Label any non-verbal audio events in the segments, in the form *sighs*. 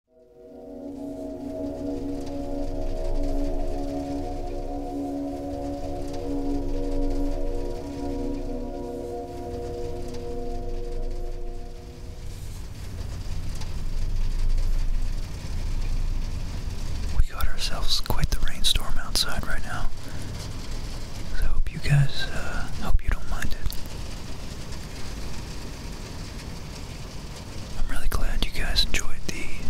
We got ourselves quite the rainstorm outside right now. So hope you guys uh, hope you don't mind it. I'm really glad you guys enjoyed the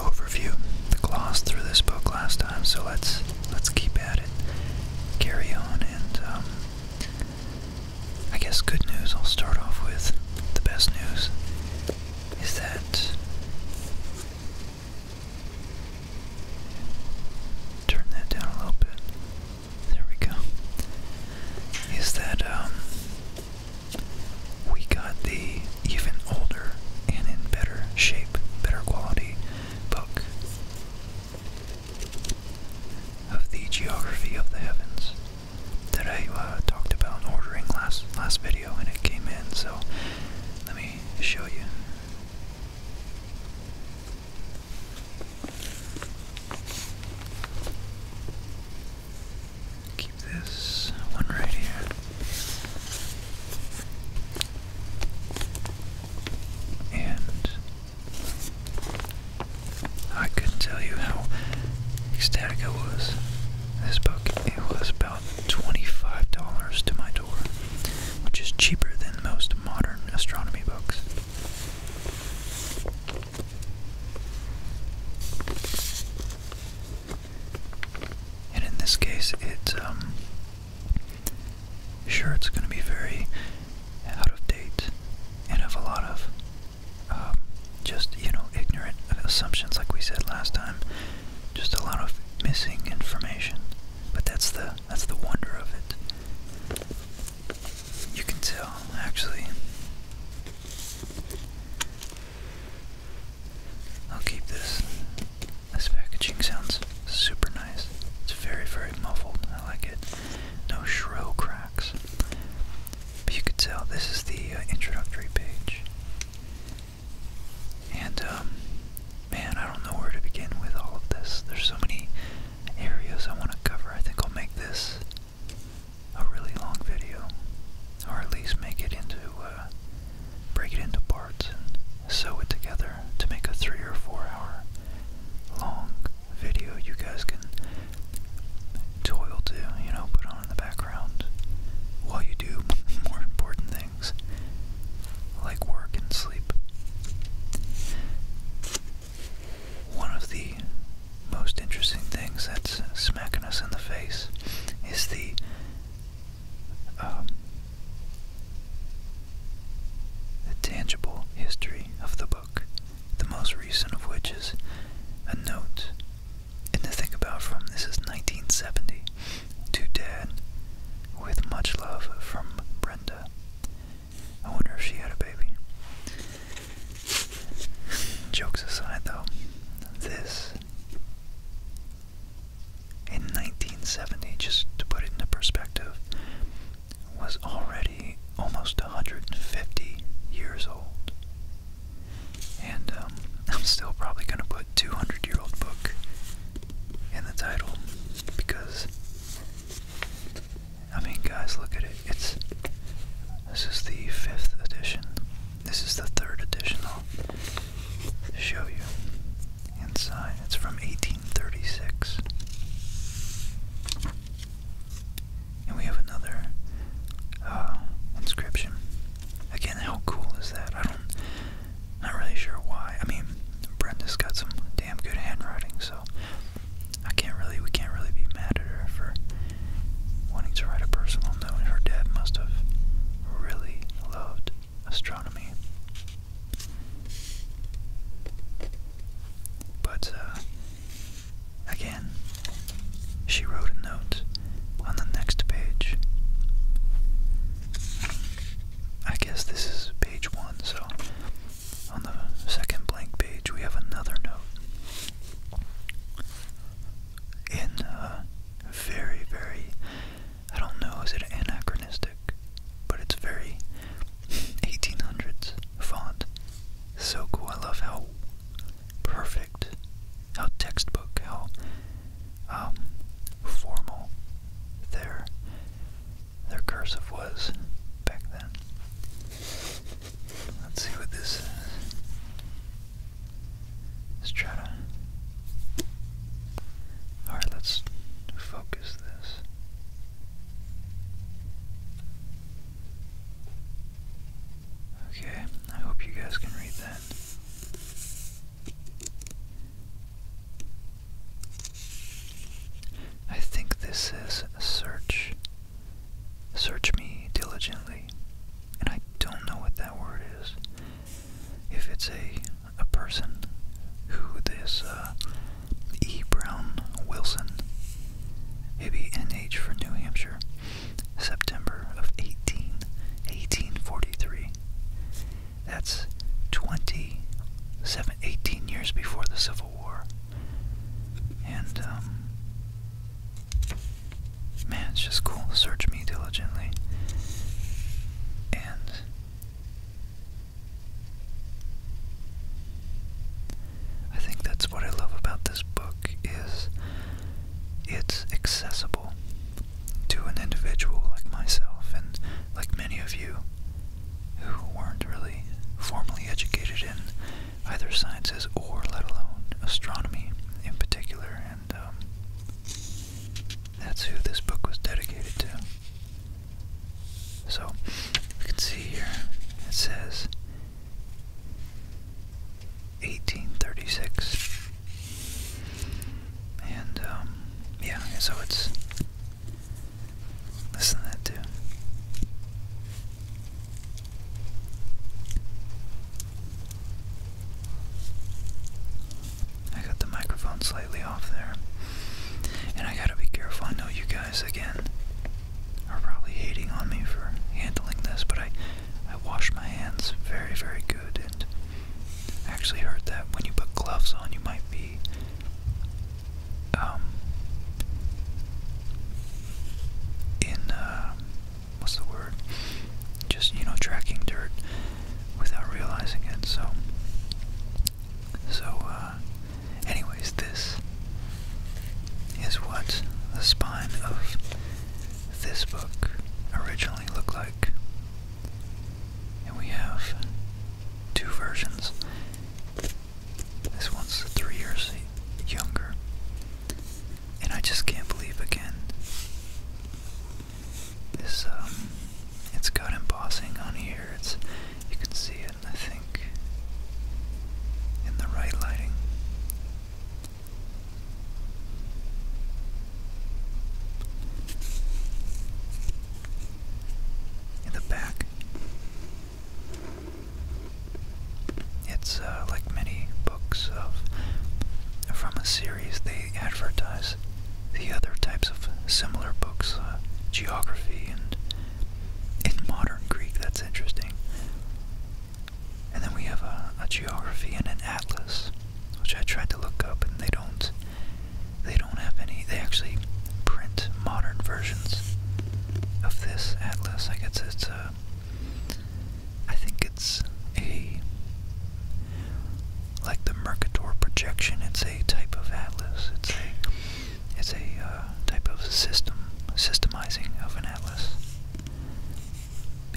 overview, the gloss through this book last time. So let's let's keep at it, carry on, and um, I guess good news. I'll start off with the best news is that. Turn that down a little bit. There we go. Is that um we got the even older and in better shape, better quality book of the geography of the heavens that I uh, talked about ordering last last video and it came in. So let me show you. Keep this one right here. And I could tell you how ecstatic I was. This book, it was about $25 to my door, which is cheaper than most modern astronomy books. And in this case, it's um, sure it's going to be very out of date and have a lot of um, just you know ignorant assumptions, like we said last time. Just a lot of missing information, but that's the that's the wonder of it. You can tell, actually. I'll keep this. This packaging sounds super nice. It's very, very muffled. I like it. No shrill cracks. But you can tell this is the uh, introductory page. And, um, man, I don't know where to begin with all of this. There's so many areas I want to cover. I think I'll make this a really long video, or at least make it into, uh, break it into parts and sew it together to make a three or four hour long video you guys can toil to, you know, put on in the background while you do *laughs* more important things like work and sleep. One of the most interesting things that's smacking us in the face is um, the tangible history of the book, the most recent of which is a note. And to think about from this is 1970 to Dad, with much love from Brenda. I wonder if she had a baby. Jokes aside, though, this in 1970, just to put it in perspective, was already almost 150 years old. And um, *laughs* I'm still probably going to put 200 year old book in the title because I mean, guys, look at it. It's this is the fifth edition. This is the third edition. I'll show you inside. It's from 1836. And we have another uh, inscription. Again, how cool is that? I don't, not really sure why. I mean, Brenda's got some damn good handwriting, so I can't really, we can't really be mad at her for wanting to write a personal note. Her dad must have really loved astronomy. But, uh, again, she wrote a note on the next page. I guess this is page one, so on the second blank page we have another note in uh, very, very, I don't know, is it anachronistic? But it's very 1800s font. So cool. I love how perfect, how textbook, how um, formal their their cursive was back then. Let's see what this is. Let's try to. Alright, let's focus this. Okay, I hope you guys can read that. I think this is search Search me diligently, and I don't know what that word is. If it's a a person who this uh, E. Brown Wilson, maybe NH for New Hampshire, September of 18, 1843. That's 20, 18 years before the Civil War. And, um, man, it's just cool. Search me diligently. And I think that's what I love about this book is it's accessible to an individual like myself and like many of you who weren't really formally educated in either sciences or let alone astronomy in particular, and um, that's who this book was dedicated to. So, you can see here, it says 1836, and um, yeah, so it's listen to that too. I got the microphone slightly off there. And I gotta be careful. I know you guys, again, are probably hating on me for handling this, but I, I wash my hands very, very good. And actually heard that when you put gloves on, you might be. Um, in uh, what's the word? Just you know, tracking dirt without realizing it. So, so uh, anyways, this is what the spine of this book originally looked like, and we have two versions. This one's three years younger, and I just can't believe again. This um it's got embossing on here. It's you can see it I think in the right lighting. In the back. It's uh, like many books of from a series. They advertise the other types of similar books, uh, geography and in modern Greek. That's interesting. And then we have a geography and an atlas, which I tried to look up, and they don't. They don't have any. They actually print modern versions of this atlas. I guess it's a uh, I think it's a like the Mercator projection. It's a type of atlas. It's a it's a uh, type of system systemizing of an atlas.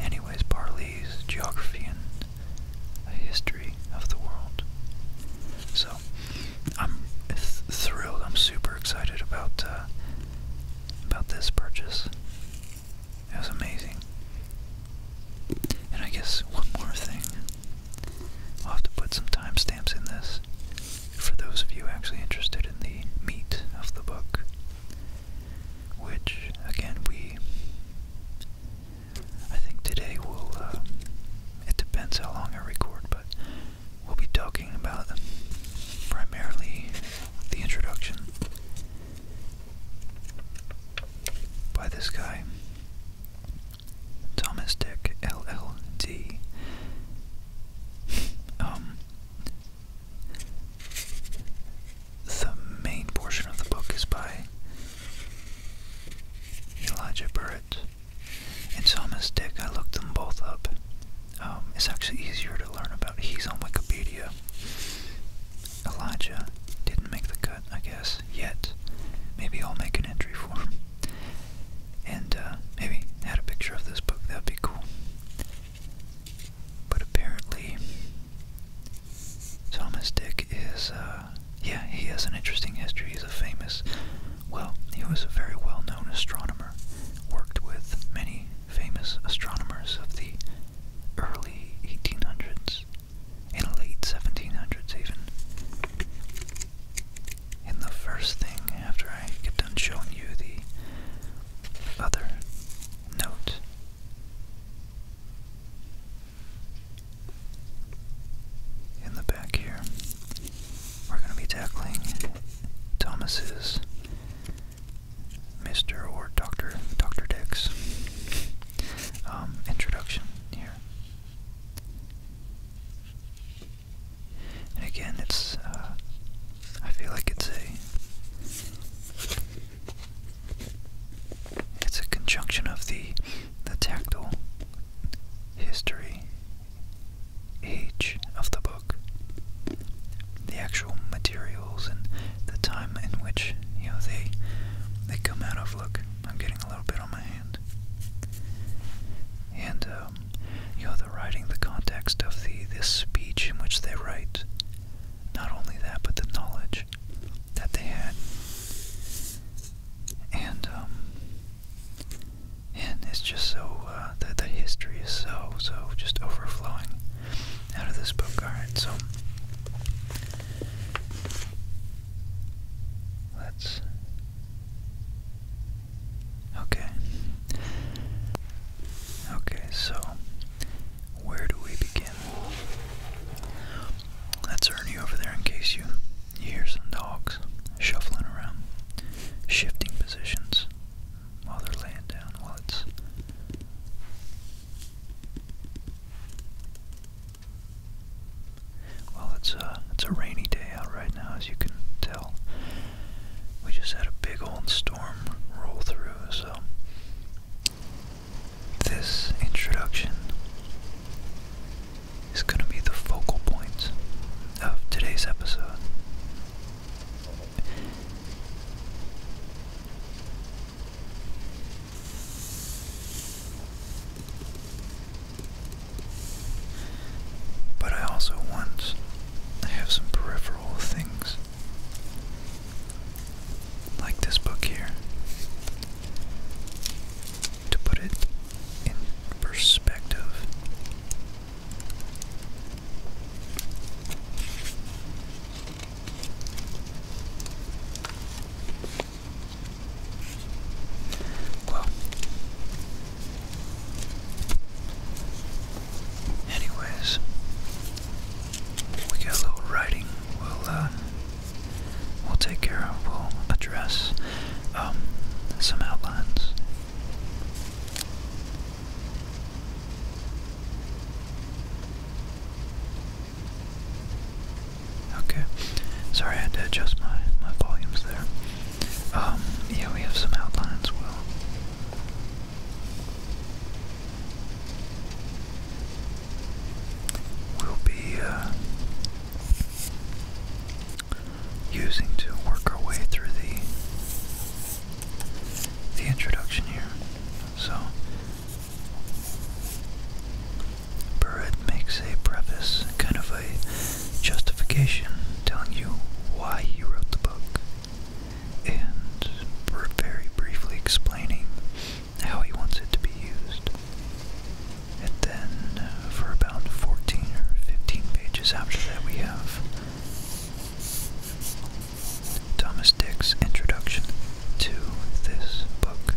Anyways, Parley's geography and history of the world. So I'm thrilled. I'm super excited about uh, about this purchase. It was amazing. And I guess one more thing. I'll have to put some timestamps in this for those of you actually interested in the meat of the book. Which, again, we. I think today we'll. Uh, it depends how long I record, but we'll be talking about primarily the introduction by this guy, Thomas Dick LLD. um, the main portion of the book is by Elijah Burritt and Thomas Dick. I looked them both up. Um, it's actually easier to learn about. He's on Wikipedia. Elijah didn't make the cut, I guess, yet. Maybe I'll make an entry for him. And uh, maybe add a picture of this book. That'd be cool. But apparently, Thomas Dick is, uh, yeah, he has an interesting history. He's a famous, well, he was a very well known astronomer, worked with many famous astronomers of the early 1800s in the late 1700s, even. And the first thing after I get done showing you the other note in the back here, we're going to be tackling Thomas's Mr. or Dr. Dr. Dix introduction here. And again, it's, uh, I feel like it's a, it's a conjunction of the, the tactile history, age of the book the actual materials and the time in which you know they they come out of. Look, I'm getting a little bit on my hand, and um, you know the writing, the context of the this speech in which they write. Not only that, but the knowledge that they had, and um, and it's just so uh, that the history is so so just overflowing out of this book. Alright, so let's. Okay. Okay, so where do we begin? That's Ernie over there in case you hear some dogs shuffling around, shifting positions while they're laying down while it's well, it's a, it's a rainy day out right now, as you can tell. We just had a big old storm roll through, so this introduction is going to be the focal point of today's episode. But I also want to have some peripheral things. Like this book here. To put it in perspective. Well, anyways, we got a little writing. We'll uh, we'll take care of. We'll address um, some outlines. Okay. Sorry, I had to adjust my my volumes there. Um, yeah, we have some outlines. Well. We'll be uh, using to work our way through the the introduction here. So Barrett makes a preface, kind of a justification, telling you why he wrote the book, and very briefly explaining how he wants it to be used. And then, uh, for about 14 or 15 pages after that, we have Thomas Dick's introduction to this book.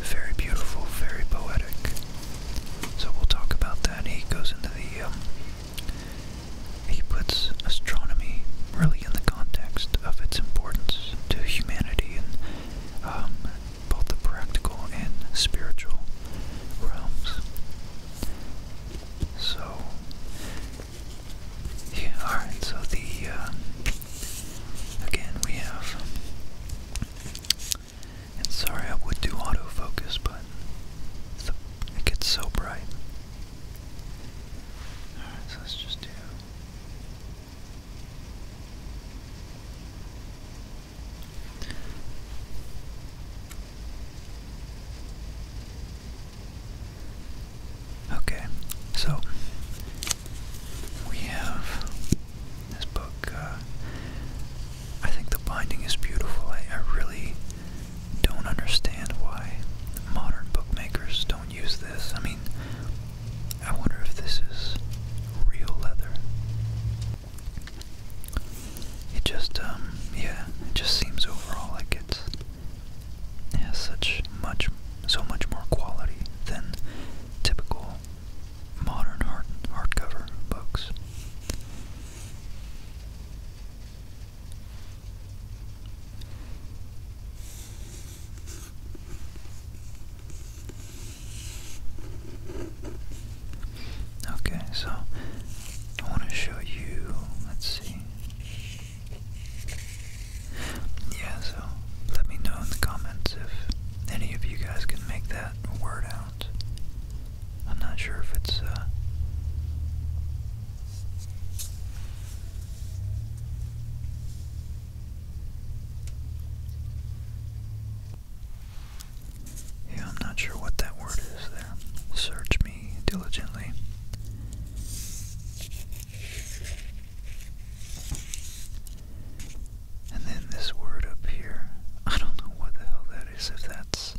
Very beautiful, very poetic. So we'll talk about that. He goes into the, um, he puts astronomy really in the context of its importance to humanity and um, both the practical and spiritual realms. So, alright, so the, um, again, we have, and sorry I would do autofocus, but it gets so bright. Alright, so let's just do. Okay, so we have this book. Uh, I think the binding is beautiful. I, I really don't understand why modern bookmakers don't use this. I mean, I wonder if this is real leather. It just, um, yeah, it just seems overall like it's has such much, so much more quality than typical modern hard hardcover books. Okay, so I want to show you, let's see, yeah, so let me know in the comments if any of you guys can make that word out. I'm not sure if it's, uh, yeah, I'm not sure what that word is there. Search me diligently. And then this word up here, I don't know what the hell that is, if that's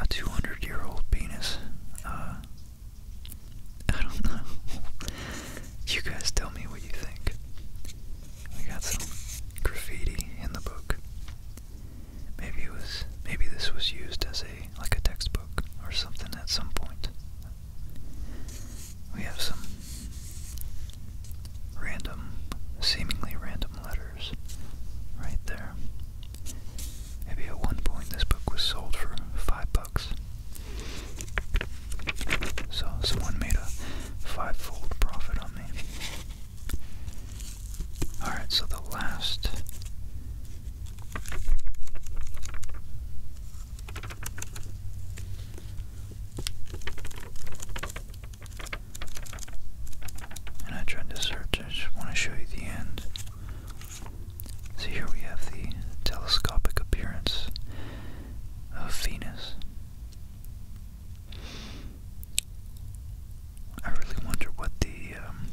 a 200 year old penis. Uh, I don't know. *laughs* you guys tell me what you think. We got some graffiti in the book. Maybe it was maybe this was used as a like a textbook or something at some point. We have some random, seemingly random letters right there. Maybe at one point this book was sold for five bucks. So someone made a five-fold profit on me. Alright, so the last and I tried to search, I just want to show you the end. so here we have the telescopic appearance of Venus. I really wonder what the um,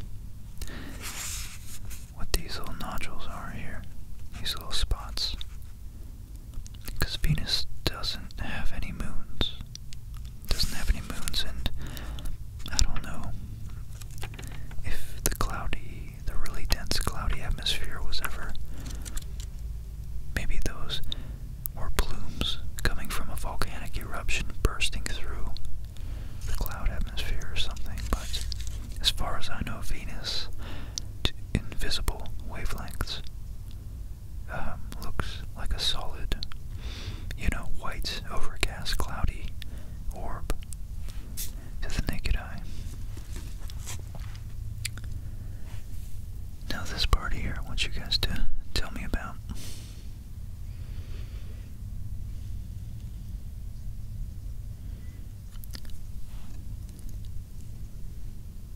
what these little nodules are here, these little spots. Because Venus doesn't have any moons. Doesn't have any moons, and I don't know if the cloudy, the really dense cloudy atmosphere was ever. Maybe those were plumes coming from a volcanic eruption bursting through the cloud atmosphere or something, but as far as I know, Venus, to invisible wavelengths, um, looks like a solid, you know, white, overcast, cloudy orb to the naked eye. Now, this part here, I want you guys to tell me about.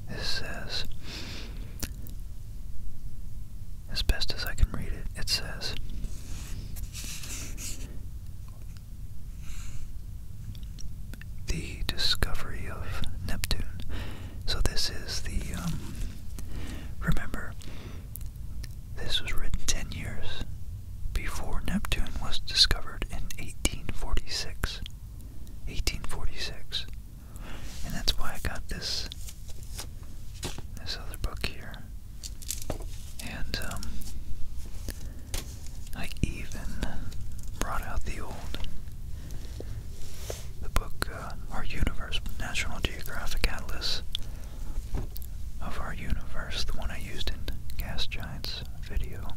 This says, as best as I can read it, it says, the discovery of Neptune. So this is the, um, remember, this was written 10 years before Neptune was discovered in 1846. 1846. And that's why I got this this other book here. And um I even brought out the old the book uh, Our Universe, National Geographic Atlas of Our Universe, the one I used in Gas Giants video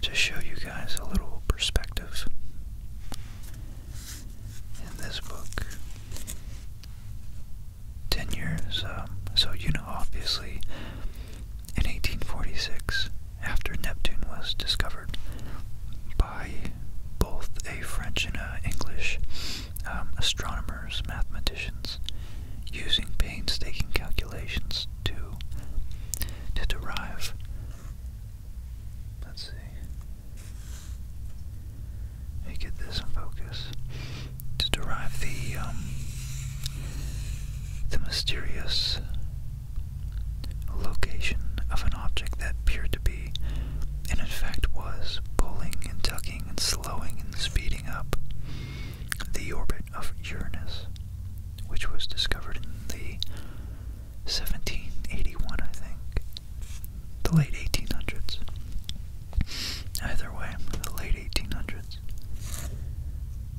to show you guys a little perspective. In this book, 10 years, um, so you know, obviously, in 1846, after Neptune was discovered by both a French and an English um, astronomer mathematicians, using painstaking calculations to to derive let's see get this in focus to derive the um, the mysterious location of an object that appeared to be and in fact was pulling and tugging and slowing and speeding up the orbit of Uranus, which was discovered in the 1781, I think, the late 1800s. Either way, the late 1800s.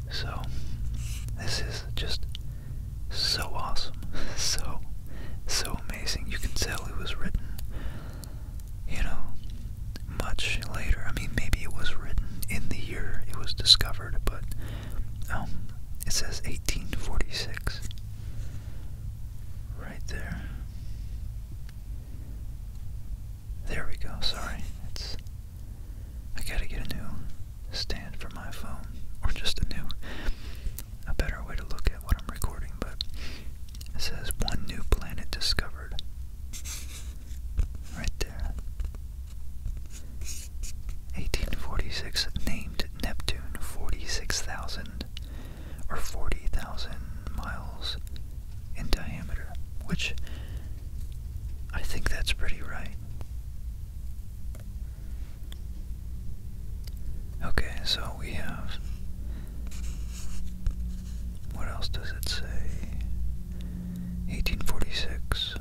So, this is just so awesome, *laughs* so, so amazing. You can tell it was written you know, much later. I mean, maybe it was written in the year it was discovered, but um, it says 1846 right there. There we go. Sorry, it's I gotta get a new stand for my phone, or just a new, a better way to look at what I'm recording. But it says one new planet discovered. Right there. 1846 named Neptune 46,000 or 40,000 miles in diameter, which I think that's pretty right. Okay, so we have. What else does it say? 1846.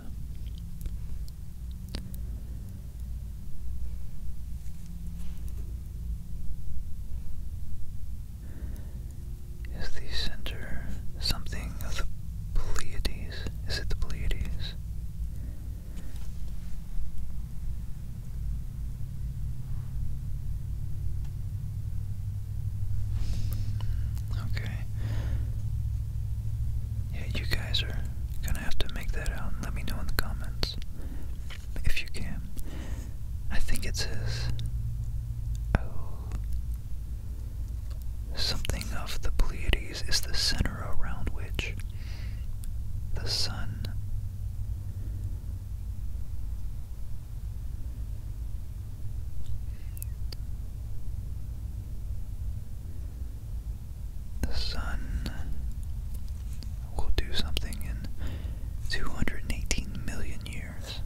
Is the center something of the Pleiades? Is it the Pleiades? Okay. Yeah, you guys are gonna have to make that out let me know in the comments if you can. I think it says oh something of the Pleiades is the center around which the sun the sun will do something in 218 million years.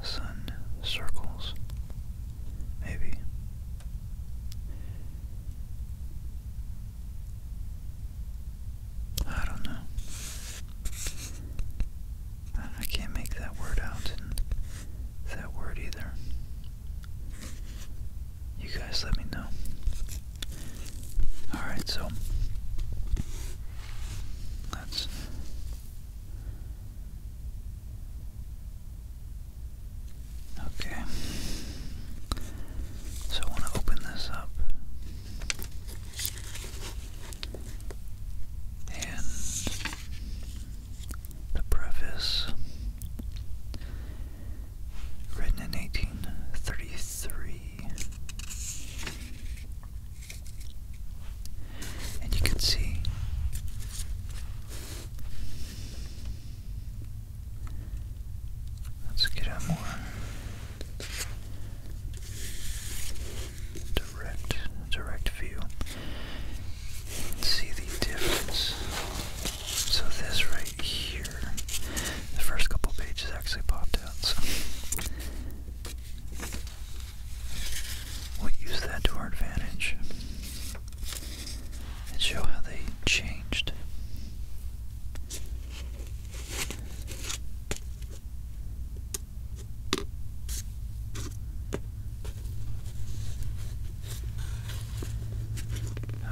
The sun circles, maybe. I don't know. I can't make that word out that word either. You guys let me know. Alright, so let Okay. So I want to open this up and the preface, written in 1833. And you can see Let's get a more direct view. See the difference. So this right here, the first couple pages actually popped out. So we use that to our advantage and show how they changed.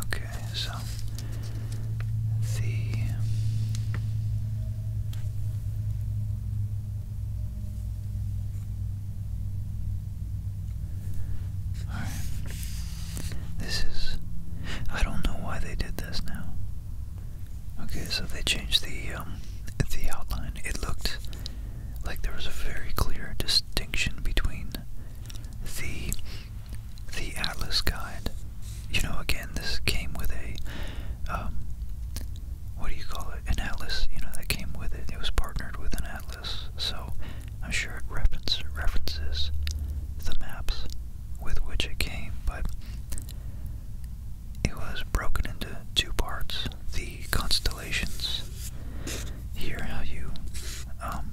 Okay, so the all right. This is. I don't know why they did this now. Okay, so they changed the um, the outline, it looked like there was a very clear distinction between the the Atlas guide. You know, again, this came with a um, what do you call it? An atlas. You know, that came with it. It was partnered with an atlas, so I'm sure it reference, references the maps with which it came. But it was broken into two parts the constellations. Here, how you. Um,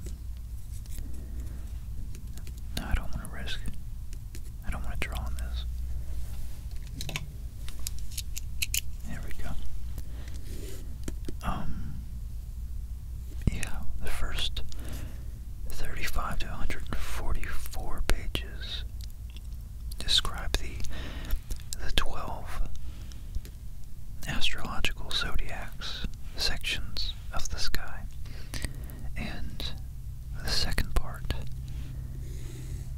no, I don't want to risk. I don't want to draw on this. There we go. Um, yeah, the first 35 to 144 pages describe the the twelve astrological zodiacs sections of the sky. And the second part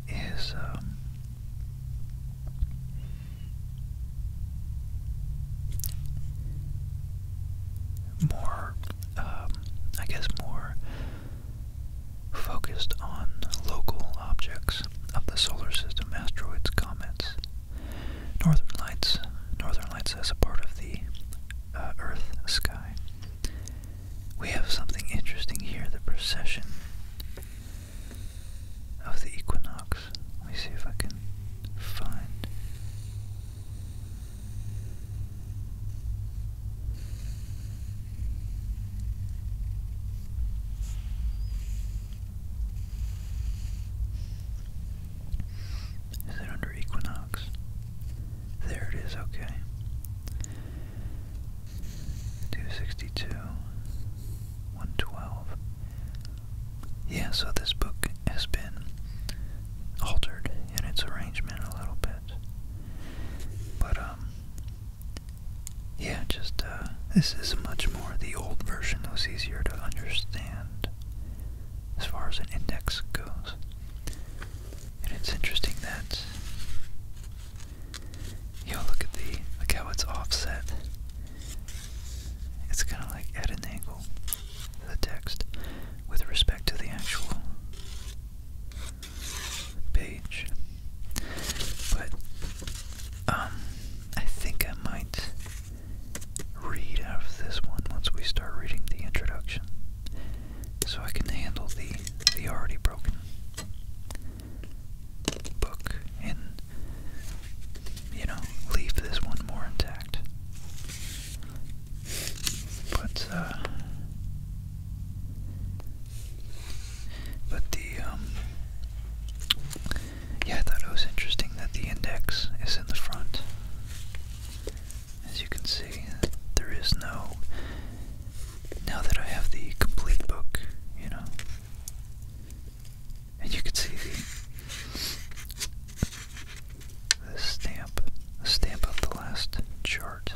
is um, more, um, I guess, more focused on local objects of the solar system, asteroids, comets, northern lights, northern lights as a part of the uh, Earth sky. We have something interesting here, the precession of the equinox. Let me see if I can find is it under equinox? There it is, okay. 262, 112. Yeah, so this book has been altered in its arrangement a little bit. But, um, yeah, just uh, this is much more the old version, though it's easier to understand as far as an index goes. And it's interesting that you know, look at the look how it's offset. It's kind of like at an angle, the text, with respect to the actual page. But um I think I might read out of this one once we start reading the introduction. So I can handle the the already broken book and you know, leave this one more intact. But uh but the, um, yeah, I thought it was interesting that the index is in the front. As you can see, there is no, now that I have the complete book, you know, and you can see the, the stamp, stamp of the last chart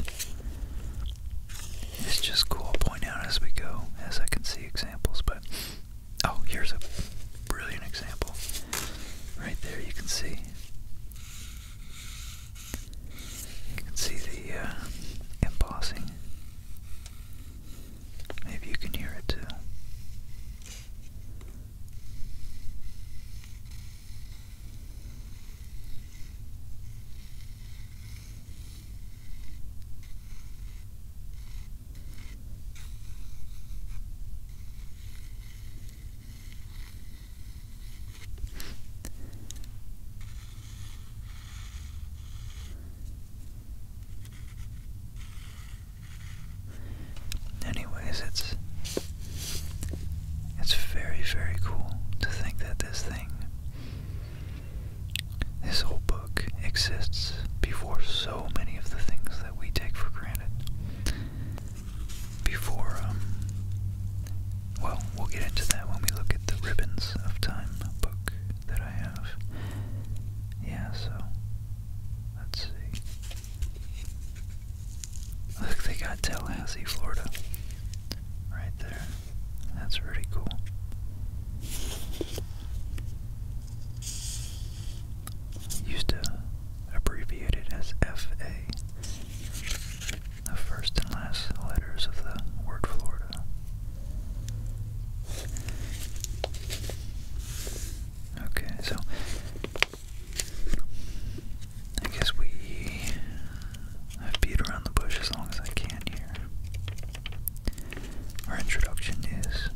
it's just cool. I'll point out as we go, as I can see examples. But oh, here's a brilliant example. Right there, you can see. You can see the uh, embossing. Maybe you can hear it too. Anyways, it's it's very very cool to think that this thing this whole book exists before so many of the things that we take for granted. Before, um, well, we'll get into that when we look at the Ribbons of Time book that I have. Yeah, so, let's see. Look, they got Tallahassee, Florida. Right there. That's really cool. Used to abbreviate as FA, the first and last letters of the word Florida. Okay, so I guess we have beat around the bush as long as I can here our introduction is.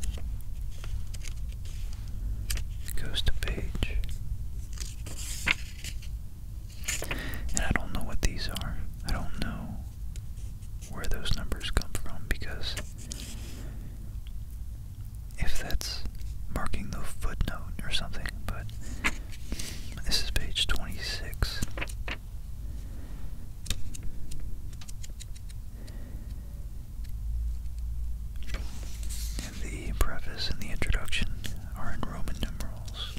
goes to page. And I don't know what these are. I don't know where those numbers come from because if that's marking the footnote or something, but this is page 26 the preface and the introduction are in Roman numerals.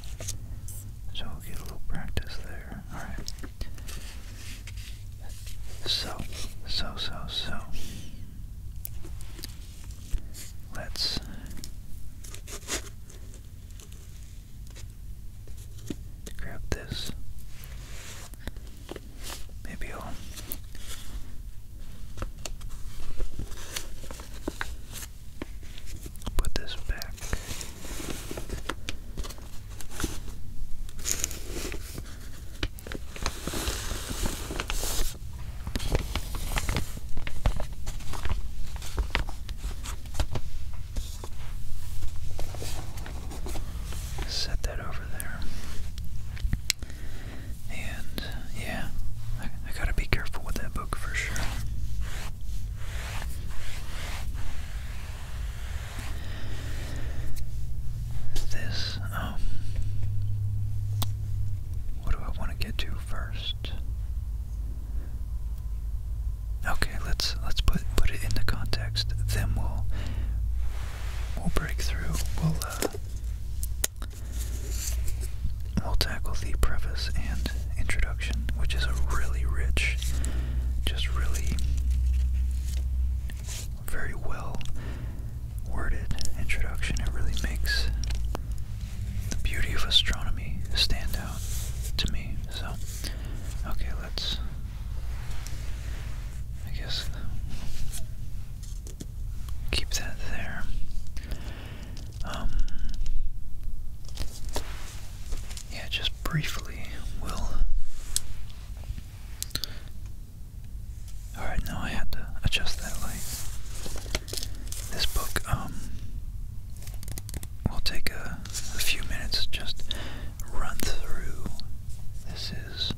So get a little practice there. Alright. So, so, so, so. Let's grab this. Maybe I'll put this back. Set that over there. And yeah, I, gotta be careful with that book for sure. This, um, what do I want to get to first? Okay, let's let's put put it into context. Then we'll we'll break through. We'll uh, we'll tackle the preface and introduction, which is a really rich, just really very well worded introduction. It really makes the beauty of astronomy stand out to me. So, okay, that's I guess keep that there. Um, yeah, just briefly we'll Alright, now I had to adjust that light. This book, um, will take a few minutes just run through. This is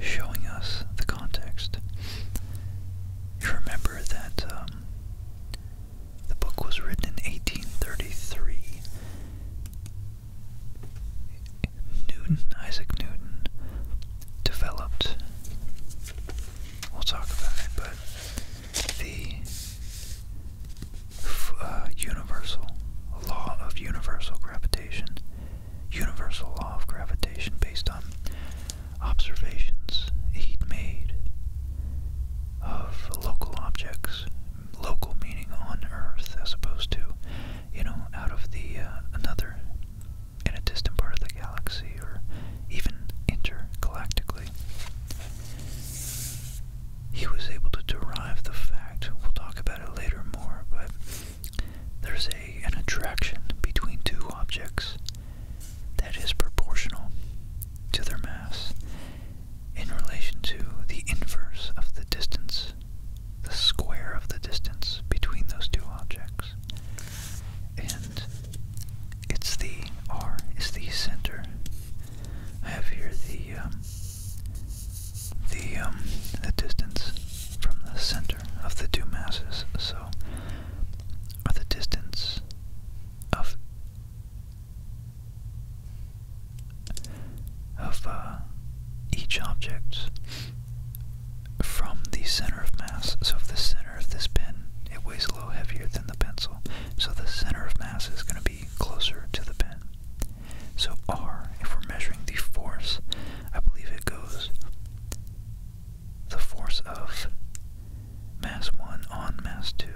showing us the context. remember that um, the book was written in 1833. Newton, Isaac Newton, developed, we'll talk about it, but the uh, universal law of universal gravitation, universal law of gravitation based on observations he'd made of local objects, local meaning on Earth as opposed to, you know, out of the uh, another in a distant part of the galaxy or even intergalactically he was able to derive the fact, we'll talk about it later more, but there's a, an attraction between two objects that is proportional to their mass in relation to the inverse of the distance, the square of the distance between those two objects. And it's the R is the center. I have here the um, the um, the distance from the center of the two masses, so or the distance of of uh, each object from the center of mass. So if the center of this pen it weighs a little heavier than the pencil, so the center of mass is going to be closer to the pin. So R, if we're measuring the force, I believe it goes the force of mass 1 on mass 2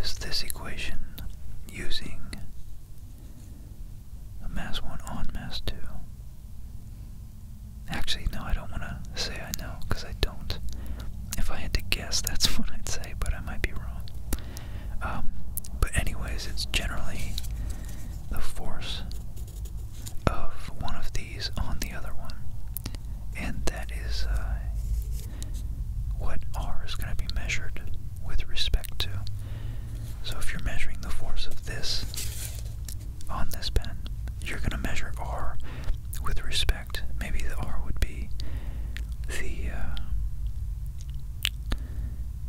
is this equation using mass 1 on mass 2. Actually, no, I don't want to say I know because I don't. If I had to guess, that's *laughs* what I'd say, but I might be wrong. Um, but, anyways, it's generally the force of one of these on the other one, and that is uh, what R is going to be measured with respect to. So, if you're measuring the force of this on this pen, you're going to measure R with respect Maybe the R would be the, uh,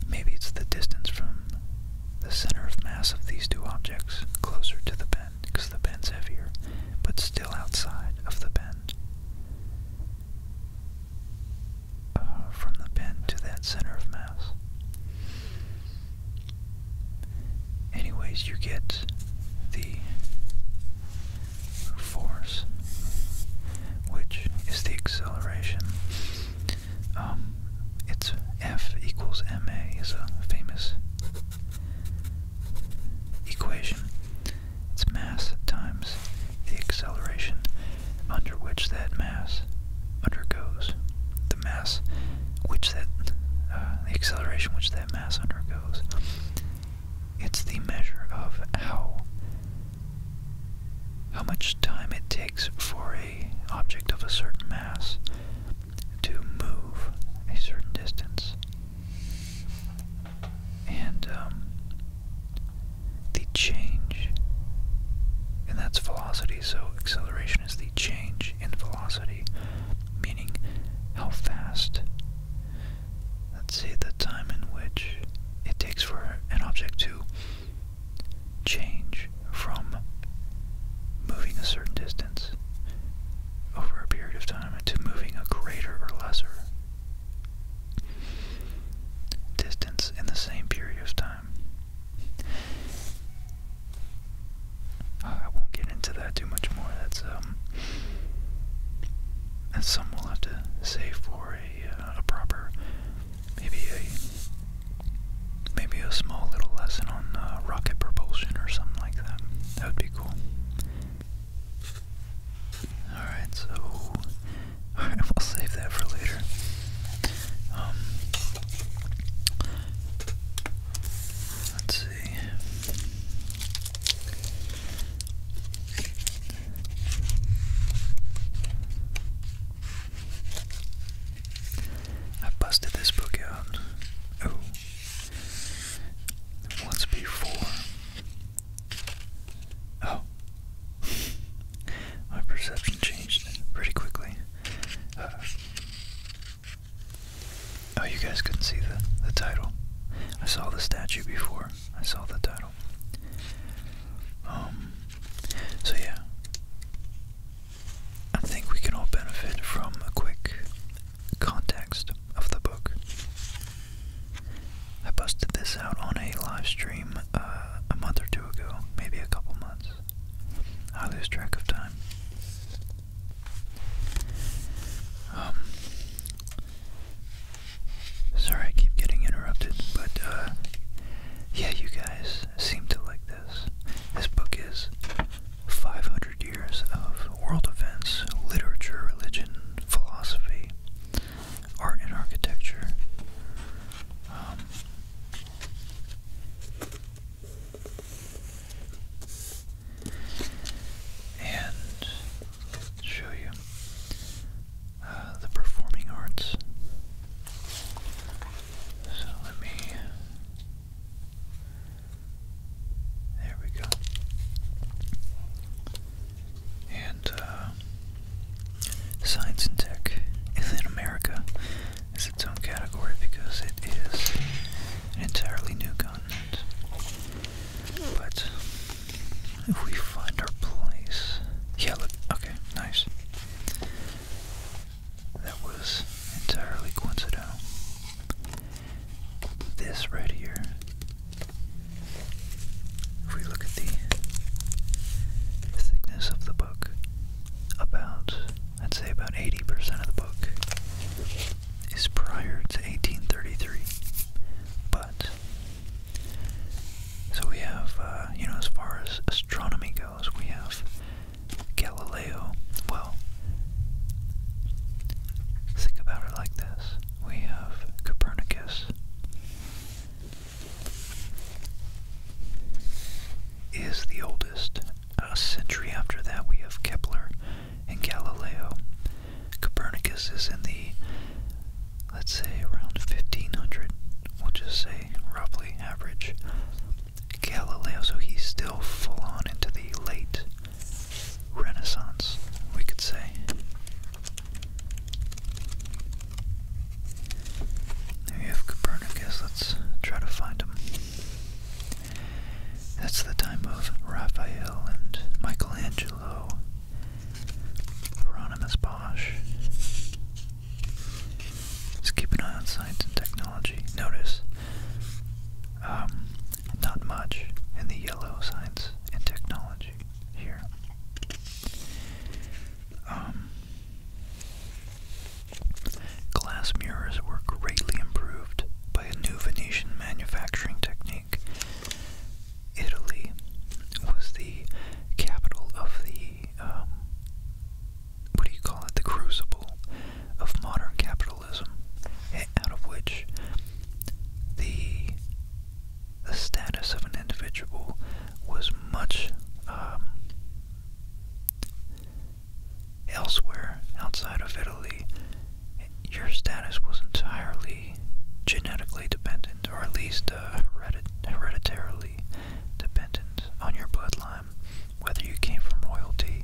maybe it's the distance from the center of mass of these two objects closer to the pen because the pen's heavier, but still outside of the pen. Uh, from the bend to that center of mass. Anyways, you get the force, which is the acceleration. Um, it's F equals ma is a famous equation. It's mass times the acceleration under which that mass undergoes. The mass which that, uh, the acceleration which that mass undergoes it's the measure of how how much time it takes for a object of a certain mass to move a certain distance. And um, the change, and that's velocity, so acceleration is the change in velocity, meaning how fast let's see, the time in which it takes for an object to change from moving a certain distance over a period of time to moving a greater or lesser distance in the same period of time. Uh, I won't get into that too much more. That's um, that's some will have to save for uh, a, proper, maybe a, maybe a small little lesson on uh, rocket propulsion or something like that. That would be cool. Alright, so, *laughs* alright, will save that for later. Um, let's see. I busted this book out oh once before. Oh. *laughs* My perception changed pretty quickly. Uh, oh, you guys couldn't see the, the title. I saw the statue before. I saw the title. Um, so yeah, I think we can all benefit from a quick context of the book. I busted this out on a live stream uh, a month or two ago, maybe a couple months. I lose track of time. Um, Sorry I keep getting interrupted, but uh yeah, you guys seem to like this. This book is 500 years of world events, literature, religion, philosophy, art and architecture. Um, and show you the performing arts. So let me. There we go. And uh, science and tech in America is its own category because it is an entirely new continent. But if we find our place. Yeah, look, okay, nice. That was entirely coincidental. This right here, if we look at the thickness of the book, about, I'd say about 80% of the book is prior to 1833, but so we have, uh, you know, as far as astronomy goes, we have Galileo. Well, think about it like this. We have Copernicus. Is the oldest. A century after that, we have Kepler and Galileo. Copernicus is in the let's say around 1500, we'll just say roughly average, Galileo, so he's still full on into the late Renaissance, we could say. There have Copernicus, let's try to find him. That's the time of Raphael and Michelangelo Hieronymus Bosch. Just keep an eye on science and technology. Notice, um, not much in the yellow science and technology here. Um, glass mirrors were greatly improved by a new Venetian manufacturing technique Italy was the capital of the, um, what do you call it, the crucible of modern capitalism, out of which the, the status of an individual was much um, elsewhere outside of Italy. Your status was entirely genetically dependent, or at least uh, hereditarily dependent on your bloodline, whether you came from royalty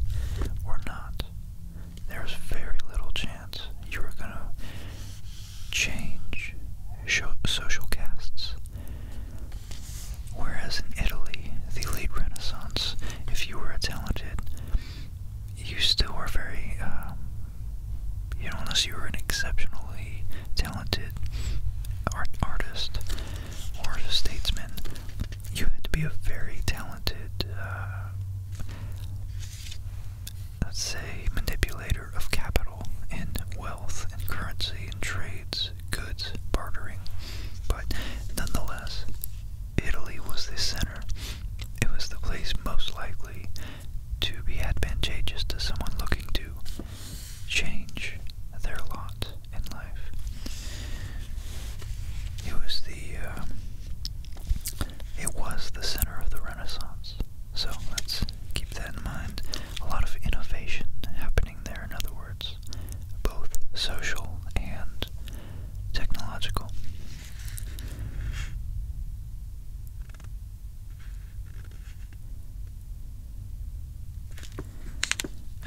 or not. There's very little chance you are going to change social castes. Whereas in Italy, the late Renaissance, if you were a talented, you still were very um, you know, unless you were an exceptionally talented art artist or a statesman, you had to be a very talented, uh, let's say, manipulator of capital and wealth and currency and trades, goods, bartering. But nonetheless, Italy was the center. It was the place most likely to be advantageous to someone looking to change their lot in life. It was the it um, was the center of the Renaissance, so let's keep that in mind. A lot of innovation happening there, in other words, both social and technological.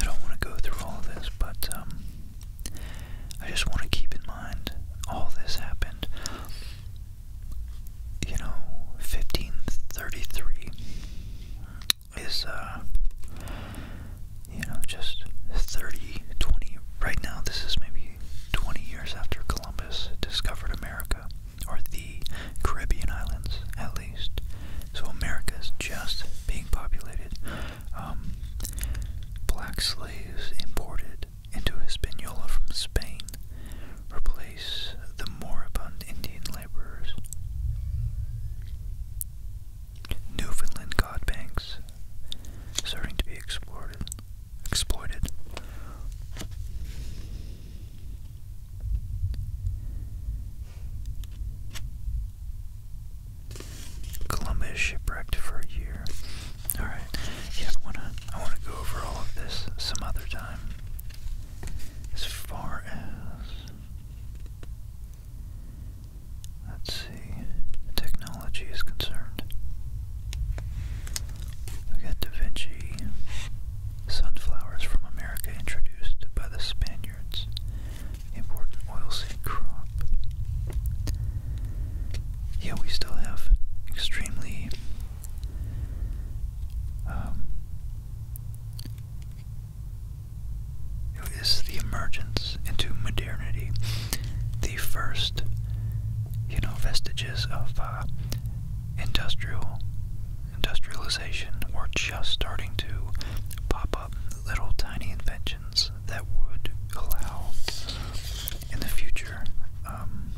I don't want to go through all this, but um, I just want to keep in mind all this happened, you know, 1533 is, uh, you know, just 30, right now this is maybe 20 years after Columbus discovered America or the Caribbean islands at least. So America is just being populated. Um, black slaves imported into Hispaniola from Spain replace the moribund Indian laborers. Newfoundland god banks starting to be exploited. Exploited. Columbus shipwrecked for a year. All right. Yeah, I wanna I wanna go over all of this some other time. As far as let's see, technology is concerned. We got Da Vinci, sunflowers from America introduced by the Spaniards, important oilseed crop. Yeah, we still have extremely um, it is the emergence into modernity, the first, you know, vestiges of uh, industrial industrialization were just starting to pop up little tiny inventions that would allow in the future um,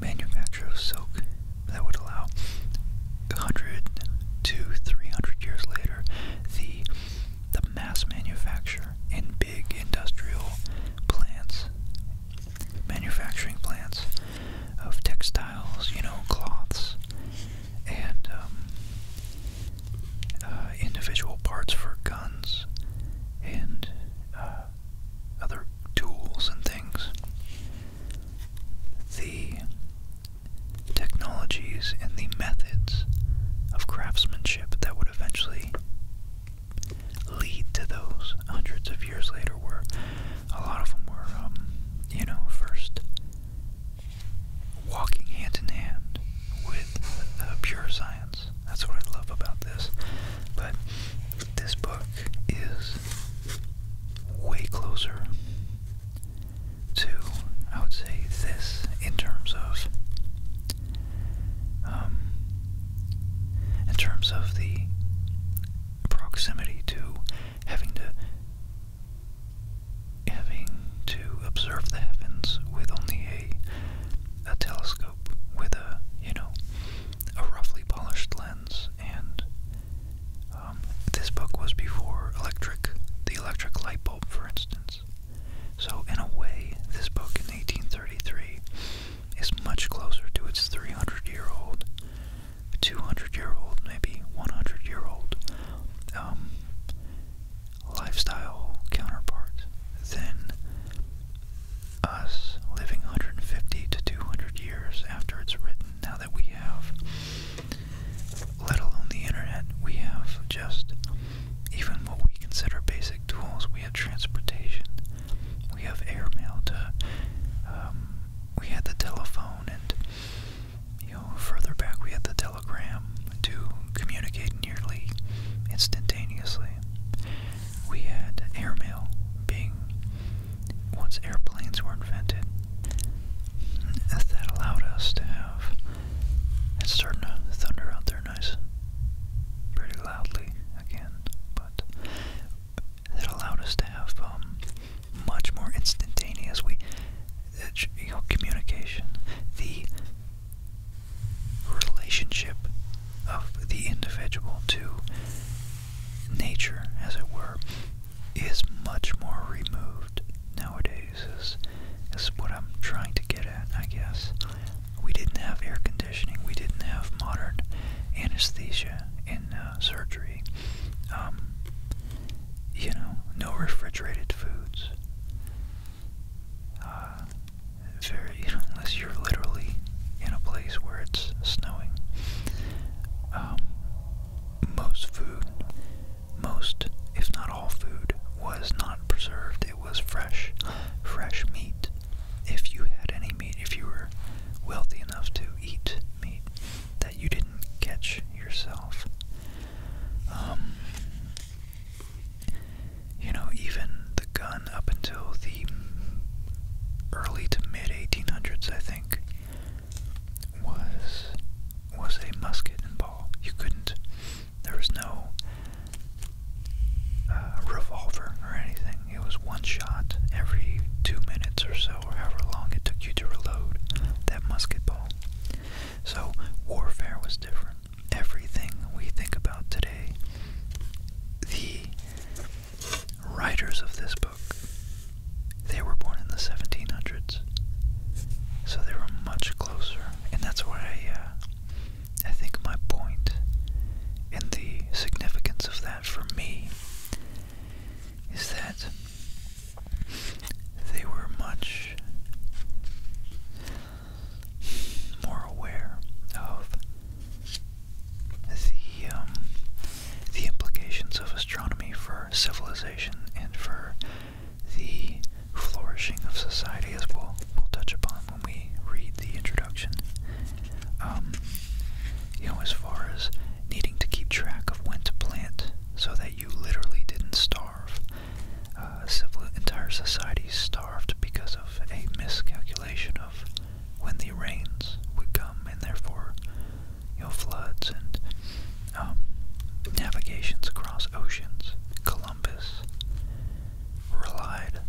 manufacture of silk that would allow 100 to 300 years later the the mass manufacture in big industrial plants manufacturing plants of textiles, you know, cloths, and um, uh, individual parts for guns and uh, other tools and things. The technologies and the methods of craftsmanship that would eventually lead to those hundreds of years later, where a lot of them were, um, you know, first walking hand in hand with uh, pure science. That's what I love about this. But this book is way closer to, I would say, this in terms of um, in terms of the proximity to having to having to observe the heavens with only a a telescope with a you know a roughly polished lens and um, this book was before electric the electric light bulb for instance so in a way this book in 1833 is much closer to its 300 year old, 200 year old, maybe 100 year old um, lifestyle counterpart than us living 150 to 200 years after it's written. Now that we have, let alone the internet, we have just even what we consider basic tools. We have transportation we have airmail to um, we had the telephone and you know further back we had the telegram to communicate nearly instantaneously we had airmail being once airplanes were invented that allowed us to have it's starting to thunder out there nice pretty loudly again that allowed us to have um, much more instantaneous communication. The relationship of the individual to nature, as it were, is much more removed nowadays. Is is what I'm trying to get at, I guess we didn't have air conditioning, we didn't have modern anesthesia in uh, surgery, um, you know, no refrigerated foods. Uh, very, *laughs* unless you're literally in a place where it's snowing. Um, most food, most, if not all food, was not preserved. It was fresh, fresh meat, if you had any meat, if you were wealthy enough to eat meat that you didn't catch yourself. Um, you know, even the gun up until the early to mid 1800s, I think, was was a musket and ball. You couldn't. There was no uh, revolver or anything. It was one shot every two minutes or so, or however long it took you to reload that musket ball. So warfare was different. Everything we think about today, the writers of this book, they were born in the 1700s, so they were much closer, and that's where I, uh, I think my point and the significance of that for me is that they were much more aware of um, the implications of astronomy for civilization and for the flourishing of society, as we'll touch upon when we read the introduction. Um, you know, as far as needing to keep track of when to plant so that you literally didn't starve. Uh, civil, entire societies starved because of a miscalculation of when the rains would come and therefore, you know, floods and um, navigations across oceans. Columbus relied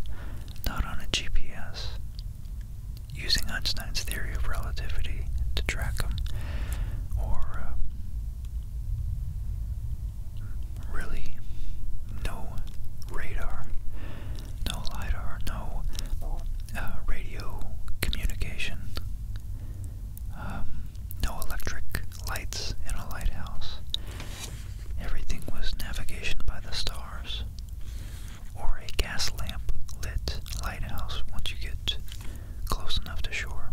not on a GPS, using Einstein's theory of relativity to track them, or uh, really no radar, no LIDAR, no uh, radio communication, um, no electric lights in a lighthouse. Everything was navigation by the stars or a gas lamp lit lighthouse once you get close enough to shore.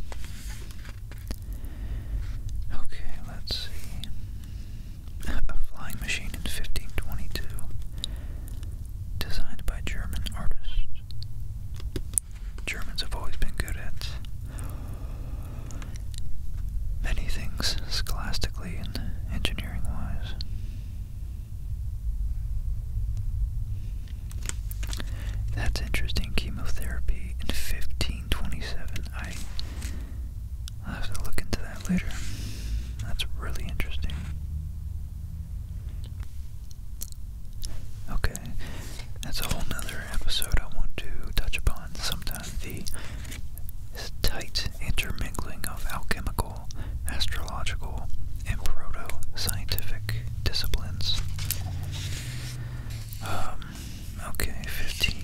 Okay, let's see. *laughs* A flying machine in 1522, designed by German artists. Germans have always been good at many things scholastically and engineering wise. That's interesting. Chemotherapy in 1527. I, will have to look into that later. That's really interesting. Okay, that's a whole nother episode I want to touch upon sometime. The this tight intermingling of alchemical, astrological, and proto-scientific disciplines. Um, okay, 15.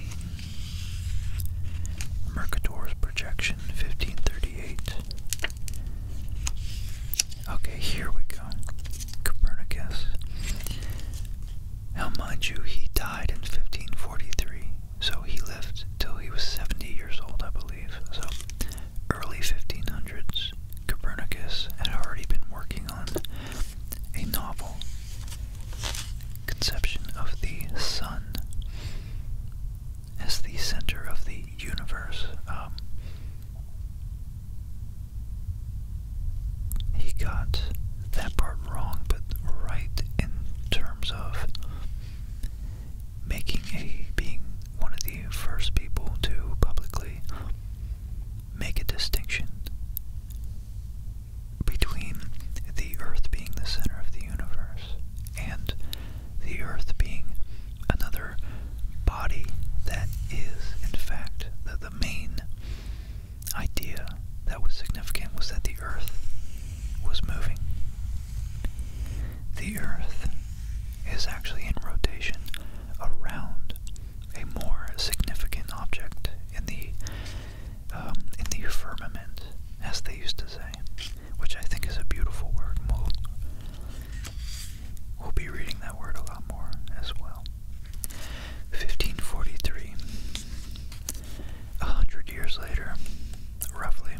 Mercator's projection, 1538. Okay, here we go. Copernicus. Now, mind you, he died in 1543, so he lived till he was 70 years old, I believe. So early 1500s, Copernicus had already been working on a novel conception of the sun as the center of the universe. Um, he got that part wrong, but right in terms of making a being one of the first people to publicly make a distinction between the Earth being the center of the universe and the Earth being another body that is, in fact, the, main idea that was significant was that the Earth was moving the Earth is actually in rotation around a more significant object in the um, in the firmament, as they used to say, which I think is a beautiful word. We'll, we'll be reading that word a lot more as well. 1543. A hundred years later, roughly,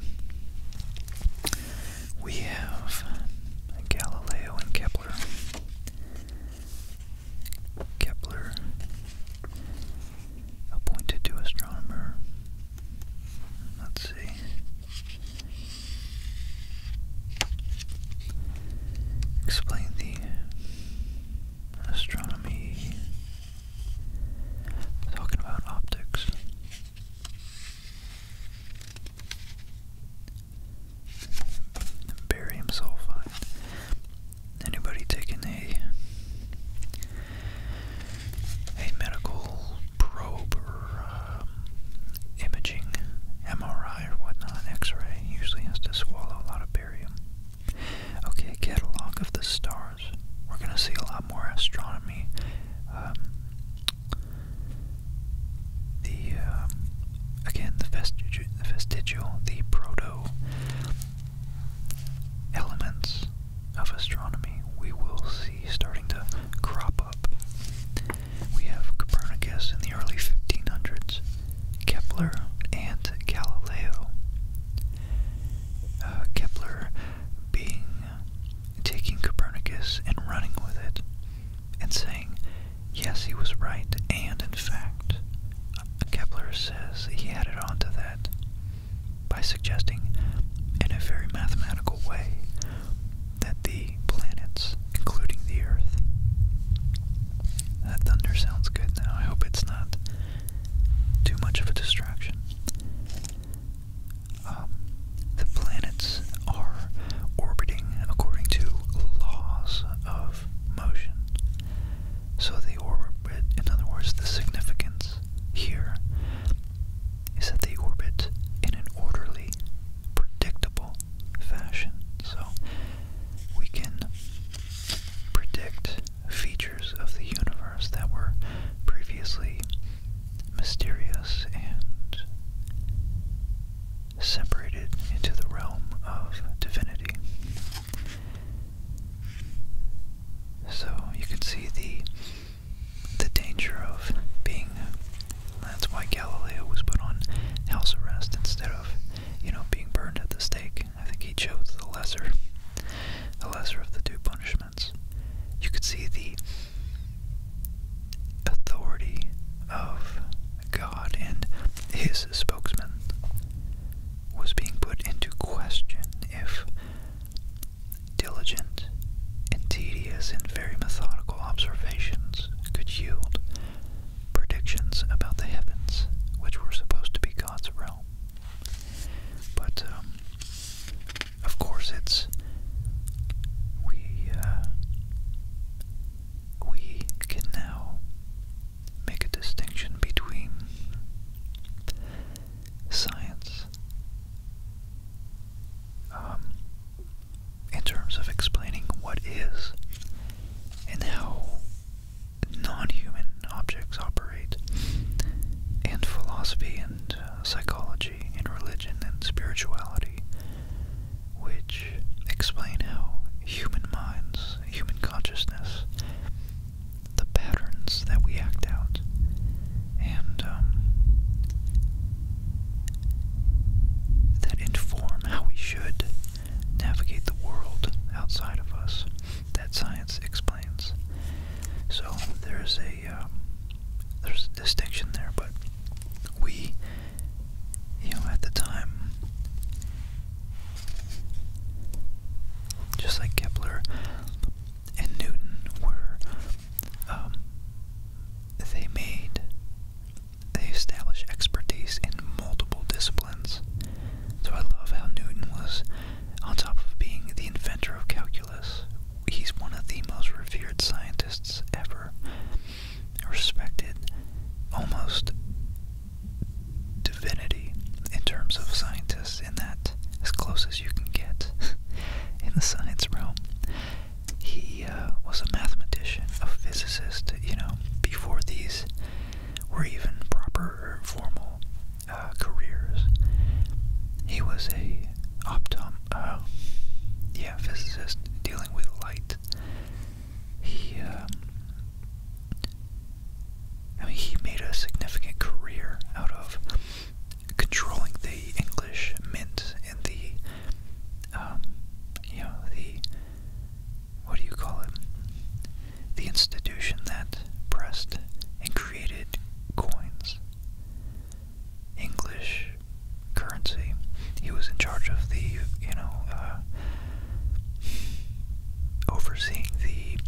we have Galileo and Kepler. Kepler appointed to astronomer. Let's see. Explain the astronomy. Talking about optics. Barium sulfide. Anybody taking a a medical probe or um, imaging, MRI or whatnot, X-ray usually has to swallow a lot of barium. Okay, catalog of the star we're going to see a lot more astronomy. Um, the um, again the vestigial, the proto elements of astronomy we will see starting to crop up. We have Copernicus in the early 1500s, Kepler, and Galileo. Uh, Kepler being taking Copernicus and running with it, and saying, yes, he was right, and in fact, Kepler says he added on to that by suggesting, in a very mathematical way, that the planets, including the Earth, that thunder sounds good now. I hope it's not too much of a distraction. Um, the planets are orbiting according to laws of motion. So they orbit, in other words, the significance here is that they orbit in an orderly, predictable fashion. So we can predict features of the universe that were previously mysterious and separated into the realm of divinity. So you can see the the danger of being that's why Galileo was put on house arrest instead of, you know, being burned at the stake. I think he chose the lesser the lesser of the two punishments. You could see the authority of God and his spokesman was being put into question if diligent and tedious and very methodical observations could yield predictions about the heavens, which were supposed to be God's realm. But um, of course, it's we uh, we can now make a distinction between science um, in terms of explaining what is and how non-human objects operate and philosophy and uh, psychology and religion and spirituality, which explain how human minds, human consciousness, the patterns that we act out, and um, that inform how we should navigate the world outside of us, that science explains. So there's a um, there's a distinction there, but we, you know, at the time, just like Kepler and Newton were, um, they made, they established expertise in multiple disciplines. So I love how Newton was, on top of being the inventor of calculus, He's one of the most revered scientists ever, respected almost divinity in terms of scientists, in that as close as you can get *laughs* in the science realm. He uh, was a mathematician, a physicist, you know, before these were even proper formal uh, careers. He was a optom, oh. yeah, physicist dealing with light. He, um, he made a significant career out of controlling the English mint and the, um, you know, the, what do you call it? The institution that pressed and created coins. English currency. He was in charge of the, you know, uh, overseeing the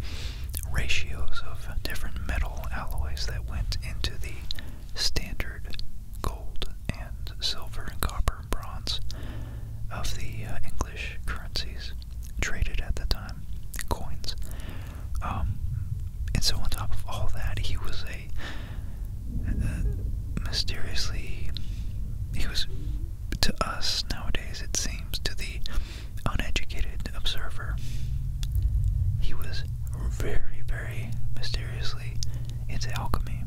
ratios of different metal alloys that went into the standard gold and silver and copper and bronze of the uh, English currencies traded at the time, coins. Um, and so, on top of all that, he was a uh, mysteriously, he was to us nowadays, it seems, to the uneducated observer, he was very, very mysteriously into alchemy.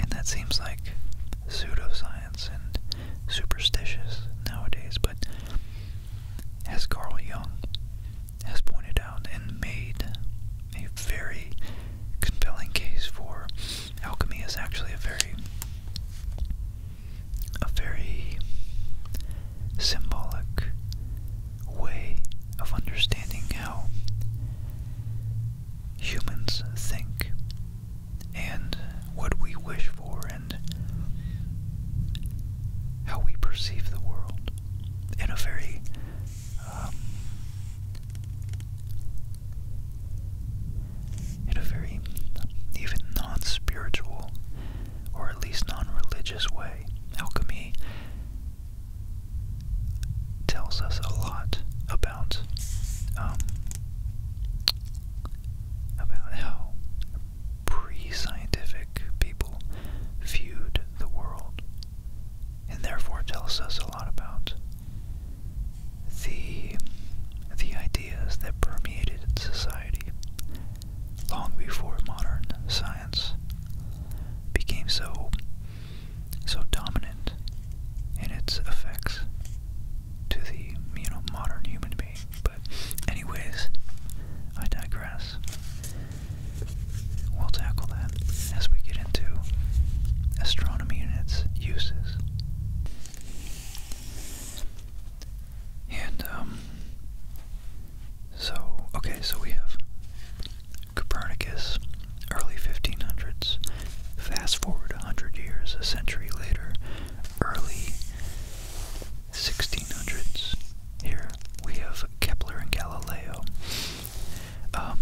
And that seems like pseudoscience and superstitious nowadays, but as Carl Jung has pointed out and made a very compelling case for alchemy is actually a very a very symbolic way of understanding how humans think and what we wish for and how we perceive the world in a very um, in a very even non-spiritual or at least non-religious way. Alchemy tells us a lot about um, about how pre-scientific people viewed the world and therefore tells us a lot about the the ideas that permeated society long before modern science became so so dominant in its effects to the you know modern human being. But anyways, I digress. We'll tackle that as we get into astronomy and its uses. And, um, so, okay, so we have Copernicus, early 1500s. Fast forward a 100 years, a century later, early 1600s. Here we have Kepler and Galileo. Um,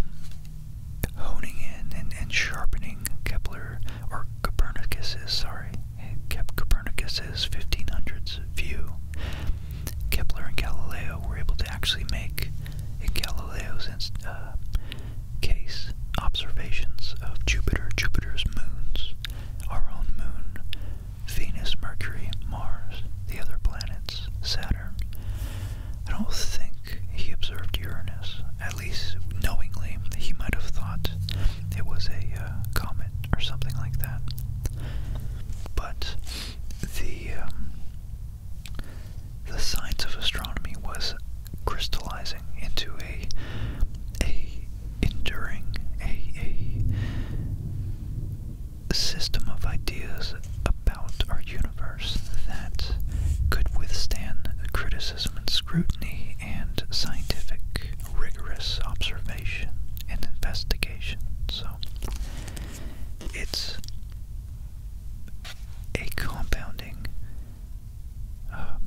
honing in and, sharpening Kepler or Copernicus's, sorry, Copernicus's 1500s view. Kepler and Galileo were able to actually make in Galileo's uh, case observations of Jupiter, Jupiter's moons, our own moon, Venus, Mercury, Mars, the other planets, Saturn. I don't think he observed Uranus, at least knowingly. He might have thought it was a uh, comet or something like that. But the um, the science of astronomy was crystallizing into a a enduring a a a system of ideas about our universe that could withstand criticism and scrutiny and scientific, rigorous observation and investigation. So it's a compounding um,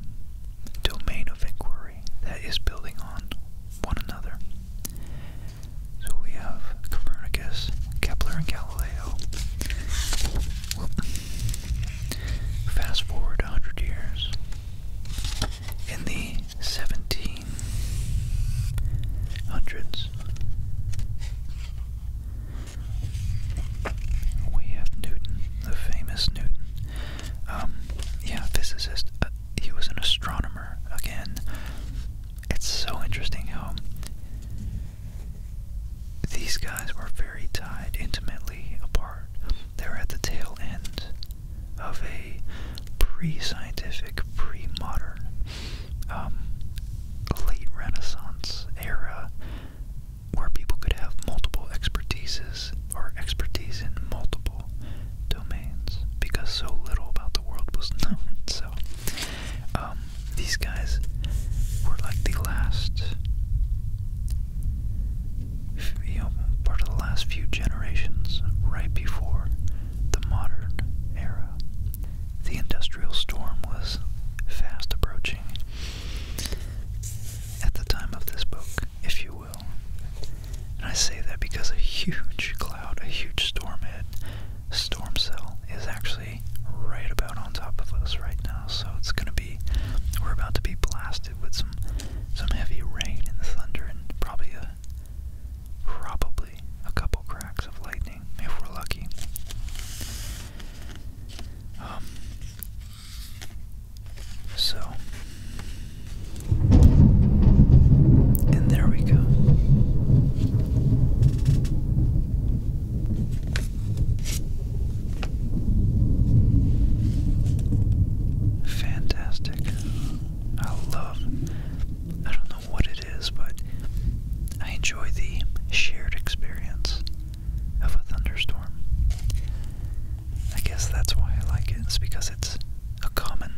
domain of inquiry that is building on one another. So we have Copernicus, Kepler, and Galileo. fast forward 100 years. In the 1700s, we have Newton, the famous Newton. Um, yeah, physicist. Uh, he was an astronomer again. It's so interesting how these guys were very tied intimately apart. They were at the tail end of a pre scientific, pre modern, um, late Renaissance era where people could have multiple expertises or expertise in multiple domains because so little about the world was *laughs* known. So um, these guys were like the last, you know, part of the last few generations right before the modern era. The industrial storm was fast approaching. At the time of this book, if you will. And I say that because a huge cloud, a huge storm head, storm cell, is actually right about on top of us right now, so it's gonna be we're about to be blasted with some some heavy rain and thunder and probably a probably a couple cracks of lightning if we're lucky. Um, so and there we go. Fantastic. I love, I don't know what it is, but I enjoy the shared experience of a thunderstorm. I guess that's why I like it, it's because it's a common,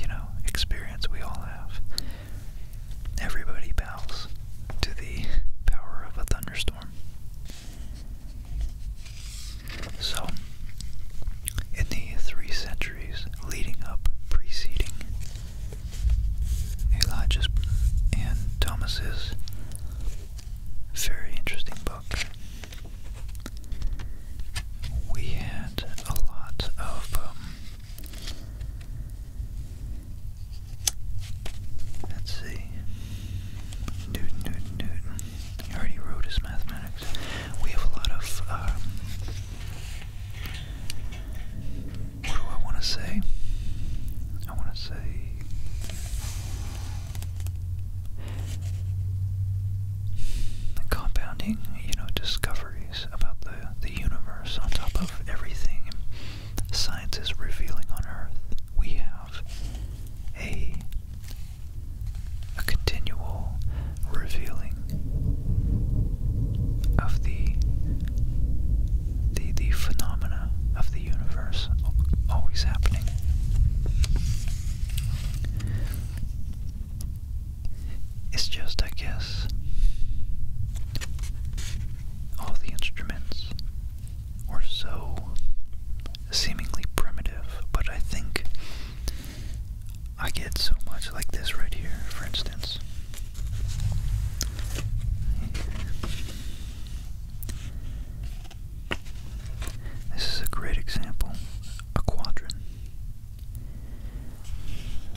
you know, experience we all have. Everybody bows to the power of a thunderstorm. So, in the three centuries leading up, preceding Elijah's and Thomas's very interesting book, we had a lot of um, Let's see. Newton, Newton, Newton. He already wrote his mathematics. We have a lot of, um, what do I want to say? I want to say compounding, you know, discoveries about the, universe, on top of everything science is revealing on Earth, we have a, a continual revealing of the, the, the phenomena of the universe always happening. It's just, I guess, all the instruments are so seemingly primitive, but I think I get so much like this right here, for instance. This is a great example, a quadrant.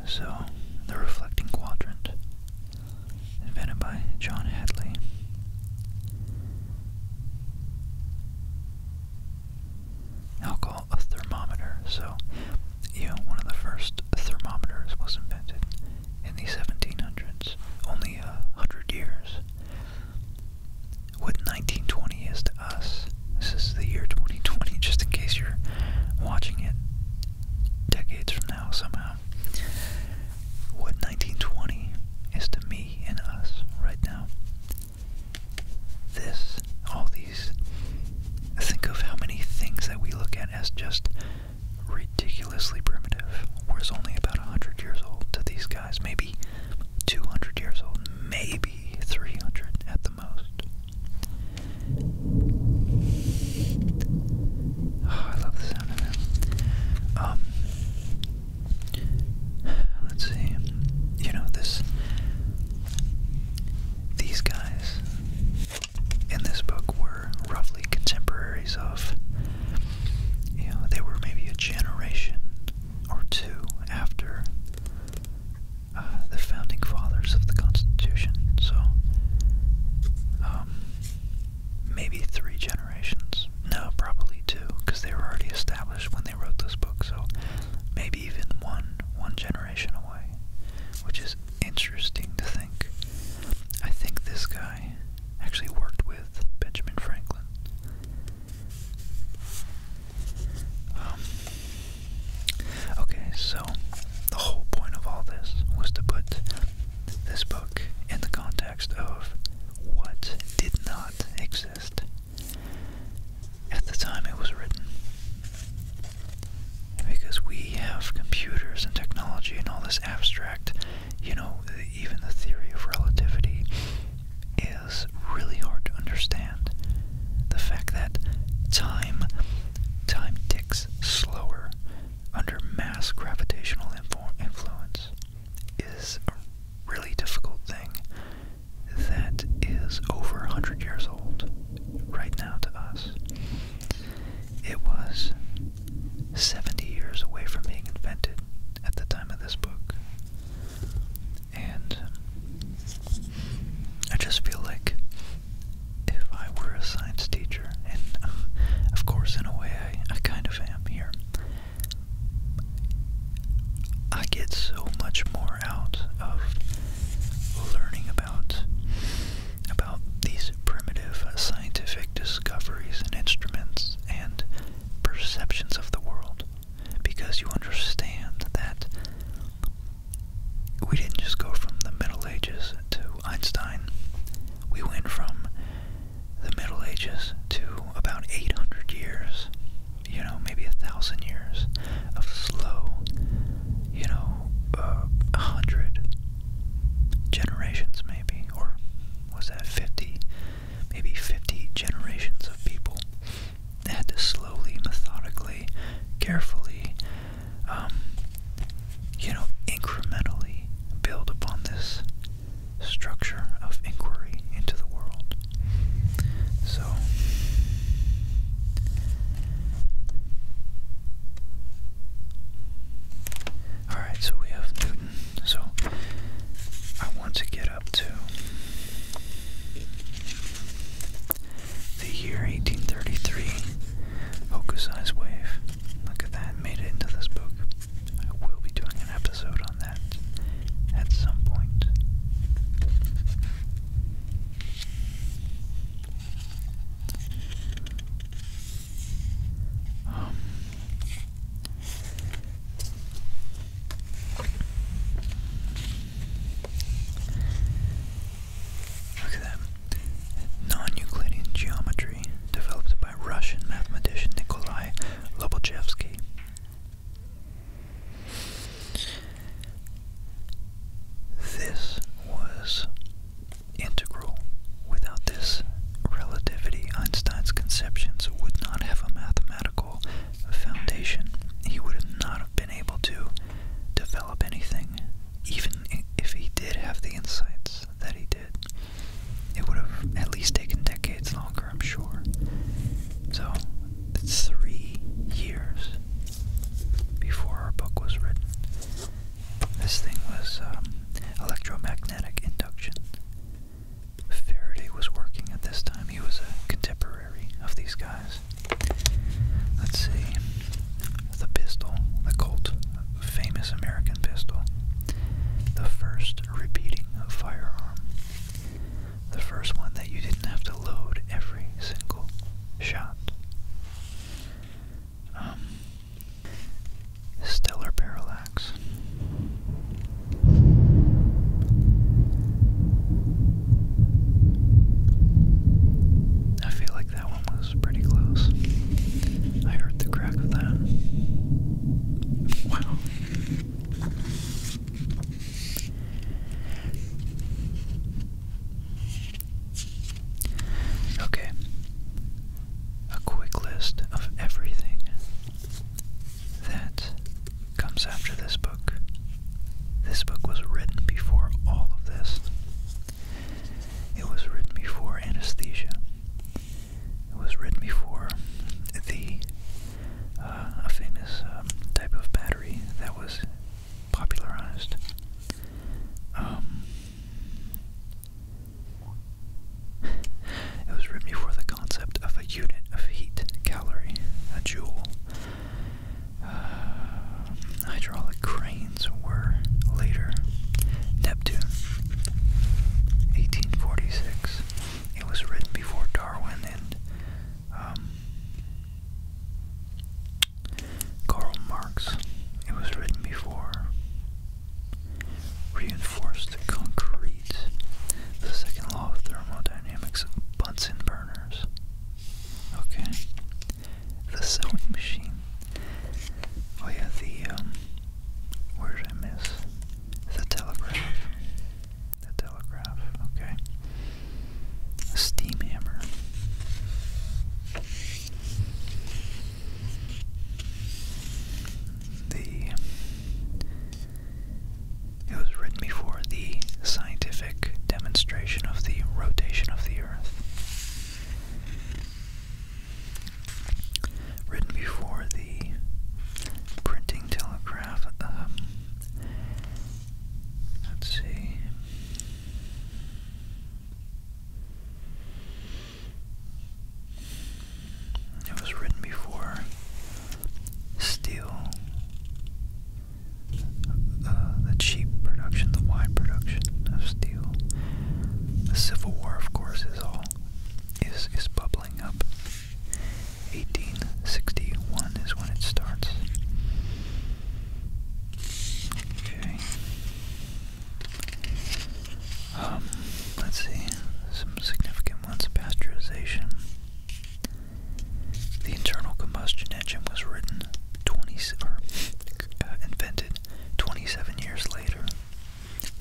So, the reflecting quadrant, invented by John Hadley. Alcohol, a thermometer. So, you one of the first thermometers was invented in the 1700s, only a hundred years. What 1920 is to us this is the year 2020, just in case you're watching it decades from now somehow. What 1920 is to me and us right now. This, all these, think of how many things that we look at as just ridiculously primitive. Whereas only about 100 years old to these guys, maybe 200 years old, maybe 300 at the most. Ah, I love the sound of it. Um, let's see. You know this. These guys in this book were roughly contemporaries of. You know, they were maybe a generation or two after uh, the founding fathers of the Constitution. So, um, maybe three generations. No, probably two, because they were already established when they wrote this book. So, maybe even one, one generation away, which is interesting to think. I think this guy actually worked with Benjamin Franklin. Um, Okay, so the whole point of all this was to put this book in the context of what did not exist at the time it was written. Because we have computers and technology and all this abstract, you know, even the theory of relativity is really hard to understand. The fact that time Time ticks slower under mass gravitational influence is a really difficult thing that is over 100 years old right now to us. It was 70 years away from being invented at the time of this book. And um, I just feel like if I were a science teacher, and um, of course, in a way, I, I kind of am here, I get so much more out of learning about about these primitive scientific discoveries and instruments and perceptions of the world because you understand that we didn't just go from the Middle Ages to Einstein. We went from the Middle Ages to about 800 years, you know, maybe a thousand years of slow, you know, uh, a hundred generations maybe, or was that 50? Maybe 50 generations of people that slowly, methodically, carefully um, you know, incrementally build upon this structure of inquiry into the world. So, alright, so we have Newton. So, I want to get up to the year 1833, Hokusai's Wave. Look at that, made it into this book. I will be doing an episode on that at some point. Um. Look at that. Non-Euclidean geometry developed by Russian mathematician Nikolai Lobachevsky. This was integral. Without this relativity, Einstein's conceptions would not have a mathematical foundation. He would not have been able to develop anything even if he did have the insights that he did, it would have at least taken decades longer, I'm sure. So, it's three years before our book was written. This thing was um, electromagnetic induction. Faraday was working at this time. He was a contemporary of these guys. Let's see. The pistol, the Colt, famous American pistol. The first repeating firearm. The first one that you didn't have to load every single shot. Um, stellar parallax. I feel that one was pretty close. I heard the crack of that. Wow. Okay. A quick list of everything that comes after this book. This book was written before all of this. It was written before anesthesia. It was written before the uh, famous um, type of battery that was popularized. Um, it was written before the concept of a unit of heat, calorie, a joule. Uh, hydraulic cranes were later. Neptune, 1846. It was written before Darwin and um, Karl Marx. It was written before reinforced concrete, the second law of thermodynamics, Bunsen burners. Okay the sewing machine. Oh yeah, the um, where did I miss? The telegraph. The telegraph. Okay. A steam hammer. The it was written before the scientific demonstration of the rotation of the Earth. Written before the printing telegraph. Um, let's see. It was written before steel, uh, the cheap production, the wide production of steel, the Civil War, of course, is all is is bubbling up. 1861 is when it starts. Okay. Um, let's see some significant ones. Pasteurization. The internal combustion engine was written 20 or uh, invented 27 years later.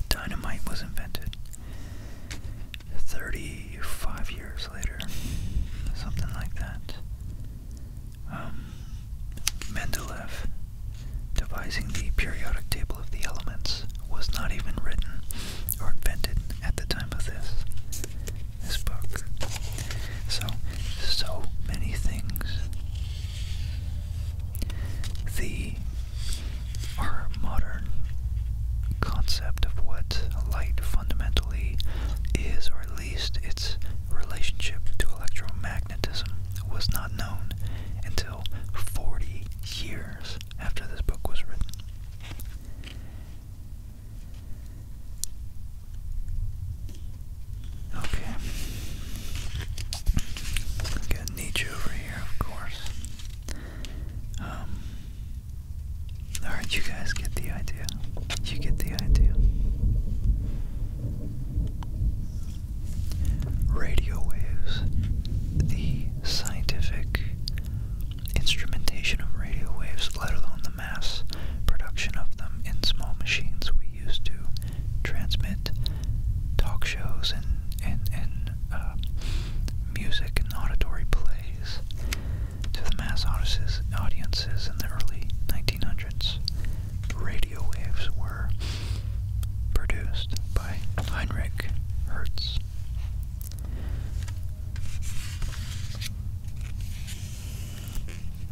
Dynamite was invented 35 years later, something like that. Um, Mendeleev, devising the periodic table of the elements, was not even written or invented at the time of this this book. So, so many things the our modern concept of what light fundamentally is, or at least its relationship to electromagnetism, was not known until 40 years after this book was written. Okay. Got Nietzsche over here, of course. Um, alright, you guys get the idea. You get the idea. Radio waves. The scientific instrumentation of radio waves, let alone the mass production of them in small machines, we used to transmit talk shows and and and uh, music and auditory plays to the mass audiences in the early 1900s. Radio waves were produced by Heinrich Hertz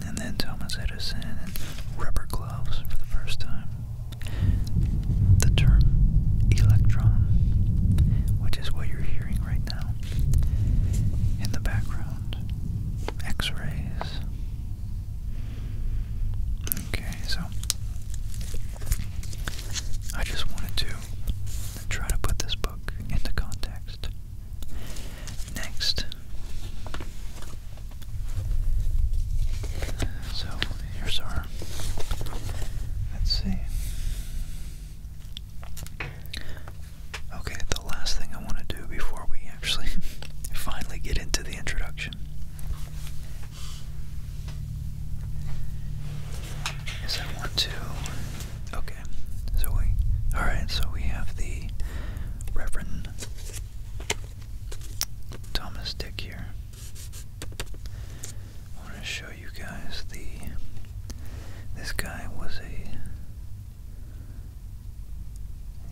and then Thomas Edison and rubber gloves for the first time. The term electron, which is what you're hearing right now in the background, x rays. Okay, so I just wanted to try to put this book into context. Next, so here's our, let's see. Okay, the last thing I want to do before we actually *laughs* finally get into the introduction is I want to. Okay, so we. Alright, so we have the Reverend Thomas Dick here. I want to show you guys the. This guy was a.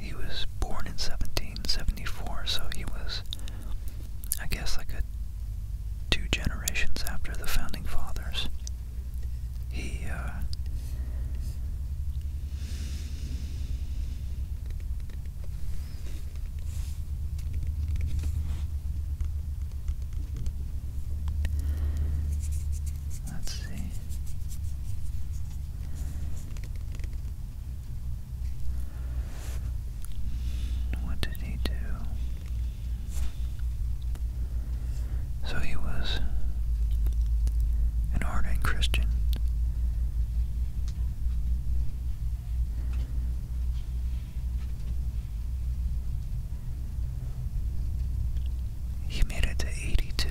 He was born in 1774, so he was, I guess, like a two generations after the founding fathers. He, uh. Let's see. What did he do? So he was an ardent Christian he made it to 82.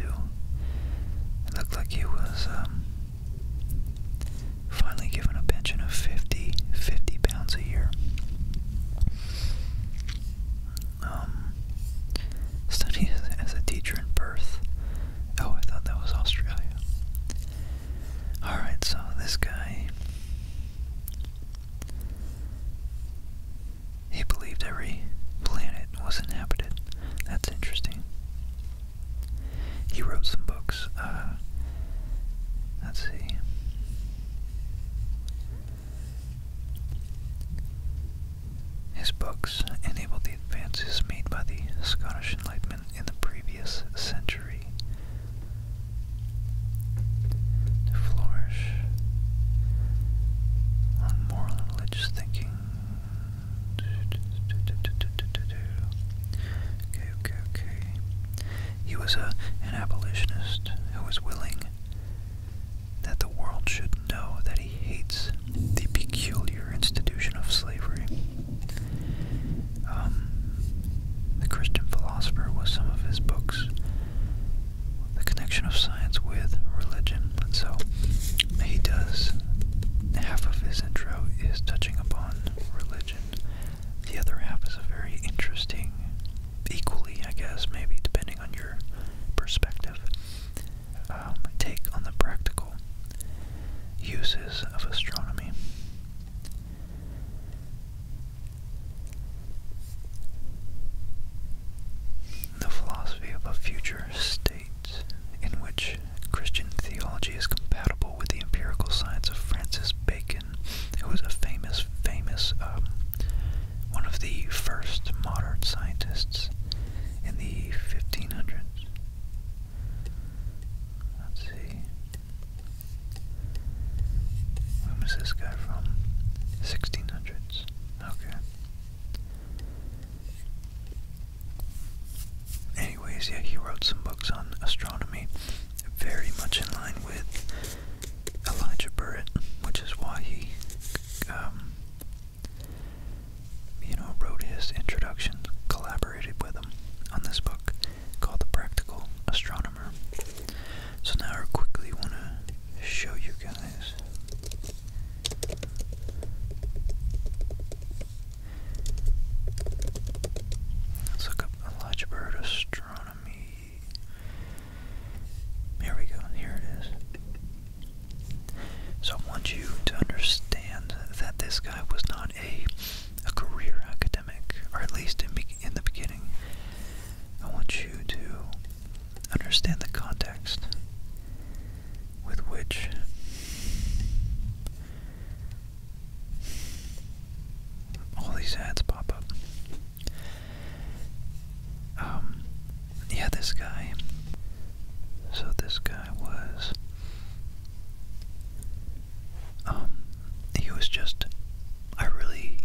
It looked like he was um, finally given a pension of 50, 50 pounds a year. Um, studied as a teacher in Perth Oh, I thought that was Australia. Alright, so this guy. He believed every planet was inhabited. That's interesting. He wrote some books. Uh, let's see. His books enabled the advances made by the Scottish Enlightenment in the previous century. flourish on moral and religious thinking. Okay, okay, okay. He was a, an abolitionist who was willing that the world should know that he hates the peculiar institution of slavery. Um, the Christian philosopher was some of his books, the connection of science with religion. so he does, half of his intro is touching upon religion. The other half is a very interesting, equally, I guess, maybe depending on your perspective, um, take on the practical uses of astronomy. The philosophy of a future state in which Christian theology is compatible with the empirical science of Francis Bacon, who was a famous, famous, um, one of the first modern scientists in the 1500s. Let's see. When was this guy from? 1600s. Okay. Anyways, yeah, he wrote some books on astronomy, very much in line with Elijah Burritt, which is why he um, you wrote his introduction, collaborated with him on this book called The Practical Astronomer. So now I quickly want to show you guys Let's look up Elijah Bird Astronomy. Here we go, here it is. So I want you to understand that this guy was not a a career academic, or at least in, in the beginning. I want you to understand the context with which all these ads pop up. Um, yeah, this guy. So this guy was um, he was just, I really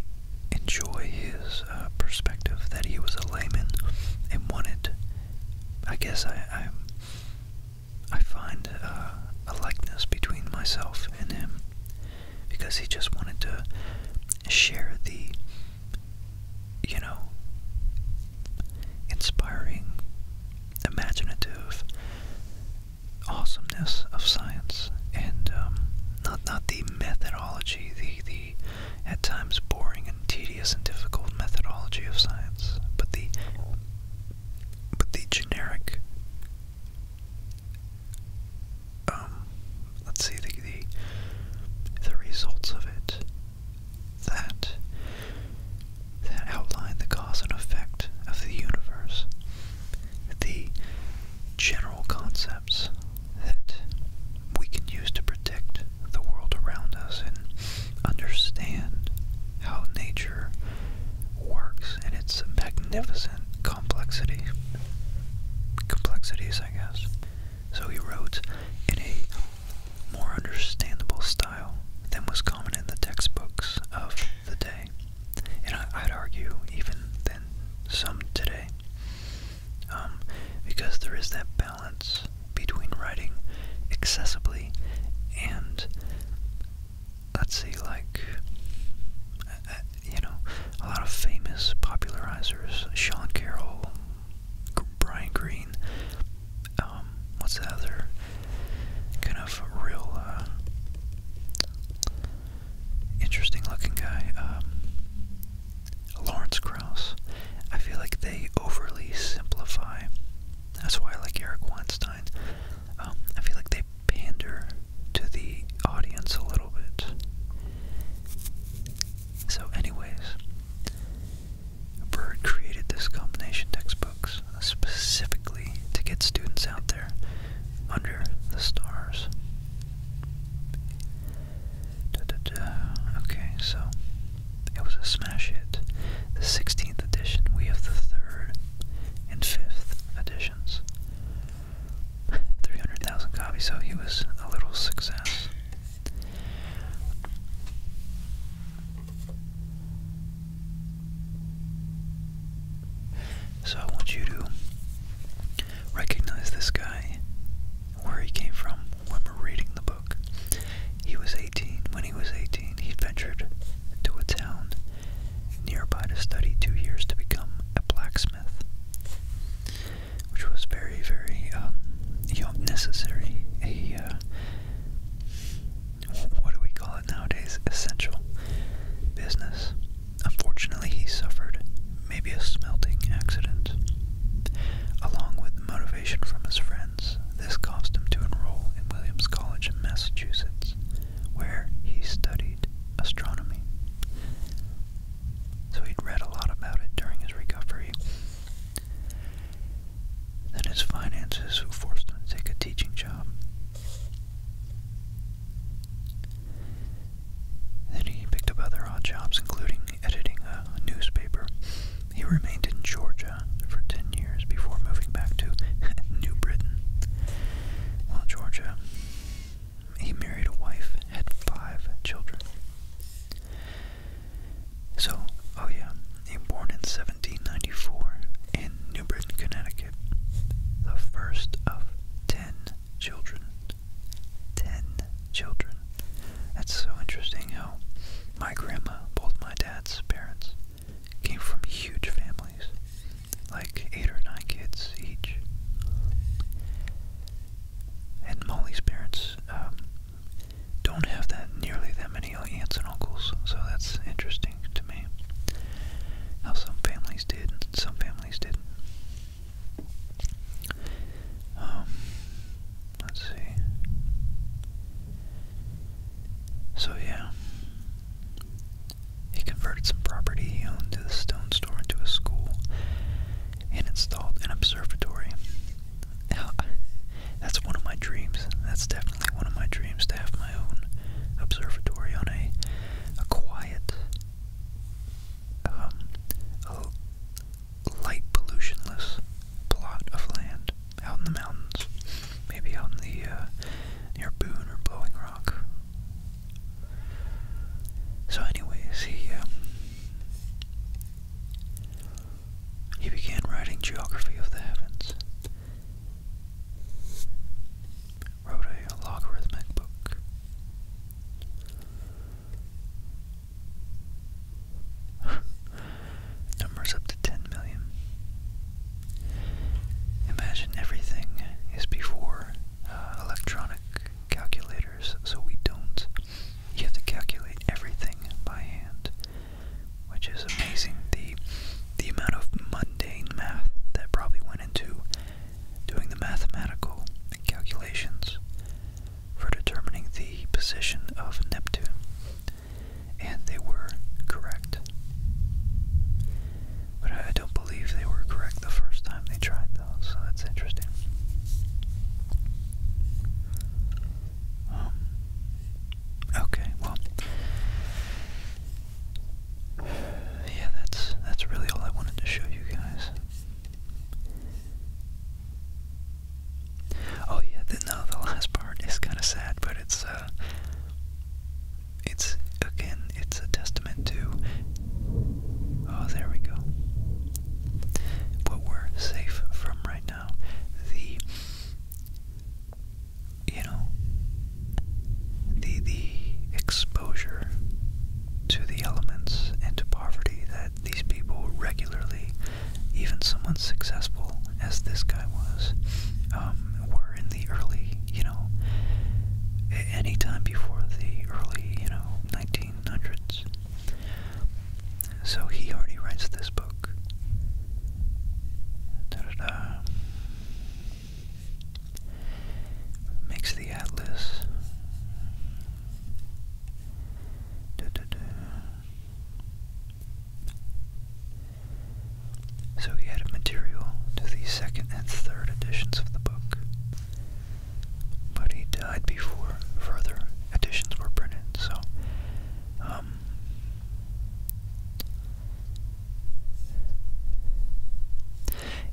enjoy his uh, perspective that he was a layman and wanted, I guess I, I, find uh, a likeness between myself and him because he just wanted to share the, you know, inspiring imaginative awesomeness of science and um, not not the methodology, the the at times boring and tedious and difficult methodology of science, but the but the generic um let's see the the, the results of it that that outline the cause and effect of the universe, the general concepts that we can use to predict the world around us and understand how nature works in its magnificent complexity. Complexities, I guess. So he wrote in a more understandable style than was common common in the textbooks of the day, and I, would argue even then some today, um, because there is that balance between writing accessibly and let's see, like uh, you know, a lot of famous popularizers, Sean Carroll, Brian Greene, um, what's the other kind of real uh, interesting looking guy? Um, Lawrence Krauss. I feel like they overly simplify. That's why I like Eric Weinstein. Um, I feel like they pander to the audience a little bit. So, anyways, Bird created this combination textbooks specifically to get students out there under the stars. Okay, so it was a smash hit. The 16th edition, we have the 3rd and 5th editions. *laughs* 300,000 copies, so he was a little success. So I want you to recognize this guy, where he came from when we're reading the book. He was 18. When he was 18, he ventured to a town nearby to study two years to become a blacksmith, which was very, very um, you know, necessary. Uh, what do we call it nowadays? Essential business. Unfortunately, he suffered maybe a smelting accident. Along with motivation from his friends, this caused him to enroll in Williams College in Massachusetts, where he studied astronomy. So he'd read a lot about it during his recovery than his finances, who forced him to take a teaching job. Then he picked up other odd jobs, including editing a newspaper. He remained in Georgia for 10 years before moving back to *laughs* New Britain. While Georgia, he married a wife, had five children. So, oh yeah, he was born in 17. 1794 in New Britain, Connecticut, the first of ten children. Ten children. That's so interesting how my grandma, both my dad's parents, came from huge families, like eight or nine kids each. And Molly's parents um, don't have that nearly that many many aunts and uncles, so that's interesting to me. How some families did, and some families didn't. Um, let's see. So yeah, he converted some property he owned to the stone store into a school, and installed an observatory. Now, *laughs* that's one of my dreams. That's definitely one of my dreams to have own observatory on a a quiet, um, light pollutionless plot of land out in the mountains, maybe out in the uh, near Boone or Blowing Rock. So, anyways, he um, he began writing geography of the heavens wrote a logarithmic book. *laughs* Numbers up to 10 million. Imagine everything is before uh, electronic calculators, so we don't. You have to calculate everything by hand which is amazing. The the amount of mundane math that probably went into doing the mathematical calculations for determining the position of Neptune. And they were correct. But I don't believe they were correct the first time they tried those, so that's interesting. Um, okay, well, yeah, that's that's really all I wanted to show you guys. Oh yeah, the, no, the last part is kind of sad, but it's uh, it's again, it's a testament to. Oh, there we go. What we're safe from right now, the you know the the exposure to the elements and to poverty that these people regularly, even someone successful as this guy was, um, were in the early, you know, any time before the early, you know, 1900s. So he already writes this book. Da -da Makes the atlas. So he added material to the second and third editions of the book, but he died before further editions were printed. So, um,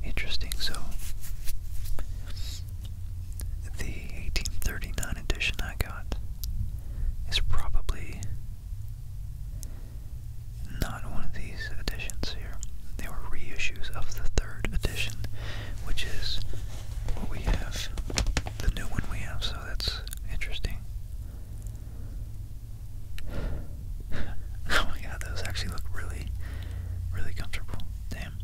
Interesting, so the 1839 edition I got is probably not one of these editions here. They were reissues of the third edition, which is what we have, the new one we have, so that's interesting. *laughs* oh my god, those actually look really, really comfortable. Damn.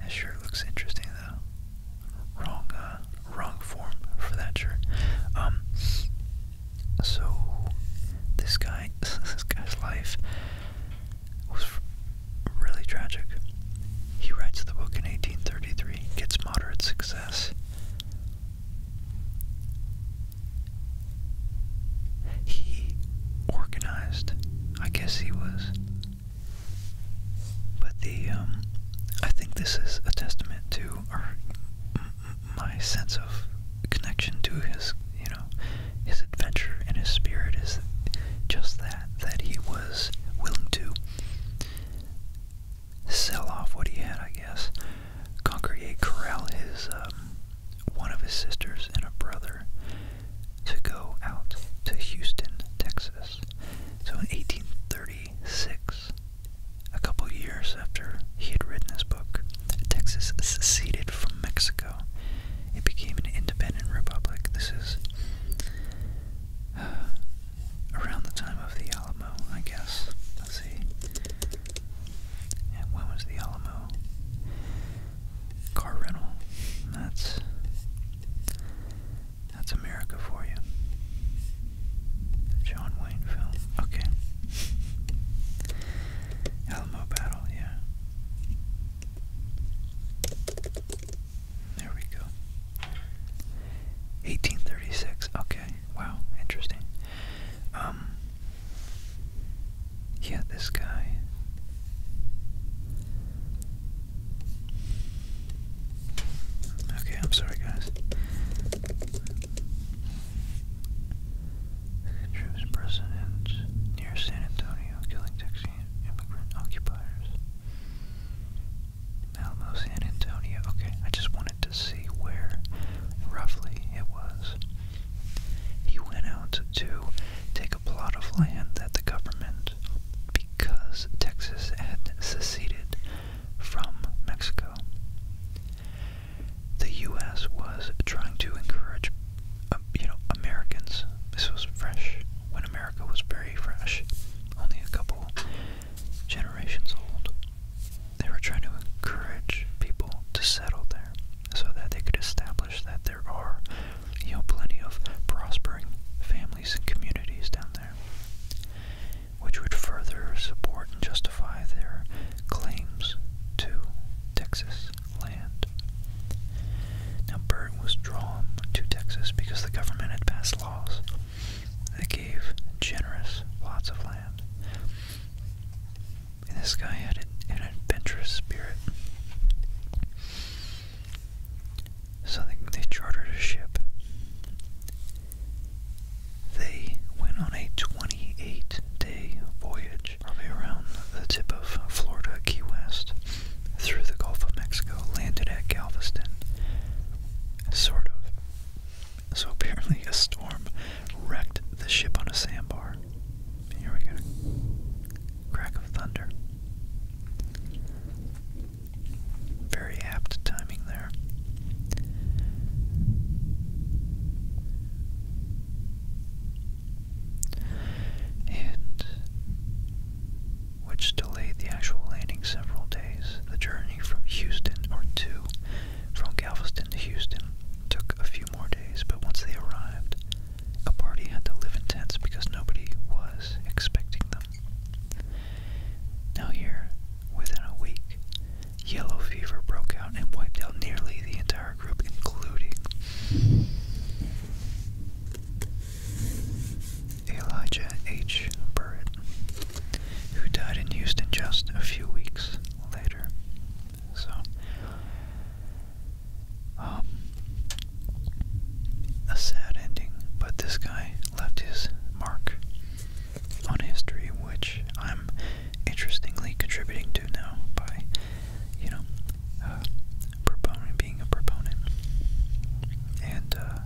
That shirt looks interesting though. Wrong, uh, wrong form for that shirt. Um, so this guy, *laughs* this guy's life was really tragic. He writes the book in 1833, gets moderate success. He organized, I guess he was. But the, um, I think this is a testament to, or my sense of connection to his, you know, his adventure and his spirit is just that, that he was willing to sell off what he had, I guess. Conquerier corral. his um, one of his sisters and a brother to go out to Houston, Texas. So in 1836, a couple years after he had written this book, Texas seceded from Mexico. It became an independent republic. This is uh, around the time of the Alamo, I guess. Let's see when was the Alamo? Car rental. That's that's America for you. John Wayne film. Okay. Alamo Battle, yeah. There we go. 1836. Okay. Wow. Interesting. Um, yeah, this guy. Okay, I'm sorry, guys. Troops president near San Antonio killing Texas immigrant occupiers. Alamo, San Antonio. Okay, I just want to see where roughly it was. He went out to take a plot of land that the government, because Texas had seceded from Mexico. The U.S. was trying to encourage, um, you know, Americans. This was fresh when America was very fresh, only a couple generations old. They were trying to encourage people to settle there so that they could establish that there are, you know, plenty of prospering families and communities down there, which would further support and justify their claims to Texas land. Now, Byrd was drawn to Texas because the government had passed laws that gave generous plots of land and this guy had an, adventurous spirit. So they, they chartered a ship. They went on a 28 day voyage, probably around the tip of Florida, Key West, through the Gulf of Mexico, landed at Galveston, sort of. So apparently a storm wrecked the ship on a sandbar. Here we go. Crack of thunder. Very apt timing there. And which delayed the actual landing several days. The journey from Houston or to from Galveston to Houston took a few more days, but once they arrived, a party had to live in tents because nobody was expecting them. Now, here, within a week, yellow fever broke out and wiped out nearly the entire group, including Elijah H. Burritt, who died in Houston just a few weeks later. So, um, a sad ending, but this guy left his mark on history, which I'm interestingly contributing to now by, you know, uh, proponent being a proponent, uh,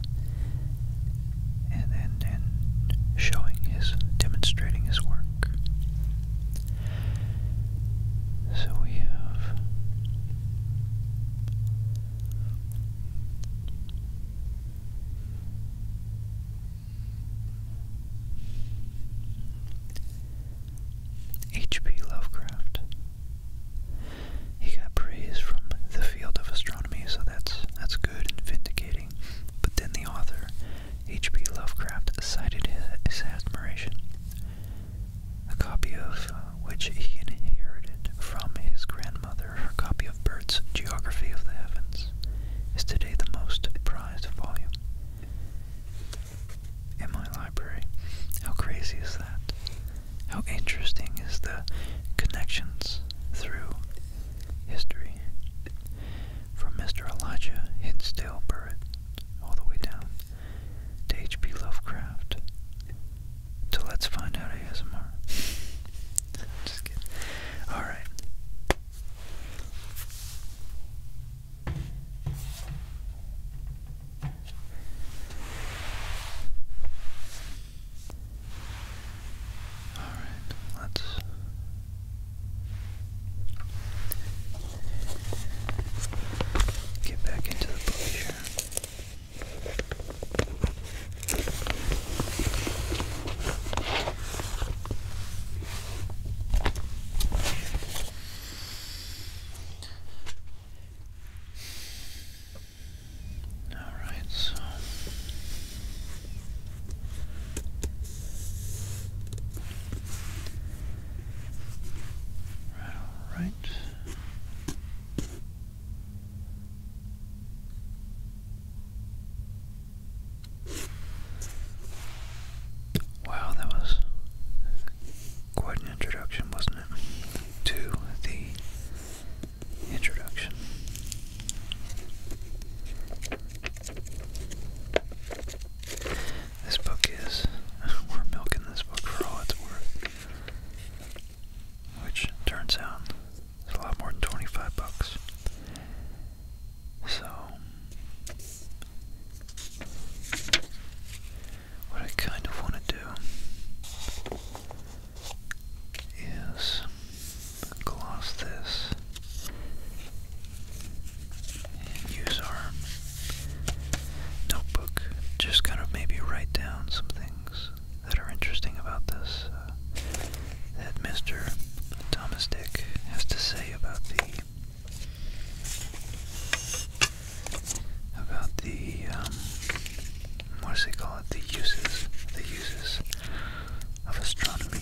and and and showing his demonstrating his work. So we have H.P. Lovecraft. He got praise from the field of astronomy, so that's that's good and vindicating. But then the author H.P. Lovecraft cited his admiration, a copy of uh, which he inherited from his grandmother. Her copy of Burt's Geography of the Heavens is today the most prized volume in my library. How crazy is that? How interesting is the connections through history? From Mr. Elijah Hinsdale Burritt, all the way down, to H.P. Lovecraft, to Let's Find Out ASMR. *laughs* Just kidding. Alright. Alright, let's Get back into the book here. All right, so Right, all right. Wow, that was quite an introduction, wasn't it? To the introduction. This book is. *laughs* We're milking this book for all it's worth. Which turns out is a lot more than 25 bucks. So. What I kind of want to do is gloss this and use our notebook. Just kind of maybe write down some things that are interesting about this uh, that Mr. Thomas Dick has to say about the about the um, what do they call it? The uses, the uses of astronomy.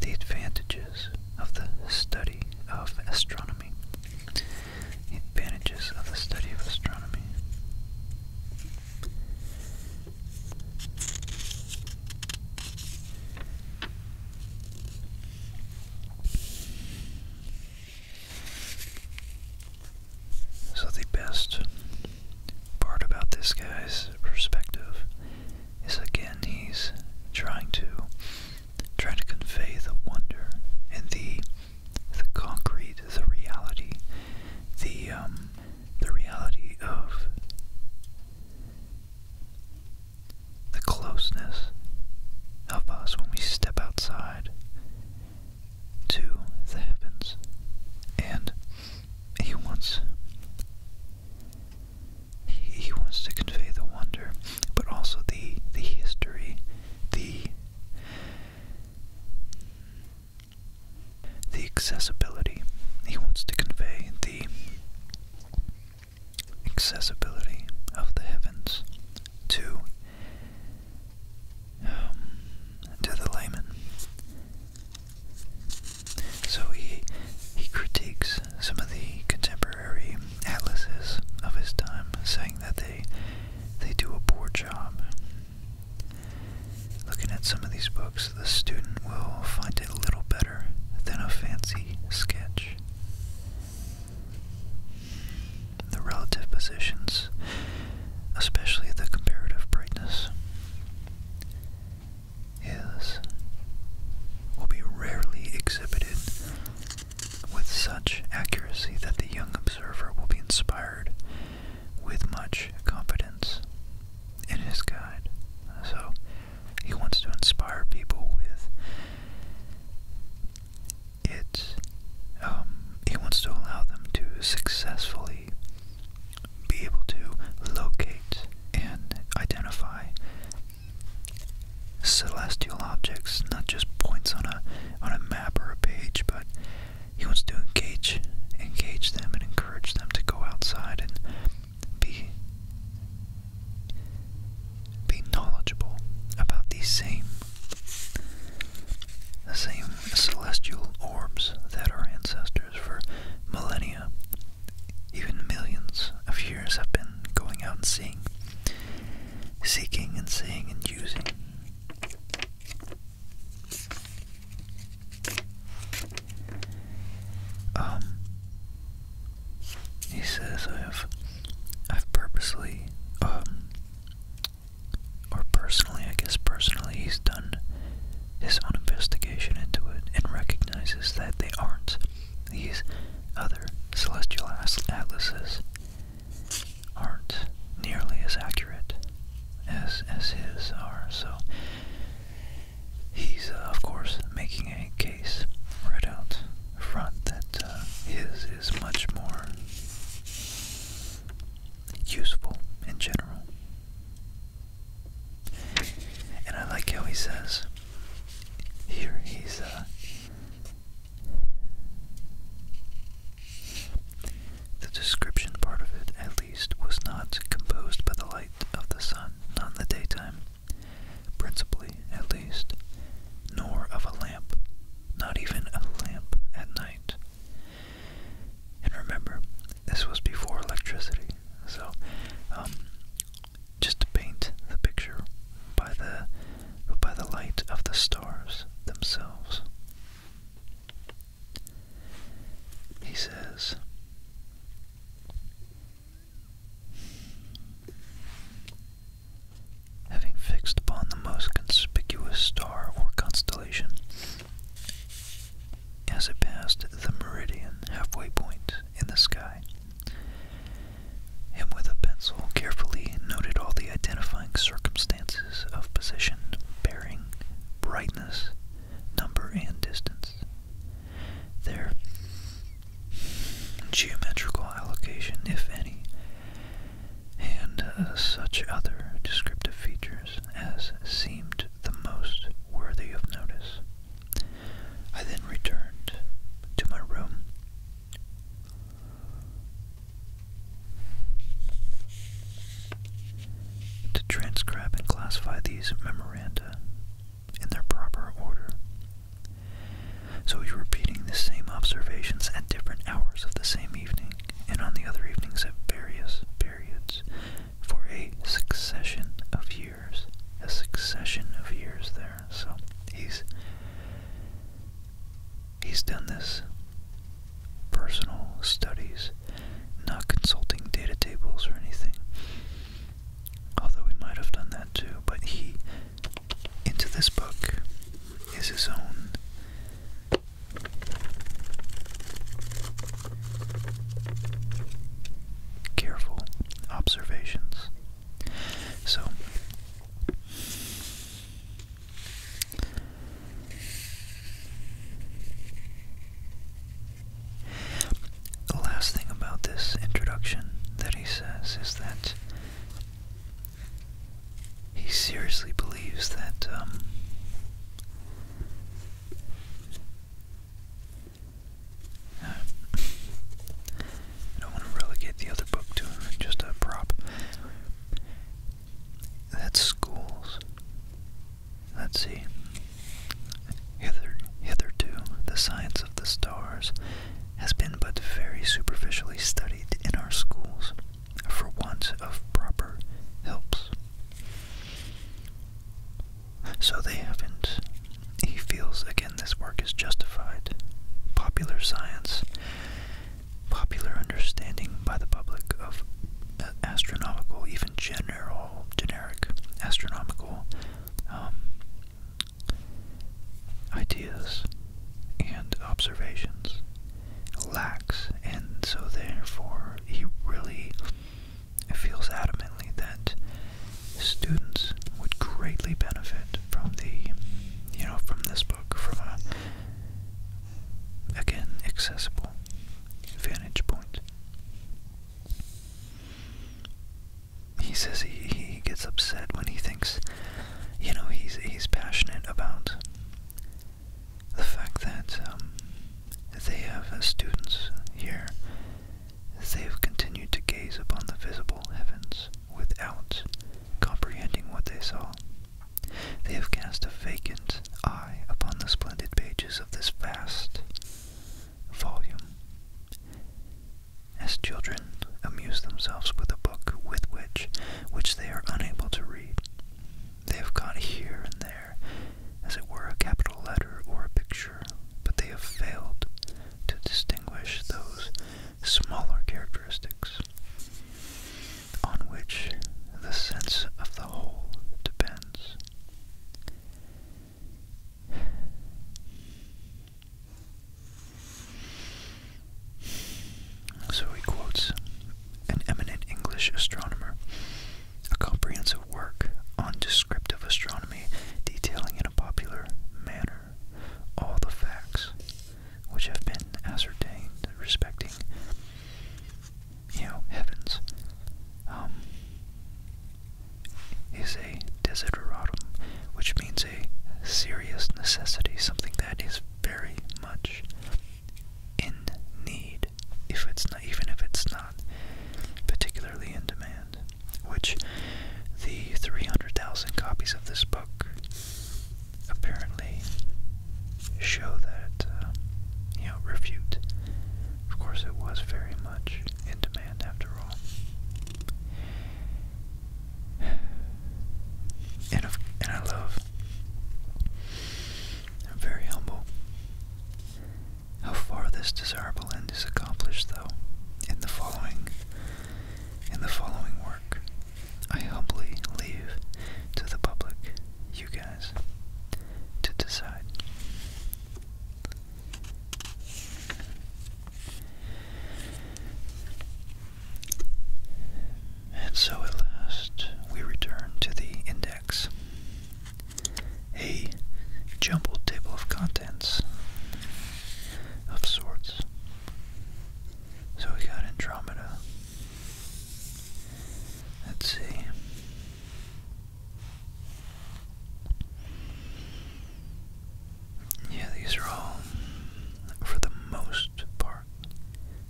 The advantages of the study of astronomy. advantages of the study of astronomy. So, the best part about this guy's perspective is again he's trying to trying to convey the wonder and the the concrete, the reality, the um, the reality of the closeness of us when we step outside to the heavens. And he wants he, wants to convey the wonder, but also the the history, the the accessibility. He wants to convey the accessibility of the heavens to um, to the layman. So he he critiques some of the contemporary atlases of his time, saying that they they do a poor job. Looking at some of these books, the student will find it a little better than a fancy sketch. The relative positions, especially the comparative brightness is will be rarely exhibited with such accuracy that the young observer will be inspired with much confidence in his guide. So he wants to inspire people with it. Um, he wants to allow them to successfully be able to locate and identify celestial objects, not just points on a on a map or a page, but he wants to engage engage them and encourage them to go outside and be be knowledgeable about these same the same celestial orbs that our ancestors for millennia, even millions of years have been going out and seeing, seeking and seeing and using. Um, he says I've, I've purposely, um, or personally, I guess personally, he's done his own investigation into it and recognizes that they aren't. These other celestial atlases aren't nearly as accurate as, as his are, so he's, uh, of course, making a case right out front that uh, his is much more useful in general and I like how he says here he's uh the description part of it at least was not composed by the light of the sun, not the daytime, principally at least, nor of a lamp, not even a lamp at night. And remember, this was before electricity, so um, just to paint the picture by the by the light of the stars themselves. He says Having fixed upon the most conspicuous star or constellation, as it passed the meridian halfway point, in the sky. Him with a pencil carefully noted all the identifying circumstances of position, bearing, brightness, number, and distance. Their geometrical allocation, if any, and uh, such other descriptive features as seemed the most worthy of notice. I then returned to my room. To transcribe and classify these memoranda in their proper order. So repeating the same observations at different hours of the same evening and on the other evenings at various periods for a succession of years a succession of years there. So he's he's done this personal studies, not consulting data tables or anything. Although we might have done that too, but he into this book is his own careful observations. So, the last thing about this introduction that he says is that he seriously believes that um, I don't want to relegate the other book to just a prop. That's schools. Let's see. hitherto, the science of the stars has been but very superficially studied in our schools, for want of proper helps. So they haven't. He feels again this work is justified. Popular science, popular understanding by the public of uh, astronomical, even general, generic astronomical um, ideas and observations lacks, and so therefore he really feels adamantly that students would greatly benefit from the, you know, from this book, from a, again, accessible vantage point. He says he, he gets upset when he thinks, you know, he's, he's passionate about the fact that um, they have uh, students here they have continued to gaze upon the visible heavens without comprehending what they saw. They have cast a vacant eye upon the splendid pages of this vast volume. As children amuse themselves with a book with which which they are unable to read, they have caught here and there, as it were, a capital letter or a picture but they have failed to distinguish those smaller characteristics on which the sense of the whole depends. So he quotes an eminent English astronomer. A comprehensive work on descriptive astronomy detailing in a popular manner all the facts which have been ascertained respecting, you know, heavens, um, is a desideratum, which means a serious necessity, something that is very much in need, if it's not, even if it's not particularly in demand which the 300,000 copies of this book apparently show that, uh, you know, refute. Of course, it was very much in demand after all. and I love, I'm very humble, how far this desirable end is accomplished, though, in the following in the following work, I humbly leave to the public, you guys, to decide. And so at last we return to the index. A jumbled table of contents of sorts. So we got Andromeda. Let's see. Yeah, these are all, for the most part,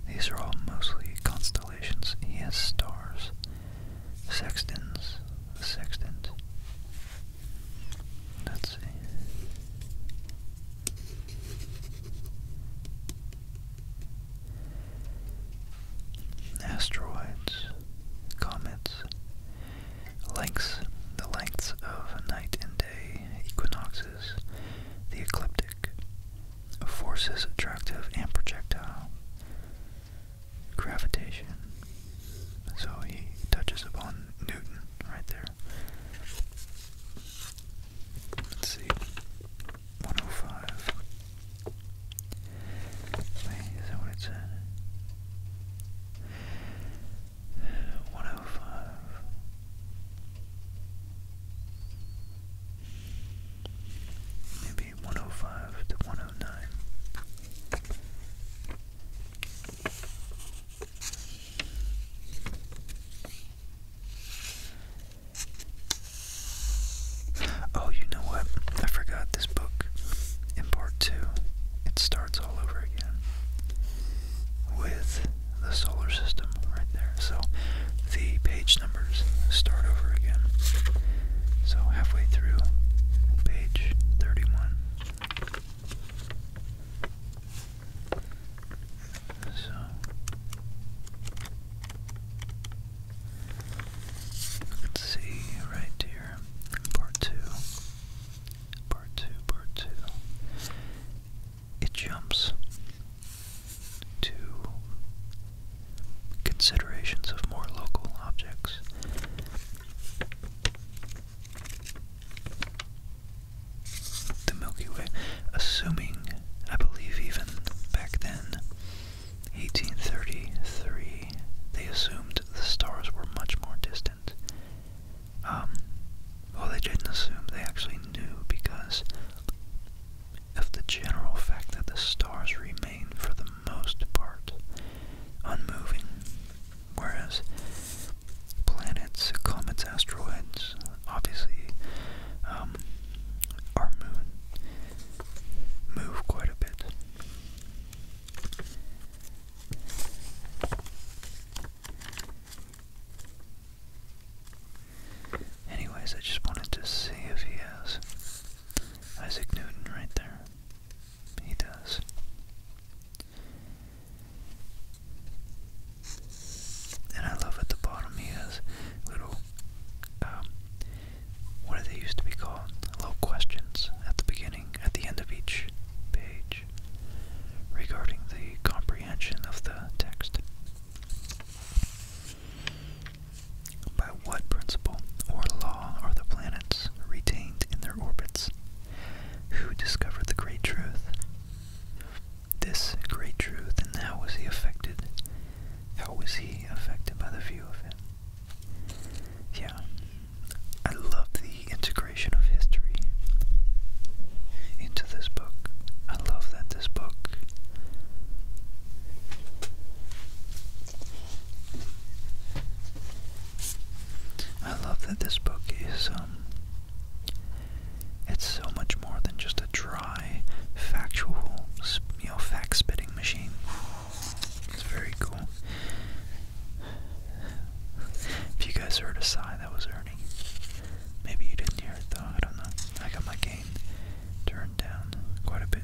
these are all mostly constellations. Yes, stars, sextants, sextant, Let's see. Asteroids, comets, lengths, the lengths of night and day, equinoxes, the ecliptic, forces attractive and projectile, gravitation. So he touches upon Newton right there. Let's see. 105. Wait, is that what it said? *sighs* 105. Maybe 105 to 109. Oh, you know what? I forgot this book in part two. It starts all over again with the solar system right there. So the page numbers start over again. So halfway through page 31. So let's see right here, part two, part two, part two. It jumps to considerations of more local objects the Milky Way, assuming, I believe even back then, 1833, they assumed the stars were much more distant. Um, well, they didn't assume, they actually knew because of the general fact that the stars remain for the most part unmoving, whereas planets, comets, asteroids, obviously um, our moon, move quite a bit. Anyways, I just wanted to see if he has Isaac Newton right there. He does. And I love at the bottom he has little, um, what do they used to be called? Little questions at the beginning, at the end of each page regarding the comprehension of the text. By what principle or law are the planets retained in their orbits who discovered the great truth. This great truth, and how was he affected? How was he affected by the view of it? Yeah, I love the integration of history into this book. I love that this book I love that this book is um it's so much more than just a dry, factual, you know, fact-spitting machine. It's very cool. If you guys heard a sigh, that was Ernie. Maybe you didn't hear it though, I don't know. I got my gain turned down quite a bit.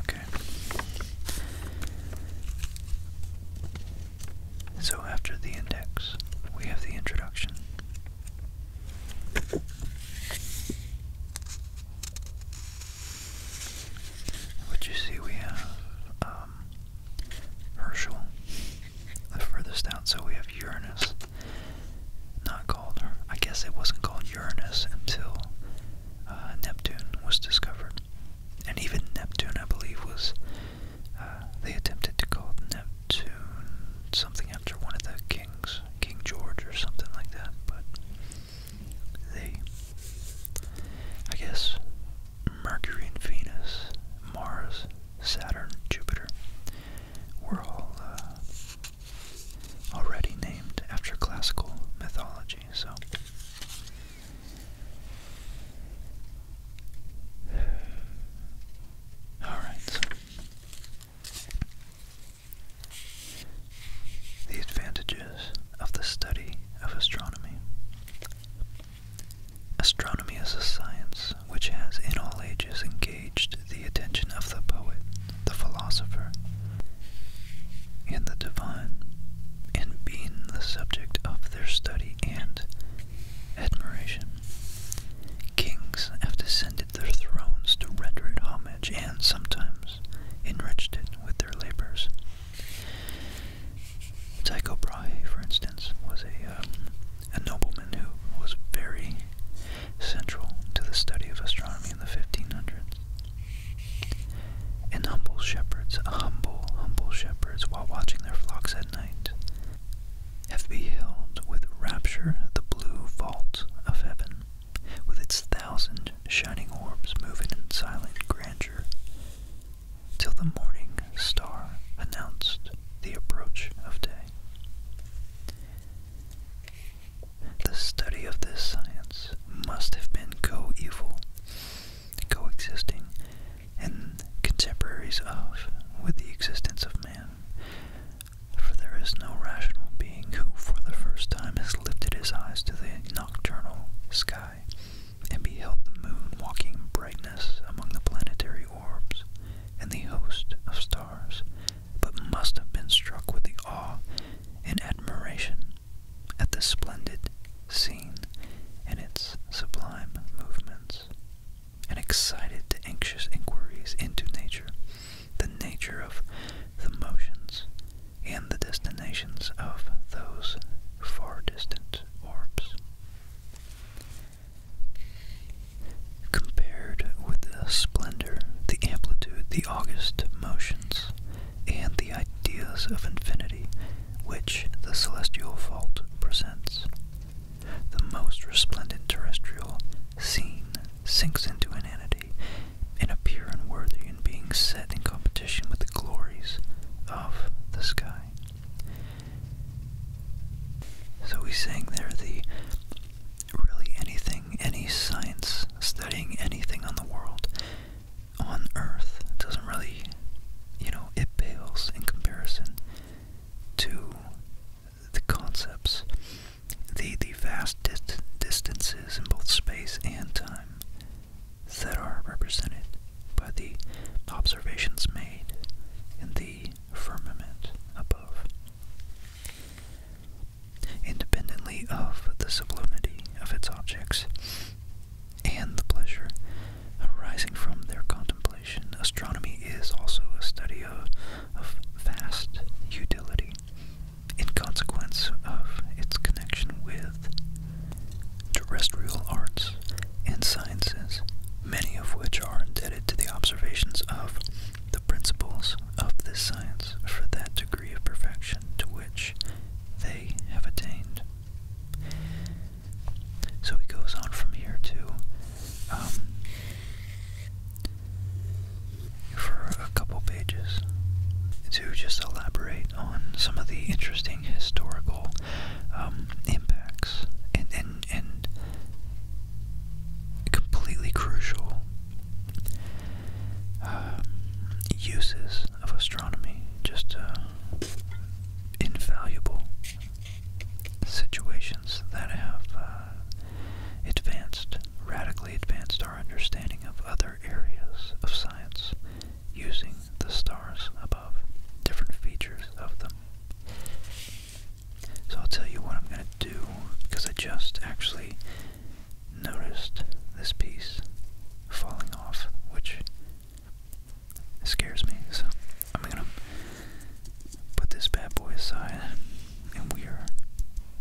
Okay. So after the index, we have the introduction. What you see, we have um, Herschel, the furthest out, so we have Uranus, not called, I guess it wasn't called Uranus until uh, Neptune was discovered. And even Neptune, I believe, was, uh, they attempted to call Neptune something after one of the kings, King George or something like that, but they, I guess, Mercury and Venus, Mars, Saturn, Jupiter, were all uh, already named after classical mythology, so Alright. The advantages of the study of astronomy. Astronomy is a science which has in all ages engaged the attention of the poet the philosopher, and the divine, and being the subject of their study and admiration. Kings have descended their thrones to render it homage and sometimes enriched it with their labors. Tycho Brahe, for instance, was a, um, a nobleman who was very central to the study of astronomy in the 1500s. And humble shepherds, humble, humble shepherds, while watching their flocks at night, have beheld with rapture the blue vault of heaven, with its thousand shining orbs moving in silent grandeur, till the morning star announced the approach of day. The study of this science must have been coeval, coexisting, and contemporaries of with the existence of man. For there is no rational being who, for the first time, has lifted his eyes to the nocturnal sky and beheld the moon walking brightness among the planetary orbs and the host of stars but must have been struck with the awe and admiration at the splendid scene and its sublime movements, and excited to anxious inquiries into nature, the nature of the motions, and the destinations of those far distant orbs. Compared with the splendor, the amplitude, the august motions and the ideas of infinity which the celestial vault presents. The most resplendent terrestrial scene sinks into inanity and appear unworthy in being set in competition with the glories of the sky. So he's saying there the really anything any science, studying anything on the world, on Earth, doesn't really, you know, it pales in comparison to the concepts, the, the vast distances in both space and time that are represented by the observations made in the firmament above independently of the sublimity of its objects and the pleasure arising from their contemplation. Astronomy is also a study of, of vast utility in consequence of its connection with terrestrial arts and sciences, many of which are indebted to the observations of the principles of this science for that degree of perfection to which they have attained. So he goes on from here to, um, for a couple pages, to just elaborate on some of the interesting historical um, impacts and, and, and completely crucial um, uses of astronomy. Just uh, invaluable situations that have uh, advanced, radically advanced our understanding of other areas of science using the stars above, different features of them. So I'll tell you what I'm going to do because I just actually noticed this piece falling off, which scares me. So I'm gonna put this bad boy aside, and we are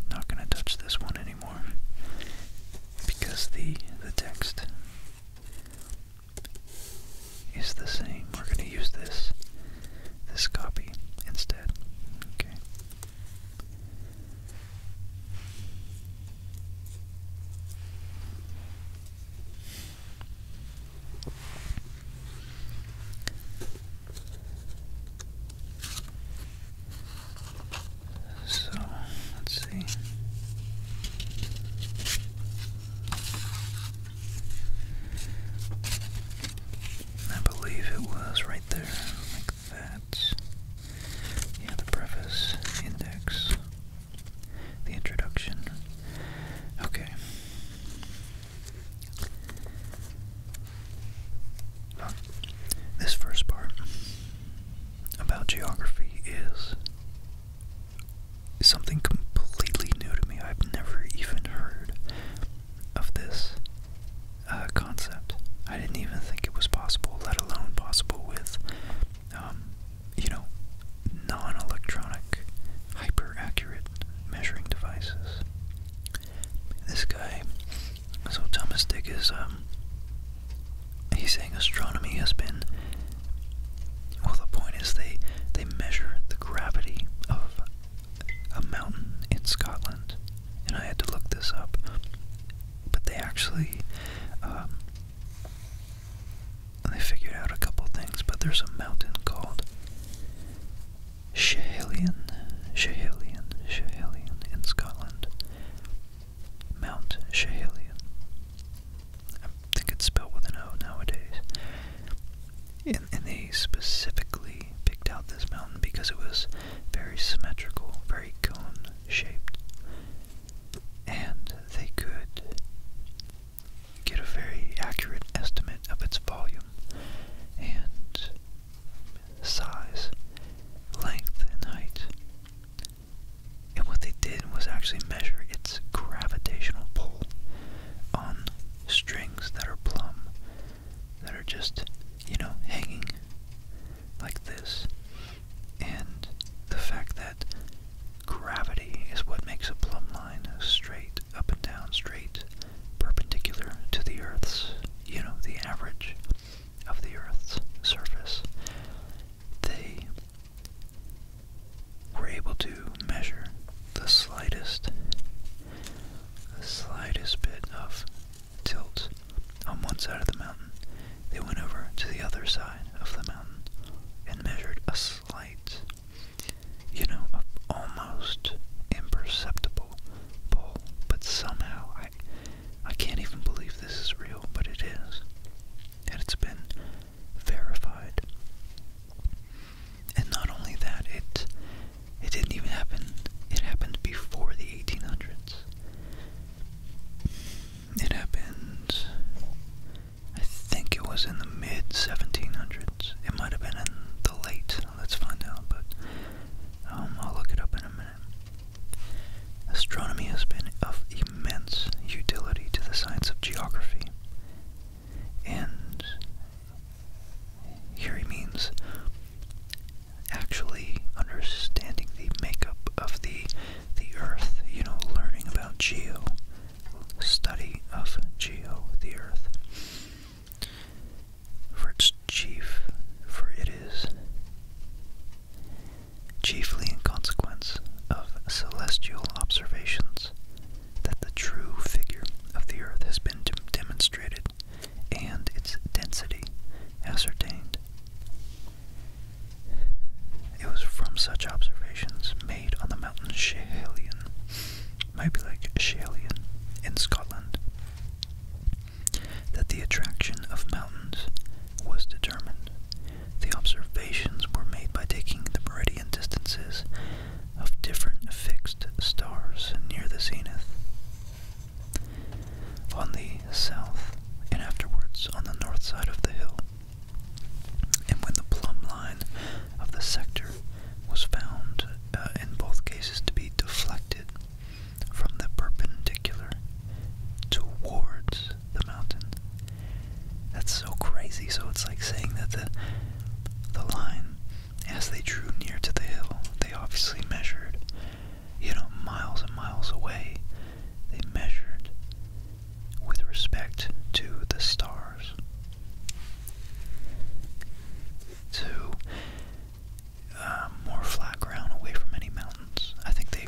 not gonna touch this one anymore because the the text is the same. We're gonna use this this copy instead. Okay. So let's see. I believe it was right there, that. Yeah, the preface, index, the introduction. Okay. this first part about geography is something completely new to me. I've never even heard of this uh, concept. I didn't even think it was possible, let alone possible with, um, you know, non-electronic, hyper-accurate measuring devices. This guy, so Thomas Dick is, um, he's saying astronomy has been, well, the point is they, they measure the gravity of a mountain in Scotland, and I had to look this up but they actually um, they figured out a couple things. But there's a mountain called Schehelion, Schehelion, Schehelion in Scotland. Mount Schehelion. I think it's spelled with an O nowadays. And, and they specifically picked out this mountain because it was very symmetrical, very cone shaped, and they could get a very accurate estimate of its volume and size, length, and height. And what they did was actually measure its gravitational pull on strings that are plumb, that are just, you know, hanging like this. And the fact that gravity is what makes a plumb line straight, up and down, straight, perpendicular to the Earth's, you know, the average of the Earth's surface. They were able to measure the slightest, the slightest bit of tilt on one side of the mountain, they went over to the other side of the mountain and measured a slight, you know, almost imperceptible pull. But somehow, I, I can't even believe this is real, but it is. And it's been verified. And not only that, it it didn't even happen. It happened before the 1800s. It happened, I think it was in the mid 1700s. It might have been in the late, let's find out, but um, I'll look it up in a minute. Astronomy has been of immense utility to the science of geography. And here he means actually understanding the makeup of the the Earth, you know, learning about geo, study of geo, the Earth. For its chief, for it is chiefly in consequence of celestial observations that the true figure of the Earth has been demonstrated and its density ascertained. It was from such observations made on the mountain Schehallien, might be like Schehallien in Scotland, that the attraction of mountains was determined. The observations were made by taking the meridian distances of different fixed stars near the zenith on the south and afterwards on the north side of the hill. And when the plumb line of the sector was found uh, in both cases to be deflected from the perpendicular towards the mountain. That's so crazy. So it's like saying that the the line, as they drew near to the hill, they obviously measured you know, miles and miles away, they measured with respect to the stars. To uh, more flat ground away from any mountains. I think they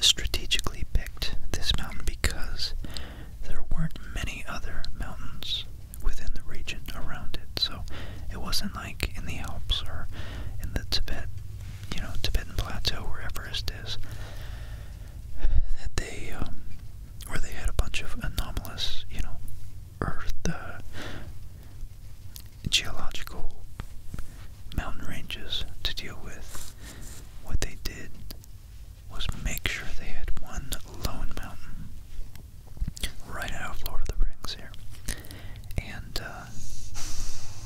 strategically picked this mountain because there weren't many other mountains within the region around it. So it wasn't like in the Alps or in the Tibet you know, Tibetan Plateau, where Everest is, that they, um, where they had a bunch of anomalous, you know, earth, uh, geological mountain ranges to deal with. What they did was make sure they had one lone mountain right out of Lord of the Rings here. And uh, uh,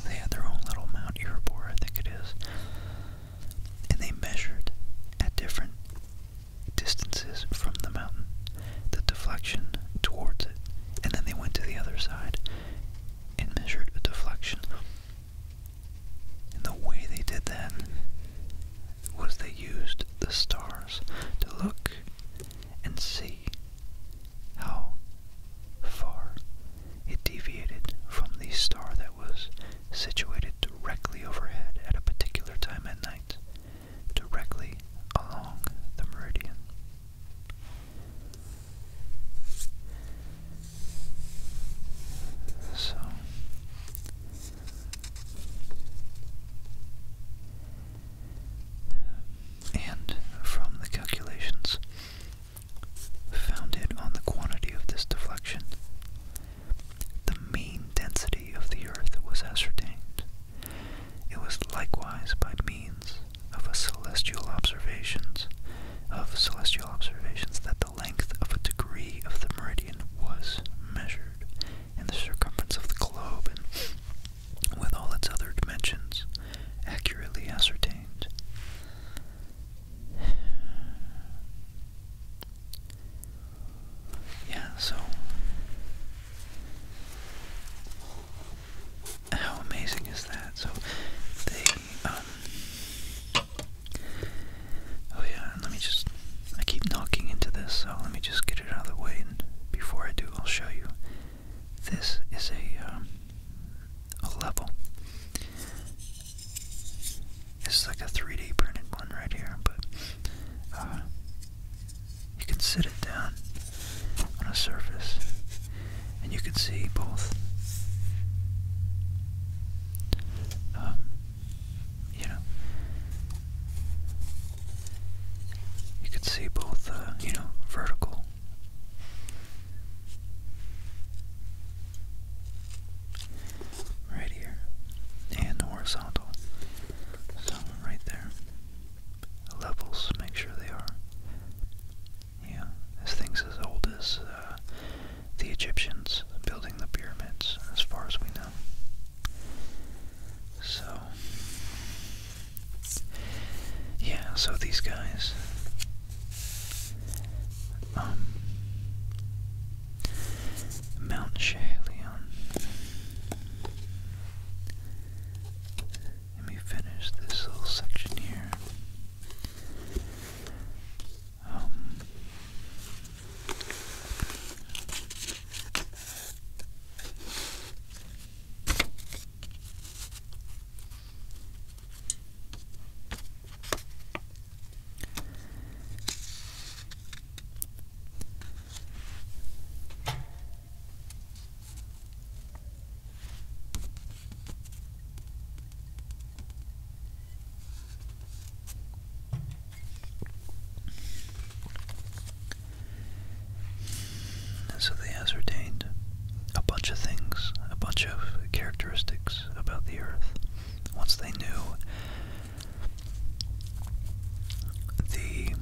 they had their own little Mount Erebor, I think it is, and they measured at different distances from the mountain the deflection towards it, and then they went to the other side and measured a deflection. And the way they did that was they used the stars to look and see how far it deviated from the star that was situated directly overhead at a particular time at night, directly along the meridian. So, and from the calculations, Found it on the quantity of this deflection. The mean density of the Earth was ascertained. It was likewise by means of celestial observations of celestial observations that the length of a degree of the meridian was measured and the circumference of the globe and with all its other dimensions accurately ascertained. *sighs* Yeah, so how amazing is that? So they um, Oh yeah, let me just I keep knocking into this, so let me just get it out of the way and before I do I'll show you. This is a um, a level. This is like a 3D printed one right here, but uh, you can sit it down on a surface and you can see both. Um, you know, you could see both, uh, you know, vertical Right here. And horizontal. So right there. Levels, make sure they are. Yeah, this thing's as old as uh, the Egyptians building the pyramids, as far as we know. So, yeah, so these guys um, Mount Chaleon. Let me finish this little section here. Um, so they ascertained a bunch of things, a bunch of characteristics about the Earth. Once they knew the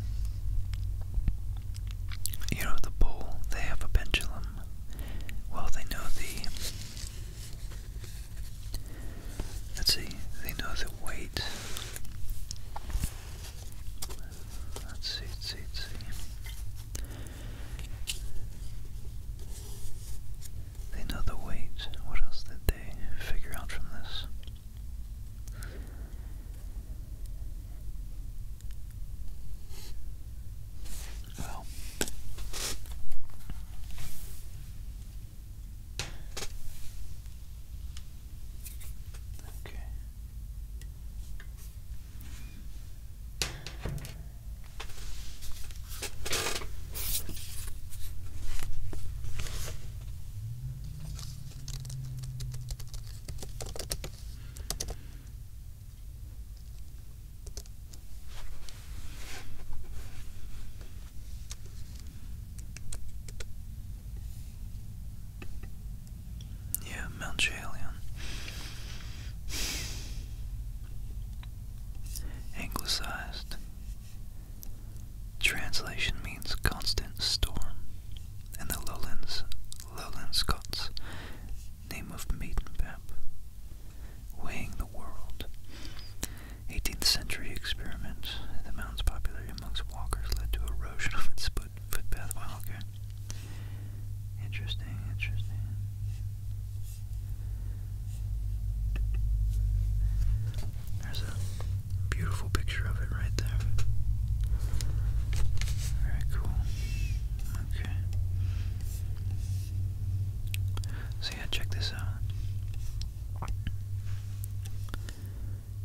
you know the pole, they have a pendulum. Well, they know the let's see, they know the weight. Let's see, let's see, let's see. They know the weight. What else did they figure out from this? Well, okay. Yeah, Mount Chalion. Anglicized. Translation means constant storm. in the lowlands, lowland Scots, name of Maidenpap, weighing the world. 18th century experiment. The mountain's popularity amongst walkers led to erosion of its footpath. Wow, Interesting, interesting. There's a beautiful picture of it right there. Very cool. Okay. So yeah, check this out.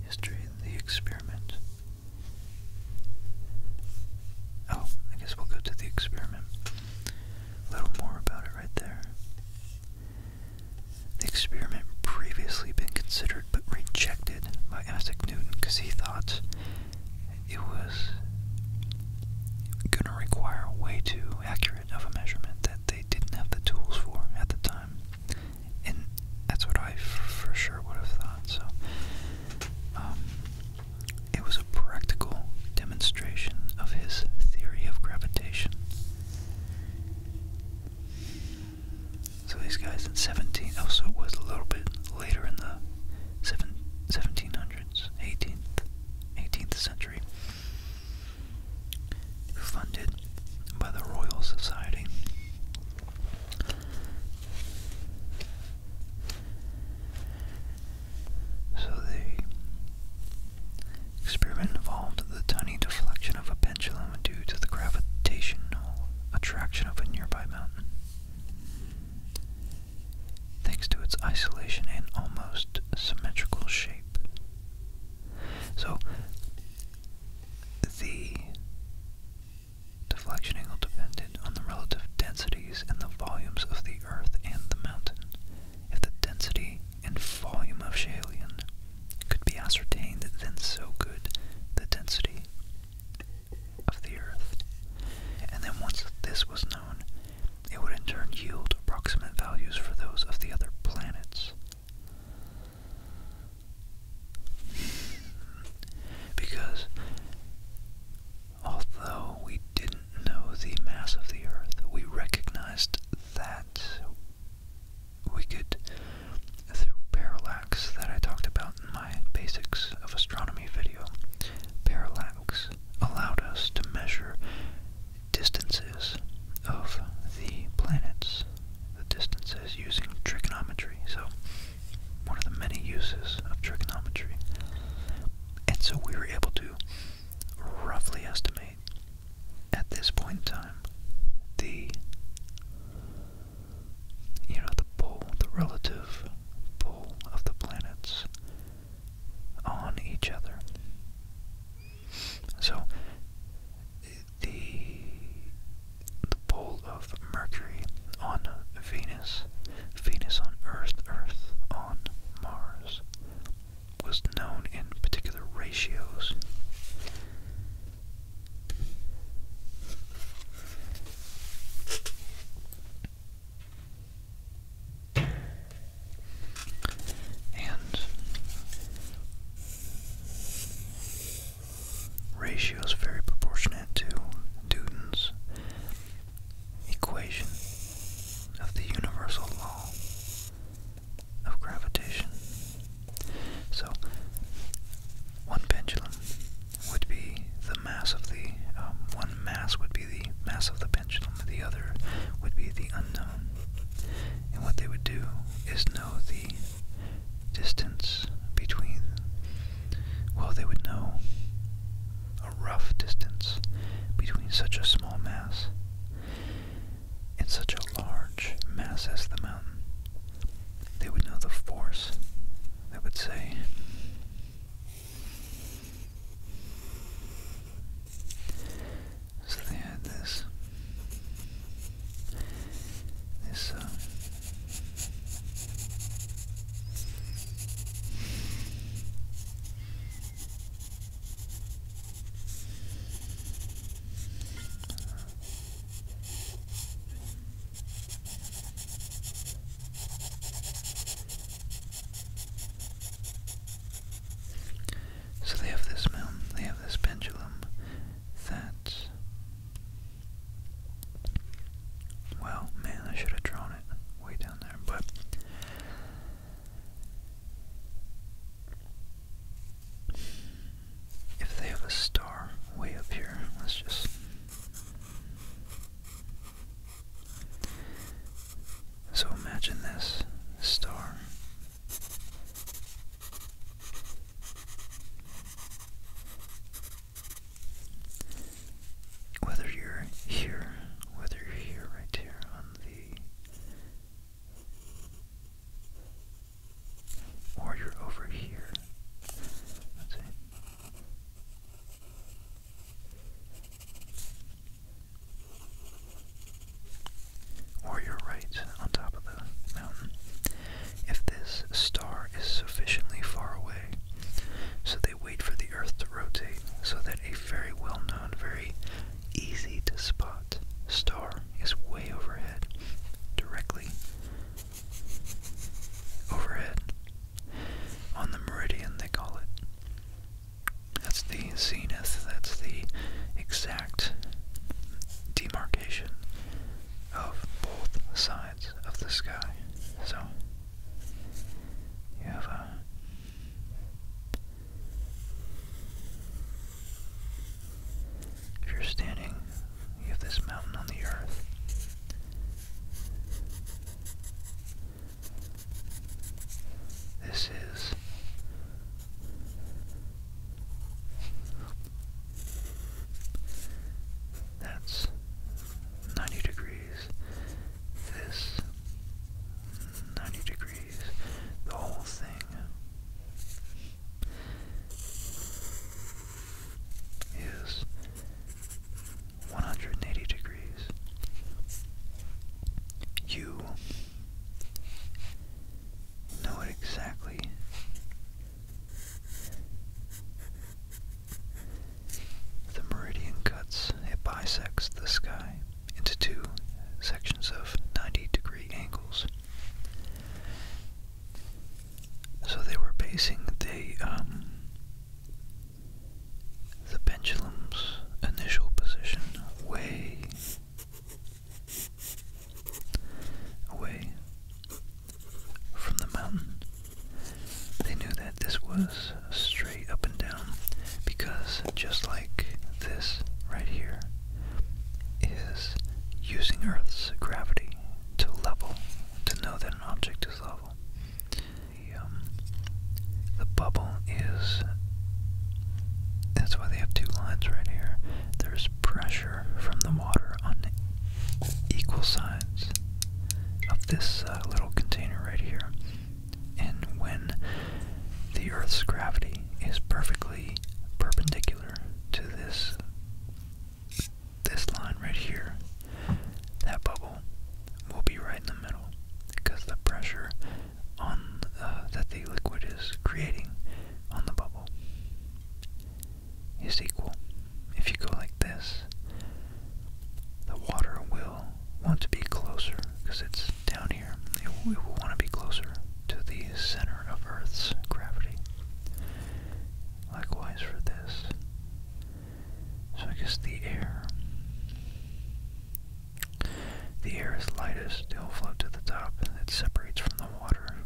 History of the experiment. Oh, I guess we'll go to the experiment a little more about it right there. The experiment previously been considered but rejected by Isaac Newton because he thought it was going to require way too accurate of a measurement that they didn't have the tools for at the time. And that's what I for sure would have thought. So, um, it was a practical demonstration of his theory of gravitation. So these guys in 17, oh, so it was a little bit later in the 17 1700s, 18th, 18th century, funded by the Royal Society. So the experiment involved the tiny deflection of a pendulum due to the gravitational attraction of a nearby mountain. Thanks to its isolation and almost symmetrical shape. So, the deflection angle depended on the relative densities and the volumes of the Earth and the mountain. If the density and volume of Schehallien could be ascertained, then so good the density of the Earth. And then once this was known, it would in turn yield approximate values for those of the other planets. Because Although we didn't know the mass of the Earth, we recognized that we could, through parallax that I talked about in my Basics of Astronomy video, parallax allowed us to measure distances of the planets, the distances using trigonometry. So, one of the many uses of trigonometry. And so we were able to roughly estimate at this point in time the you know the pole, the relative pole of the planets on each other. So the the pole of Mercury on Venus, Venus on Earth, Earth on Mars, was known in particular ratios. And ratios very proportionate to Newton's equation of the universal law of gravitation. So, one pendulum would be the mass of the, um, one mass would be the mass of the pendulum, the other would be the unknown. And what they would do is know the distance between, well, they would know a rough distance between such a small mass and such a large mass as the mountain. They would know the force. They would say, so they had this, this, uh, so they have this moon, they have this pendulum That's well, man, I should have drawn it way down there, but if they have a star way up here, let's just. So imagine this star. Whether you're here, whether you're here, right here on the or you're over here. That's it. Or you're right on top of the mountain. If this star is sufficiently far away, so they wait for the Earth to rotate so that a very well known, very easy to spot star is way overhead, directly overhead. On the meridian, they call it. That's the zenith, that's the exact demarcation of both sides of the sky. So, you have a if you're standing, you have this mountain on the earth. This is that's 90 degrees. This 90 degrees the whole thing. Is 180 degrees. You know exactly. The meridian cuts, it bisects the sky into two sections of 90 degree angles. So they were basing the um, the pendulum's initial position way away from the mountain. They knew that this was straight up and down because just like this right here is using Earth's gravity to level, to know that an object is level. Um, the, bubble is, that's why they have two lines right here. There's pressure from the water on equal sides of this uh, little container right here and when the Earth's gravity is perfectly perpendicular to this this line right here, that bubble will be right in the middle because the pressure on uh, that the liquid is creating on the bubble is equal. If you go like this, the water will want to be closer because it's down here we will want to be closer to the center of Earth's gravity. Likewise for this. So I guess the air. The air is lightest, it'll float to the top, and it separates from the water.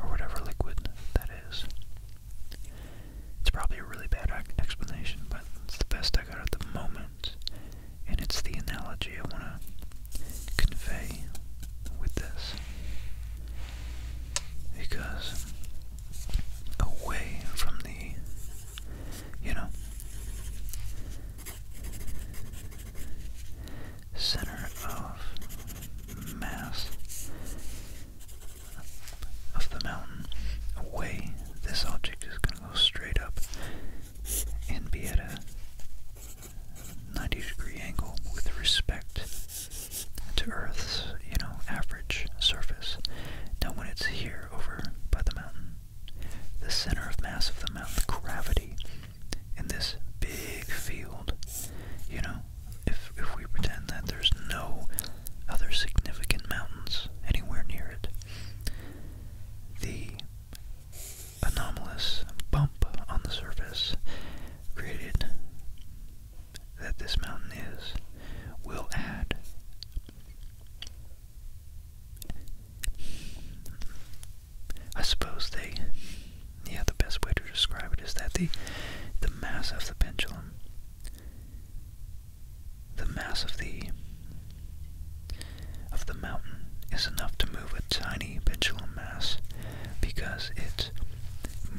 Or whatever liquid that is. It's probably a really bad explanation, but it's the best I got at the moment and it's the analogy I want to convey with this. Because away from the, you know, center of mass of the mountain, away this object is going to go straight up and be at a 90 degree angle with respect to Earth's, you know, average surface. Now when it's here over by the mountain, the center of mass of the mountain, gravity, in this big field, you know, if, if we pretend that there's no other significant mountains anywhere near it, the anomalous bump on the surface created that this mountain is will add I suppose they yeah the best way to describe it is that the the mass of the pendulum the mass of the of the mountain is enough to move a tiny pendulum mass because it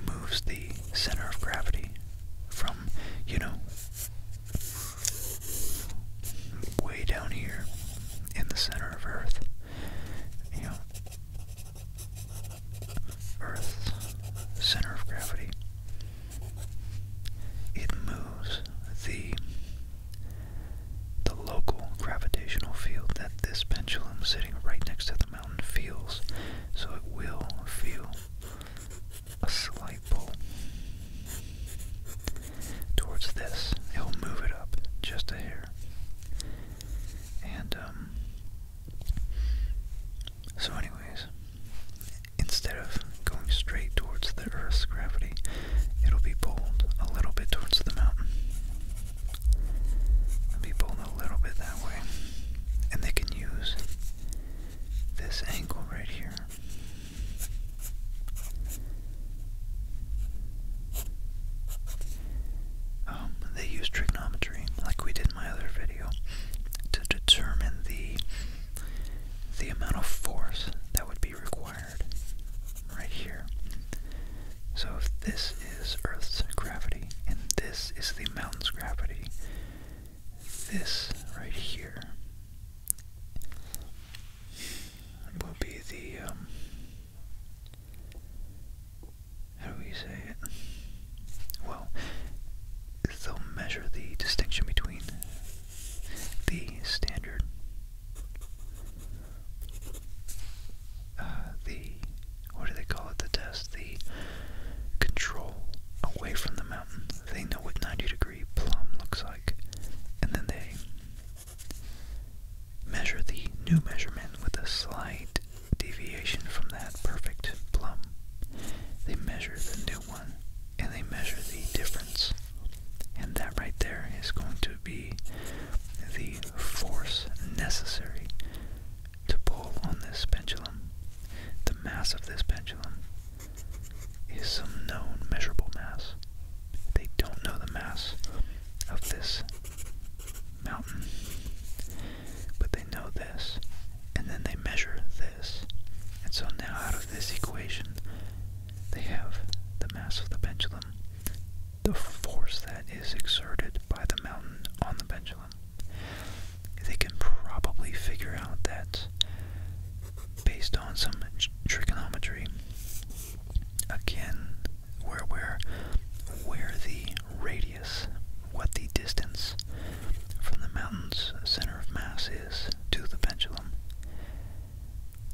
moves the center of gravity from, you know, way down here in the center of Earth. You know, Earth's center of gravity. It moves the the local gravitational field that this pendulum sitting right next to the mountain feels, so it will feel a slight pull towards this. It will move it up just a hair. And, um, so anyways, instead of going straight towards the Earth's gravity, it'll be pulled a little bit towards the mountain. be pulled a little bit that way. And they can use this angle right here. Um, they use trigonometry, like we did in my other video, to determine the the amount of force that would be required right here. So if this is Earth's gravity and this is the mountain's gravity, this right here will be the, um, how do we say it? Well, they'll measure the distinction between the standard, uh, the, what do they call it, the test, the control away from the mountain. They know what 90 degree plumb looks like, and then they measure the new measurement with a slight deviation from that perfect plumb. They measure the new one and they measure the difference and that right there is going to be the force necessary to pull on this pendulum. The mass of this pendulum is some known measurable mass. They don't know the mass of this mountain, but they know this, and then they measure this. And so now out of this equation, they have the mass of the pendulum, the force that is exerted by the mountain on the pendulum. They can probably figure out that based on some trigonometry, again, where where where the radius, what the distance from the mountain's center of mass is to the pendulum,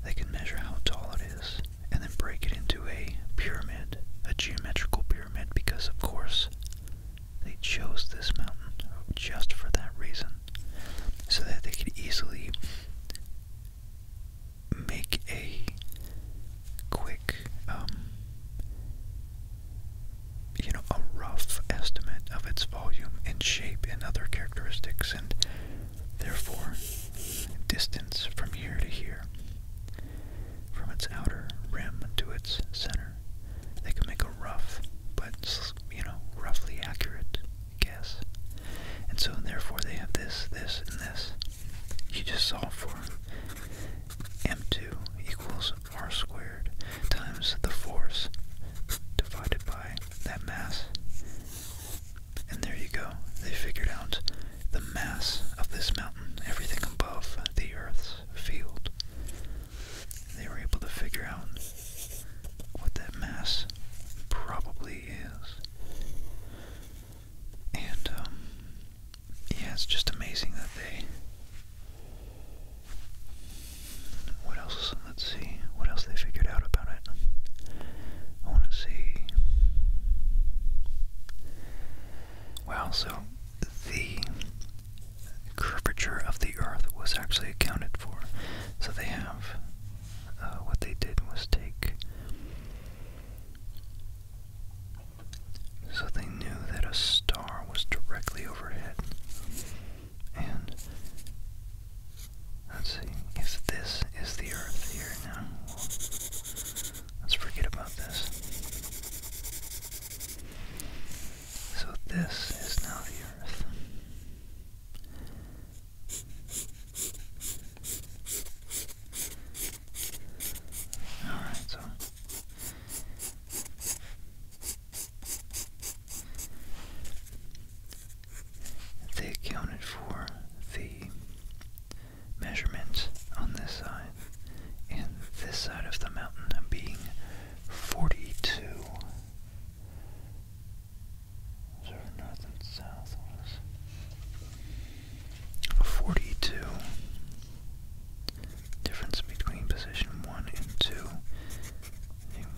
they can measure how tall it is and then break it into a pyramid, a geometrical pyramid, because of course they chose this mountain just for that reason, so that they could easily make a quick, um, you know, a rough estimate of its volume and shape and other characteristics and Therefore, distance from here to here, from its outer rim to its center, they can make a rough, but you know, roughly accurate guess. And so, therefore, they have this, this, and this. You just solve for m2 equals r squared times the force divided by that mass and there you go. They figured out the mass of this mountain, everything above the Earth's field. They were able to figure out what that mass probably is. And, um, yeah, it's just amazing that they. What else? Let's see. What else they figured out about I want to see. Wow, so the curvature of the Earth was actually accounted for. So they have. Uh, what they did was take. So they knew that a star was directly overhead. And Let's see if this is the Earth here now. let's forget about this. So this is now the Earth. Alright, so they accounted for the measurements on this side and this side of the mountain being 42. Sort of north and south was 42. Difference between position 1 and 2.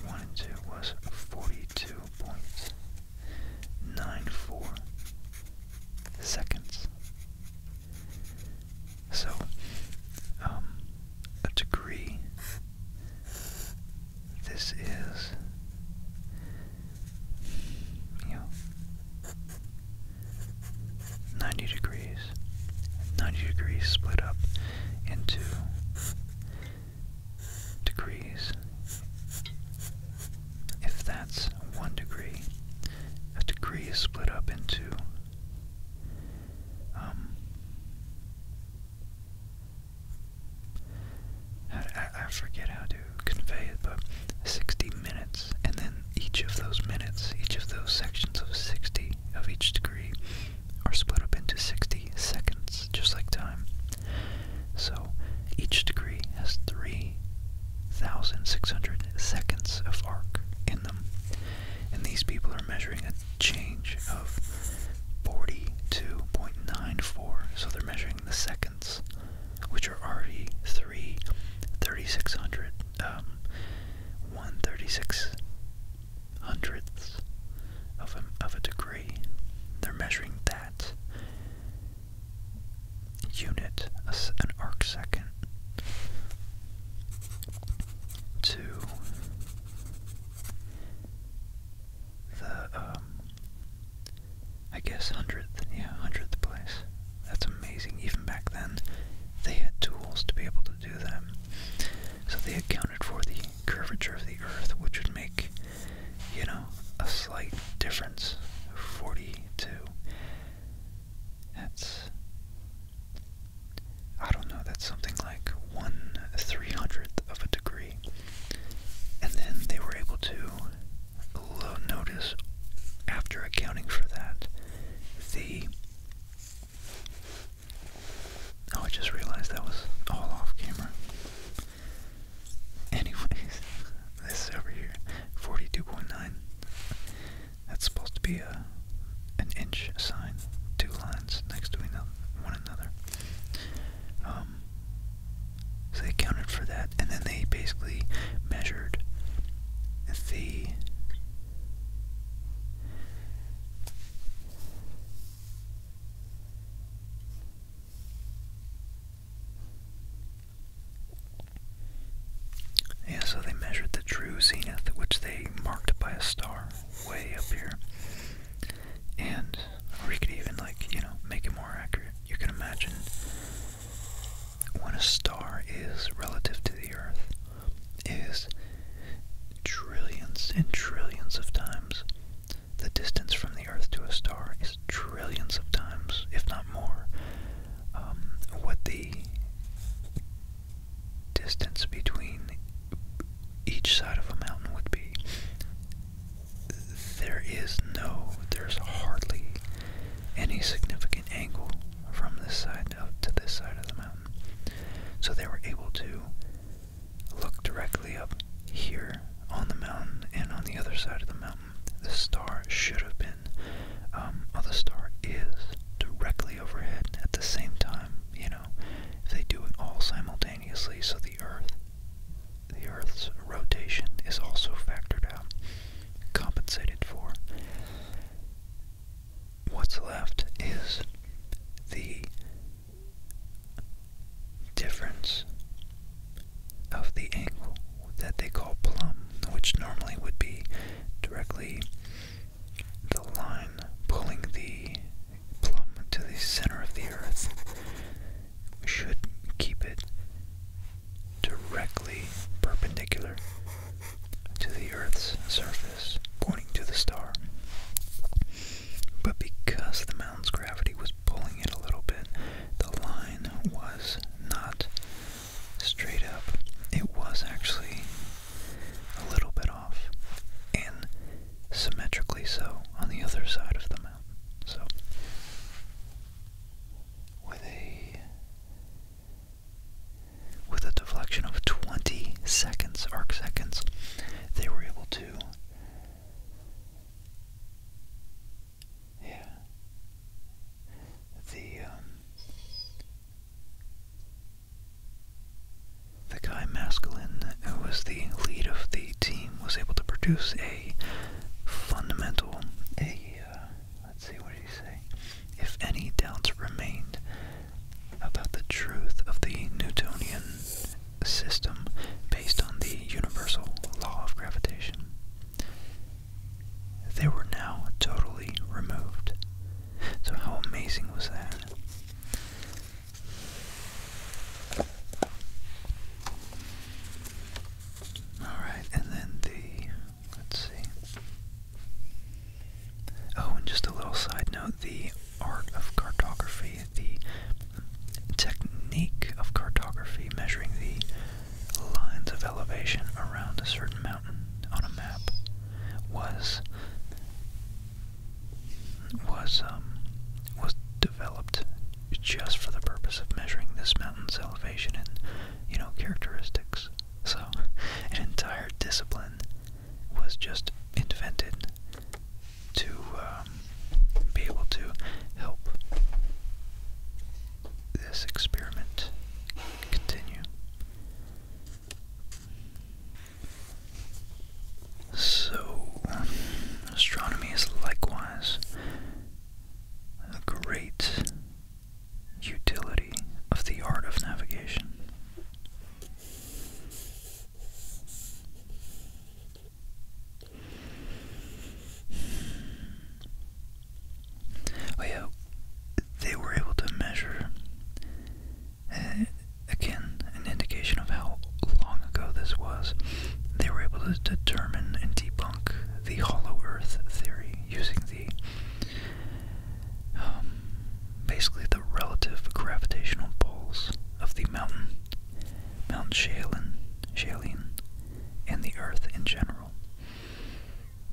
1 and 2 was 42. 2.94 seconds. So, um, a degree, this is, you know, 90 degrees. 90 degrees split up into degrees. If that's one degree, a degree is split up into um I forget how to convey it, but 60 minutes, and then each of those minutes, each of those sections of 60 of each degree are split up into 60 seconds, just like time. So each degree has 3,600 seconds of arc in them. And these people are measuring a change of 42.94. So they're measuring the seconds, which are already 3, 3600, um, hundredths of a, of a degree. They're measuring that unit, an arc second, to the, um, I guess hundredth, yeah, hundredth place. That's amazing. Even back then, they had tools to be able to do that. So they accounted for the curvature of the Earth, which would make you know, a slight difference. 42. That's. I don't know, that's something like 1 300th of a degree. And then they were able to notice, after accounting for that, the. Oh, I just realized that was all off camera. *laughs* Anyways, this is over here, 42.9. That's supposed to be a an inch sign, two lines next to one another. Um, so they counted for that, and then they basically measured the yeah, so they measured the true zenith, which they marked by a star way up here. And, or you could even, like, you know, make it more accurate. You can imagine when a star is relative to the Earth is trillions and trillions of times the distance from the Earth to a star is trillions of times, if not more, um, what the distance between each side of a mountain would be. There is no, there's hardly any significant angle from this side up to this side of the mountain. So they were able to look directly up here on the mountain and on the other side of the mountain the star should have been, um, the star is directly overhead at the same time, you know, they do it all simultaneously, so the Earth, the Earth's rotation is also factored out, compensated for. What's left is the difference of the angle that they call plumb, which normally would be directly the line pulling the plumb to the center of the earth. We should keep it directly perpendicular to the earth's surface, pointing to the star. But because the mountain's gravity was pulling it a little bit. The line was not straight up, it was actually a little bit off, and symmetrically so on the other side of the mountain. So, with a with a deflection of 20 seconds, arc seconds, they were able to yeah. The um, the guy Masculine, who was the lead of the team, was able to produce a fundamental, a uh, let's see, what did he say? If any doubts remained about the truth of the Newtonian system based on the universal law of gravitation, they were now totally removed. So, how amazing was that? Alright, and then the. Let's see. Oh, and just a little side note the art of cartography, the technique of cartography, measuring the lines of elevation around a certain mountain on a map was was um was developed just for the purpose of measuring this mountain's elevation and you know characteristics. So an entire discipline was just invented to um, be able to help this experiment continue. So, astronomy is likewise a great utility of the art of navigation. Oh yeah, they were able to measure uh, again an indication of how long ago this was. They were able to determine and debunk the hollow Earth theory using the um, basically the relative gravitational poles of the mountain, Mount Shaolin, Shaolin, and the Earth in general.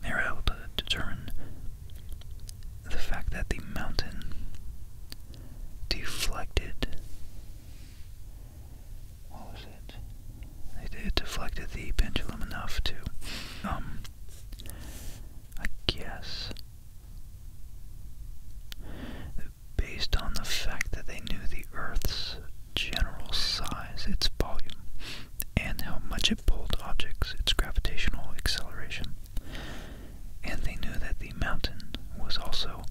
They were able to determine the fact that the mountain deflected. What was it? It deflected the pendulum enough to, um, I guess, based on the fact that they knew the Earth's general size, its volume, and how much it pulled objects, its gravitational acceleration. And they knew that the mountain was also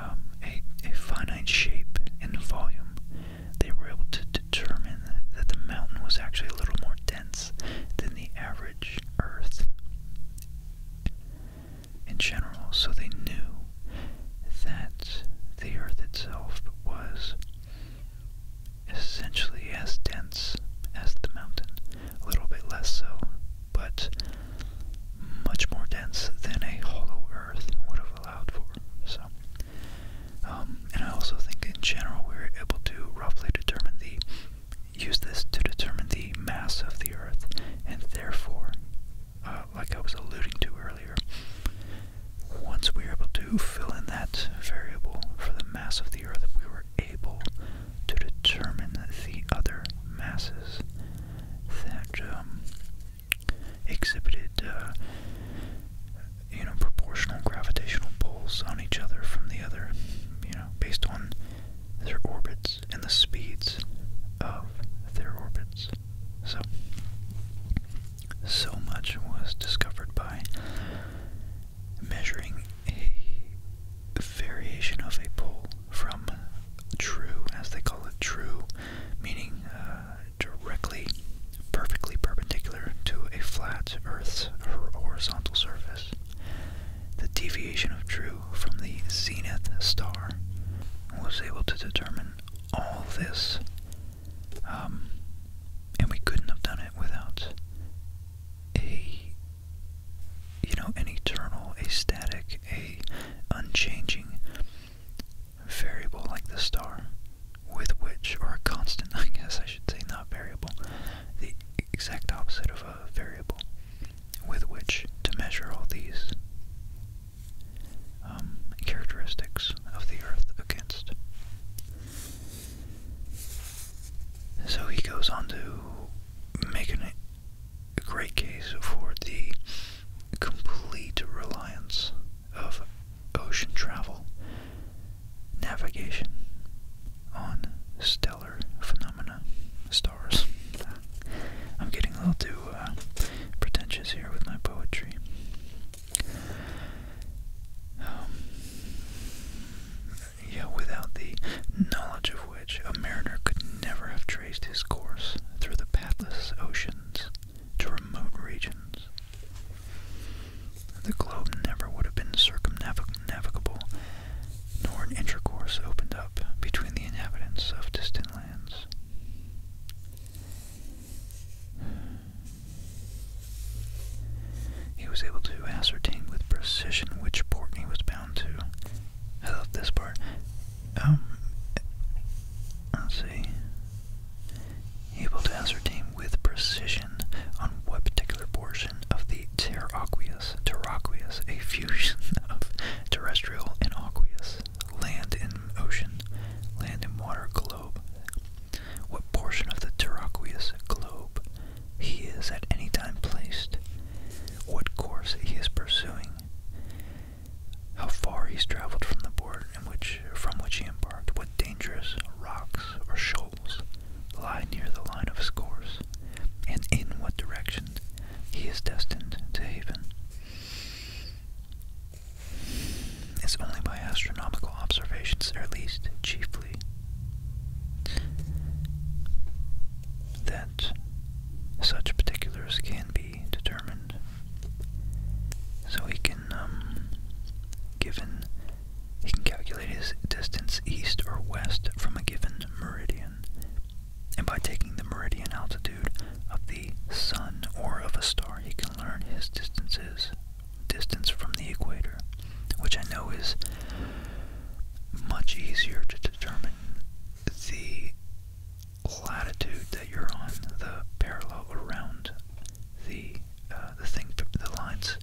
um, a, a finite shape and volume. They were able to determine that the mountain was actually a little more dense than the average Earth in general, so they knew that the Earth itself was essentially as dense as the mountain, a little bit less so, but much more dense than a hollow Earth would have allowed for. So, um, and I also think in general we're able to roughly determine the use this to determine the mass of the Earth, and therefore uh, like I was alluding to earlier, once we were able to fill in that variable for the mass of the Earth, we were able to determine the other masses that um, exhibited, uh, you know, proportional gravitational pulls on each other from the other, you know, based on their orbits and the speeds of their orbits. So, so much was discovered by measuring a variation of a pole from true, as they call it, true, meaning uh, directly, perfectly perpendicular to a flat Earth's horizontal surface. The deviation of true from the zenith star was able to determine all this um, and we couldn't have done it without a, you know, an eternal, a static, a unchanging variable like the star, with which, or a constant, *laughs* I guess I should say, not variable, the exact opposite of a variable, with which to measure all these um, characteristics of the earth against. So he goes on to make a great case for the complete reliance of ocean travel, navigation on stellar phenomena, stars. I'm getting a little too uh, pretentious here with my poetry. Um, without the knowledge of which a mariner could never have traced his course through the pathless oceans to remote regions. The globe never would have been circumnavigable, nor an intercourse opened up between the inhabitants of distant lands. He was able to ascertain with precision which port he was bound to. I love this part. Um, let's see. Able to ascertain with precision on what particular portion of the terraqueous, terraqueous, a fusion *laughs* of terrestrial and aqueous, land and ocean, land and water globe, what portion of the terraqueous globe he is at any time placed, what course he is pursuing, how far he's traveled from the board in which, from which he embarked, what dangerous rocks or shoals lie near the line of his course, and in what direction he is destined to haven. It is only by astronomical observations, or at least chiefly, that such particulars can be determined. So he can, um, given, he can calculate his distance east or west from a given meridian, and by taking the meridian altitude of the sun or of a star, he can learn his distances distance from the equator, which I know is much easier to determine the latitude that you're on, the parallel around the uh, the thing, the lines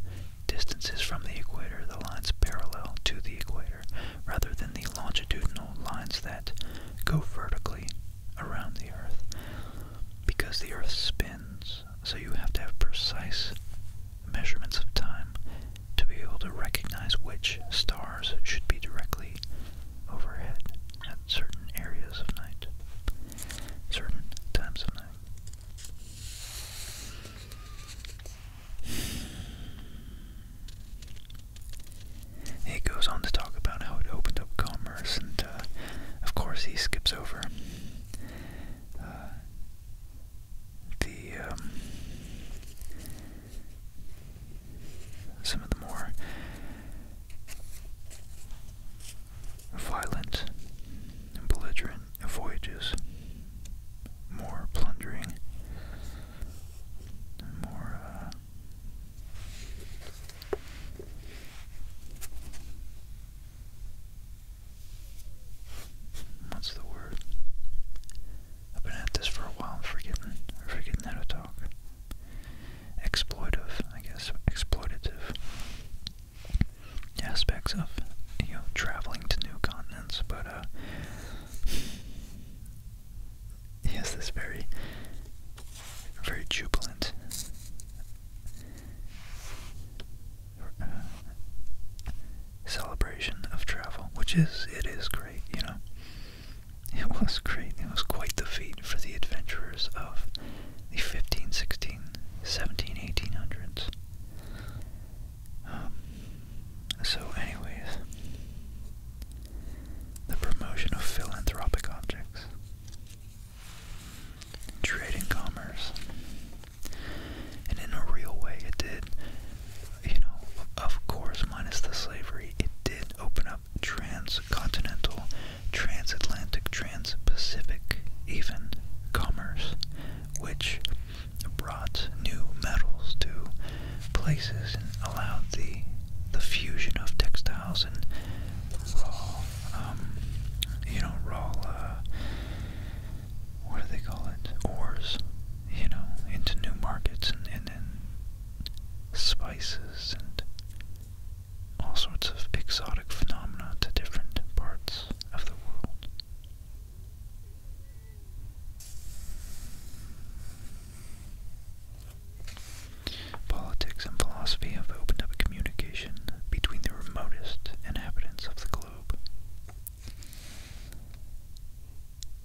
distances from the equator, the lines parallel to the equator, rather than the longitudinal lines that go vertically around the Earth because the Earth spins, so you have to have precise measurements of time to be able to recognize which stars should be directly overhead at certain areas of night, certain times of night. He goes on to talk about how it opened up commerce and uh, of course he skips over uh, the um, some of the more violent belligerent voyages, more plundering, more. Uh, What's the word? I've been at this for a while, I'm forgetting, I'm forgetting how to talk. Exploitive, I guess, exploitative aspects of, you know, traveling to new continents, but, uh, *laughs* he has this very very jubilant. Uh, celebration of travel, which is, it is great, you know. It was great. It was quite the feat for the adventurers of the 15, 16, 17, 1800s. Um, so anyways, the promotion of philanthropic objects trade and commerce. And in a real way, it did, you know, of course, minus the slavery, it did open up transcontinental, transatlantic, transpacific, even commerce, which brought new metals to places and allowed the the fusion of textiles and roll, um, you know, roll, uh, what do they call it, ores, you know, into new markets and, and then spices and all sorts of exotic phenomena to different parts of the world. Politics and philosophy have opened up a communication between the remotest inhabitants of the globe.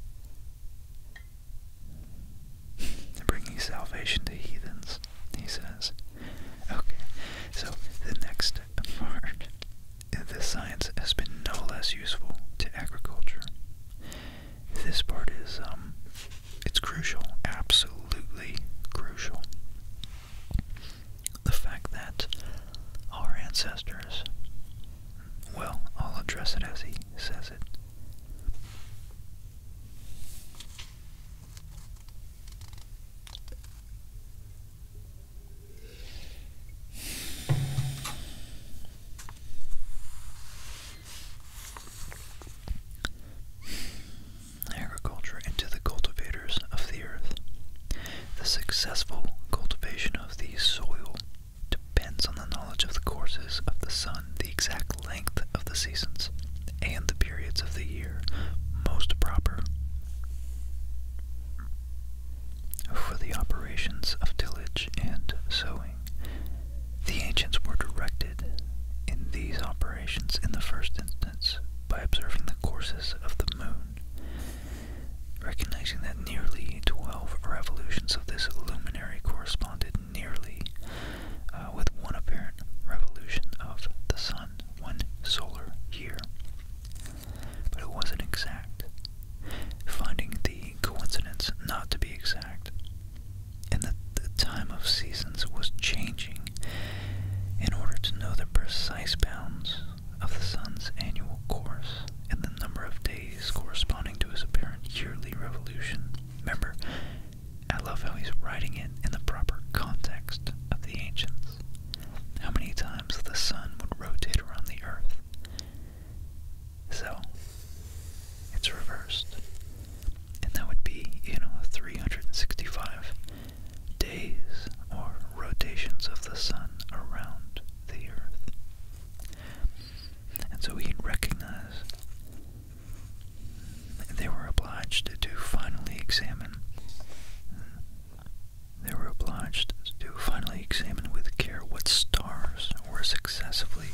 *laughs* Bringing salvation to heathens, he says. Okay, so the next part. This science has been no less useful to agriculture. This part is, um, it's crucial, absolutely crucial the fact that our ancestors, well, I'll address it as he says it agriculture into the cultivators of the earth. The successful cultivation of the soil depends on the knowledge of the courses of the sun, the exact length of the seasons, and the periods of the year most proper for the operations of tillage and sowing. The ancients were directed in these operations in the first instance by observing the courses of the moon. Recognizing that nearly 12 revolutions of this luminary corresponded nearly uh, with one apparent revolution of the sun, one solar year. But it wasn't exact, finding the coincidence not to be exact, and that the time of seasons was changing in order to know the precise bounds of the sun's annual course and the number of days corresponding to his apparent yearly revolution. Remember, I love how he's writing it in the proper context of the ancients. How many times the sun would rotate around the earth. So, it's reversed. And that would be, you know, 365 days or rotations of the sun around the earth. And so he recognized they were obliged to finally examine they were obliged to finally examine with care what stars were successively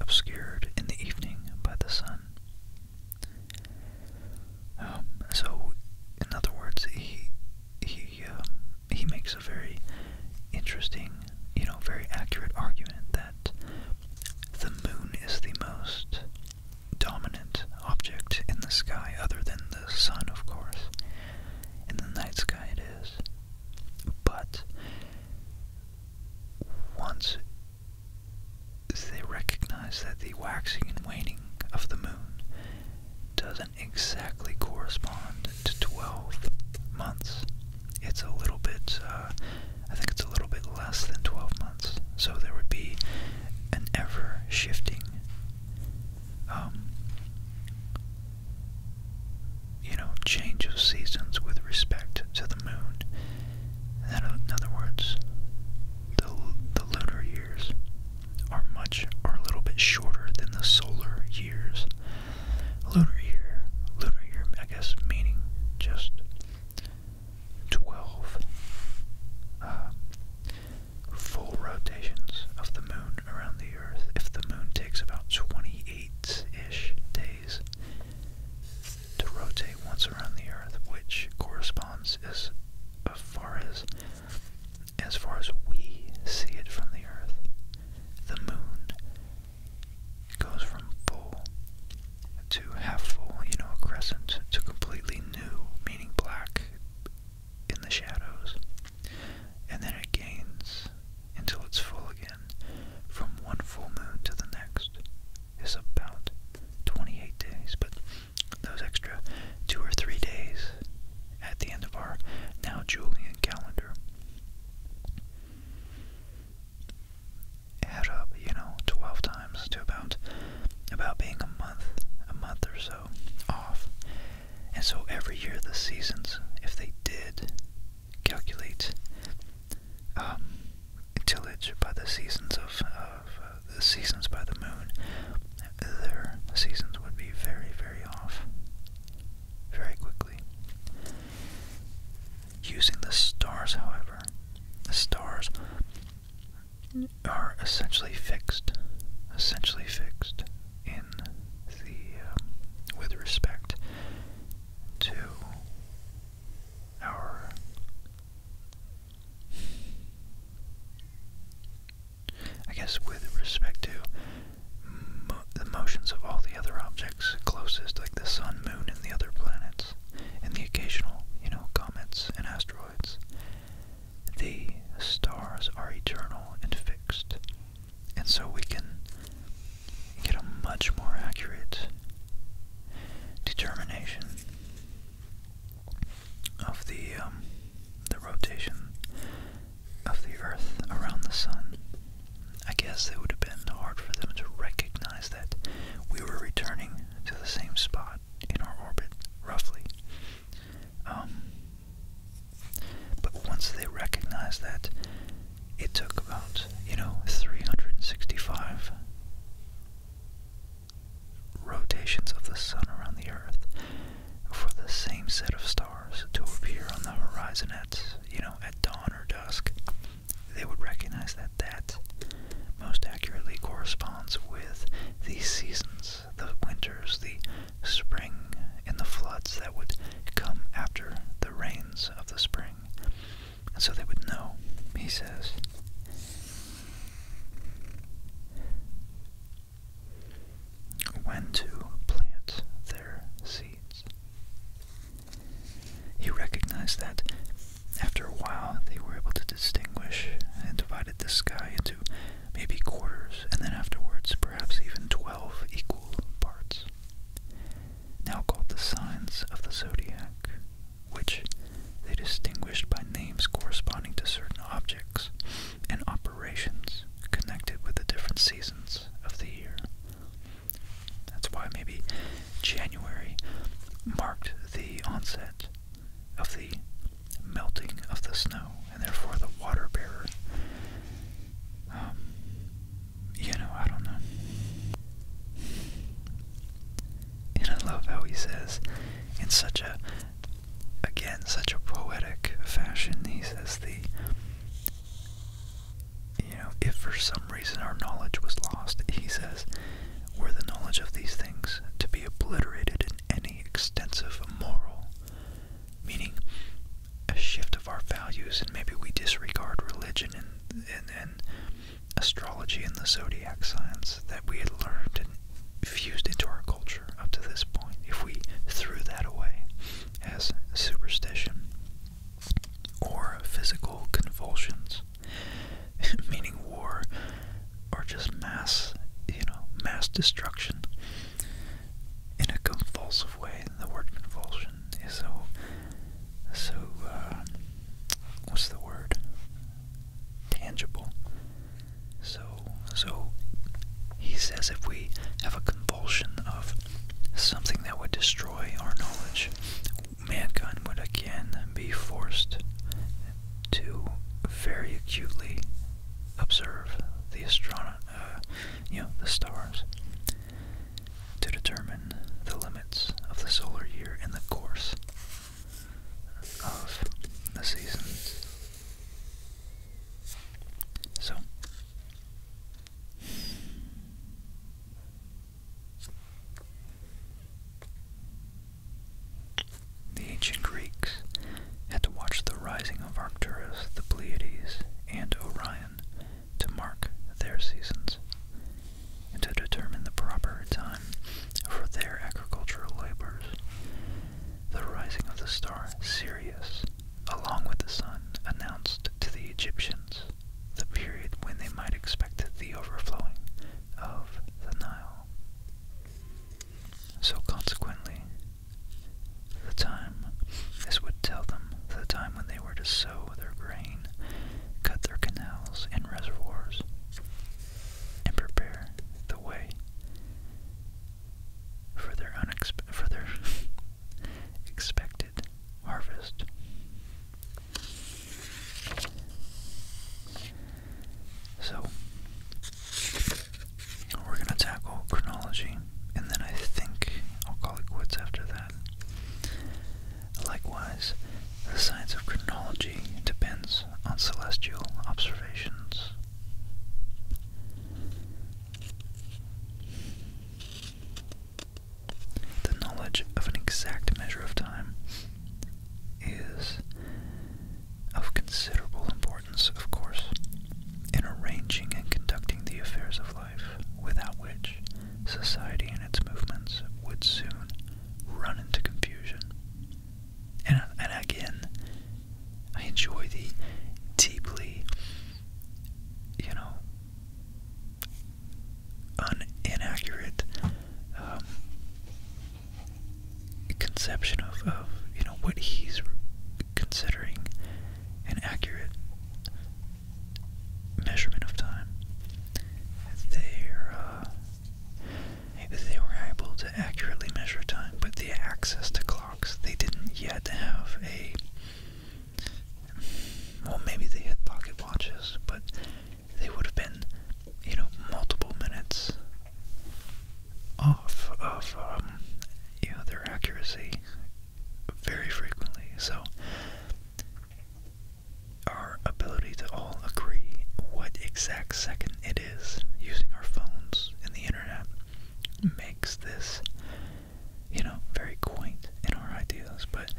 obscured in the evening by the sun. Um, so, in other words, he he um, he makes a very interesting, you know, very accurate argument that the moon is the most dominant object in the sky, other than the sun, of course. In the night sky, it is. But once they recognize that the waxing and waning of the moon doesn't exactly correspond to 12 months. It's a little bit, uh, I think it's a little bit less than 12 months. So there would be an ever shifting, um, you know, change of seasons with respect to the moon. In other words, the lunar years are much or a little bit shorter than the solar years. Lunar year, lunar year, I guess, meaning just 12 uh, full rotations of the moon around the earth. If the moon takes about 28 ish days to rotate once around the earth, which corresponds as far as as far as we see it from the Earth, the moon goes from full to half full, you know, a crescent, to completely new, meaning black in the shadows. And then it gains until it's full again. From one full moon to the next is about 28 days, but those extra two or three days at the end of our now Julian calendar add up, you know, 12 times to about about being a month, a month or so off. And so every year the seasons, if they did calculate um, tillage by the seasons of the seasons by the moon, their seasons would be very, very off very quickly. Using the stars, however, the stars are essentially fixed, essentially fixed in the, um, with respect to our I guess with respect to the motions of all the other objects closest, like the sun, moon, and the other planets, and the occasional, you know, comets and asteroids, the stars are eternal and fixed. And so we can get a much more accurate determination of the um, the rotation of the Earth around the Sun. I guess it would have been hard for them to recognize that we were returning to the same spot in our orbit, roughly. Um, but once they recognized that, it took about, you know, 365 rotations of the sun around the earth for the same set of stars to appear on the horizon at, you know, at dawn or dusk, they would recognize that that most accurately corresponds with the seasons, the winters, the spring, and the floods that would come after the rains of the spring. And so they would know, he says when to plant their seeds. He recognized that after a while they were able to distinguish and divided the sky into maybe quarters and then afterwards perhaps even 12 equal parts, now called the signs of the zodiac, which they distinguished by names corresponding to certain objects and operations connected with the different seasons of the year. That's why maybe January marked the onset of the melting of the snow, and therefore the water bearer. Um, you know, I don't know. And I love how he says, in such a again such a poetic fashion. He says the you know, if for some reason our knowledge was lost, he says, were the knowledge of these things to be obliterated in any extensive moral, meaning a shift of our values, and maybe we disregard religion and, and, and astrology and the zodiac signs that we had learned and fused into our culture up to this point, if we threw that away as superstition or physical convulsions, *laughs* meaning war or just mass, you know, mass destruction in a convulsive way. The word convulsion is so, so, uh, what's the word? Tangible. So, so he says if we have a convulsion of something that would destroy our knowledge, mankind would again be forced to very acutely observe the astrono uh, you know, the stars to determine the limits of the solar year and the course of the seasons. So the ancient Greeks had to watch the rising of Arcturus, the Pleiades, and Orion to mark their seasons and to determine the proper time for their agricultural labors. The rising of the star Sirius, along with the sun, announced to the Egyptians the period when they might expect the overflowing of the Nile. So consequently, the time, this would tell them the time when they were to sow their grain, cut their canals and reservoirs, and prepare the way for their, unexpe *laughs* expected harvest. So, we're going to tackle chronology, and then I think I'll call it quits after that. Likewise, the science of chronology depends on celestial observations the knowledge of an exact measure of time is of considerable importance, of course, in arranging and conducting the affairs of life, without which society and its movements would soon run into confusion. And, and again, I enjoy the deeply, you know, inaccurate um, conception of, of, you know, what he's considering an accurate measurement of time. They're, uh, they were able to accurately measure time, but the access to they didn't yet have a. Well, maybe they had pocket watches, but they would have been, you know, multiple minutes off of, um, you know, their accuracy very frequently. So, our ability to all agree what exact second it is using our phones and the internet makes this, you know, very quaint in our ideas. But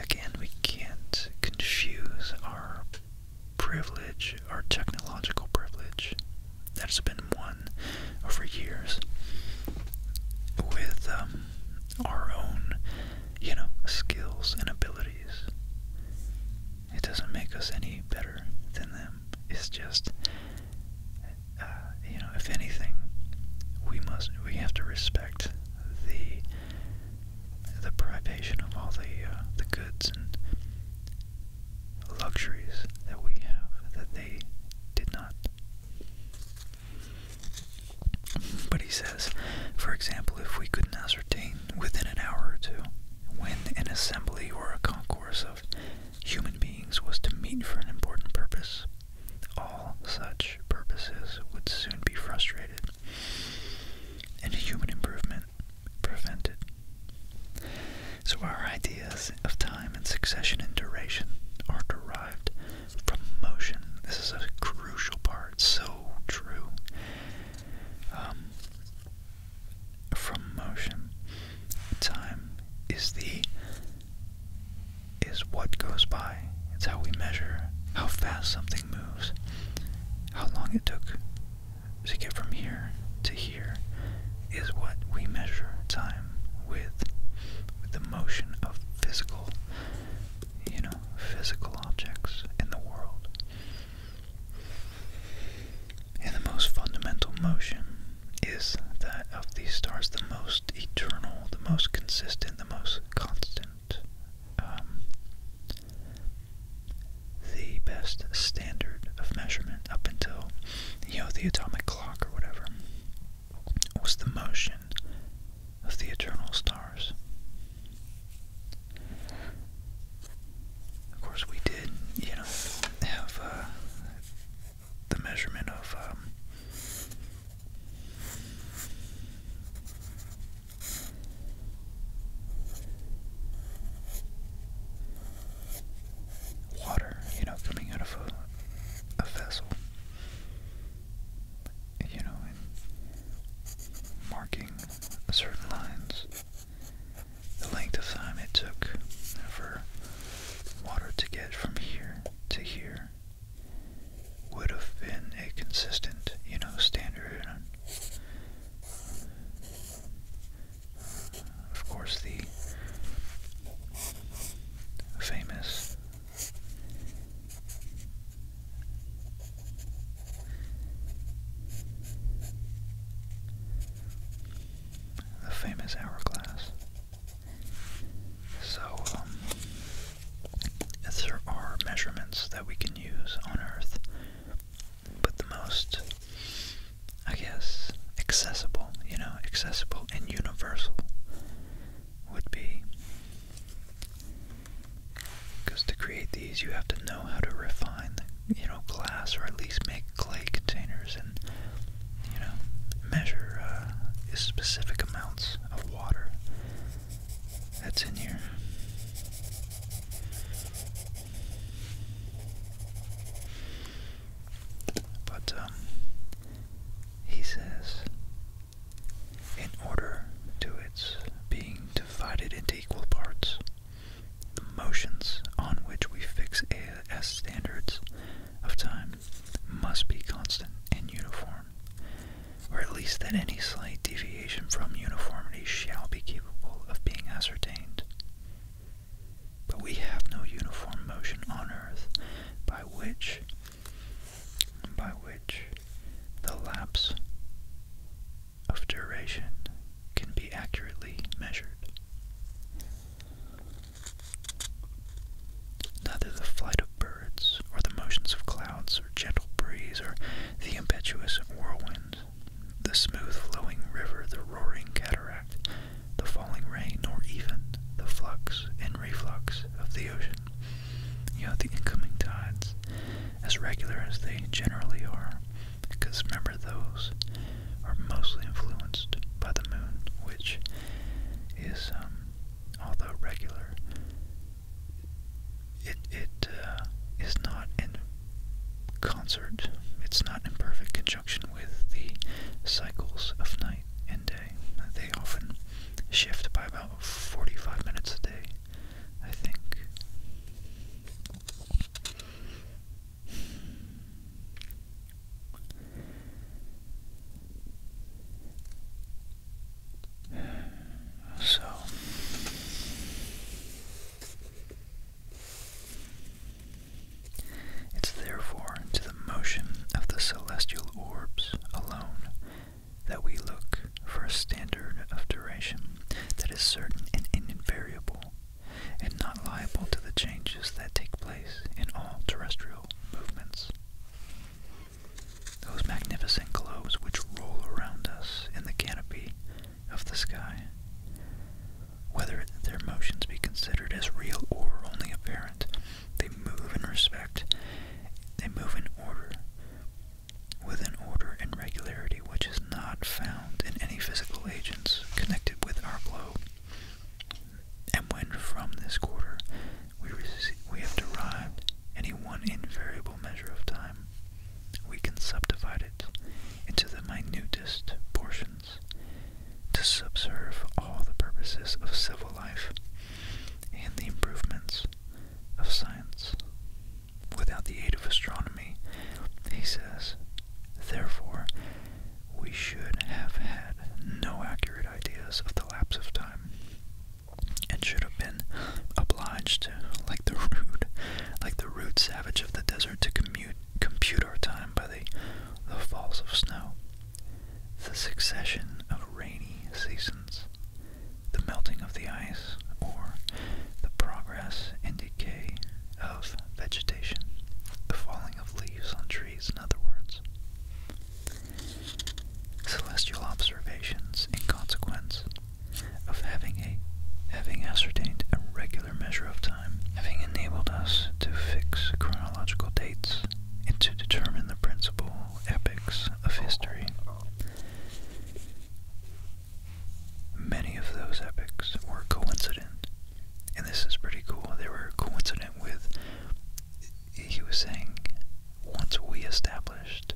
again, we can't confuse our privilege, our technological privilege that's been won over years, with um, our own, you know, skills and abilities. It doesn't make us any better than them. It's just, uh, you know, if anything, we must we have to respect the the privation of all the uh, the goods and luxuries that we have that they did not. But he says, for example, if we couldn't ascertain within an hour or two when an assembly or a concourse course of human beings was to meet for an important purpose. All such purposes would soon be frustrated, and human improvement prevented. So, our ideas of time and succession and duration are derived from motion. This is a crucial part, so true. Um, from motion. Time is the is what goes by. It's how we measure how fast something moves, how long it took to get from here to here is what we measure time with, with the motion of physical, you know, physical objects in the world. And the most fundamental motion is that of the stars, the most eternal, the most consistent, the most constant, um, the best standard of measurement up until, you know, the atomic clock or whatever, was the motion of the eternal stars. Of course, we did, you know, have uh, the measurement of um, water, you know, coming out of a, a vessel, you know, and marking certain lines the length of time it took for water to get from here to here would have been a consistent, you know, standard. Of course, the famous the famous hourglass. So, um, there are measurements that we can use on Earth, but the most, I guess, accessible, you know, accessible and universal would be. Because to create these, you have to know how to refine you know, glass or at least make clay containers and, you know, measure uh, specific amounts of water that's in here. But, um, he says, in order to its being divided into equal parts, the motions on which we fix as standards of time must be constant and uniform, or at least that any slight deviation from uniformity shall be capable of being ascertained. But we have no uniform motion on Earth by which by which the lapse of duration can be accurately measured. Neither the flight of birds, or the motions of clouds, or gentle breeze, or the impetuous whirlwind, the smooth flowing river, the roaring cataract, the falling rain, nor even the flux and reflux of the ocean, you know, the incoming tides, as regular as they generally are, because remember those are mostly influenced by the moon, which is, um, although regular, it it uh, not in concert. It's not in perfect conjunction with the cycles of night and day. They often shift by about forty-five minutes a day, I think. So it's therefore to the motion of the celestial orbs alone that we look for a standard of duration that is certain and invariable and not liable to the changes that take place in all terrestrial movements. Those magnificent globes which roll around us in the canopy of the sky, whether their motions be considered as real or only apparent, they move in respect, they move in order, with an order and regularity which is not found in any physical agents connected with our globe. And when from this quarter we, we have derived any one invariable measure of time, we can subdivide it into the minutest portions to subserve all the purposes of civil life and the improvements of science. Without the aid of astronomy, he says, therefore, we should have had no accurate ideas of the lapse of time and should have been obliged to, like the rude, like the rude savage of the desert, to commute, compute our time by the, the falls of snow, the succession of rainy seasons, the melting of the ice, or the progress and decay of vegetation, the falling of leaves on trees trees, in other words. Celestial observations, in consequence of having a having ascertained a regular measure of time, having enabled us to fix chronological dates and to determine the principal epochs of history. Many of those epochs were coincident and this is pretty cool. They were coincident with. He was saying, once we established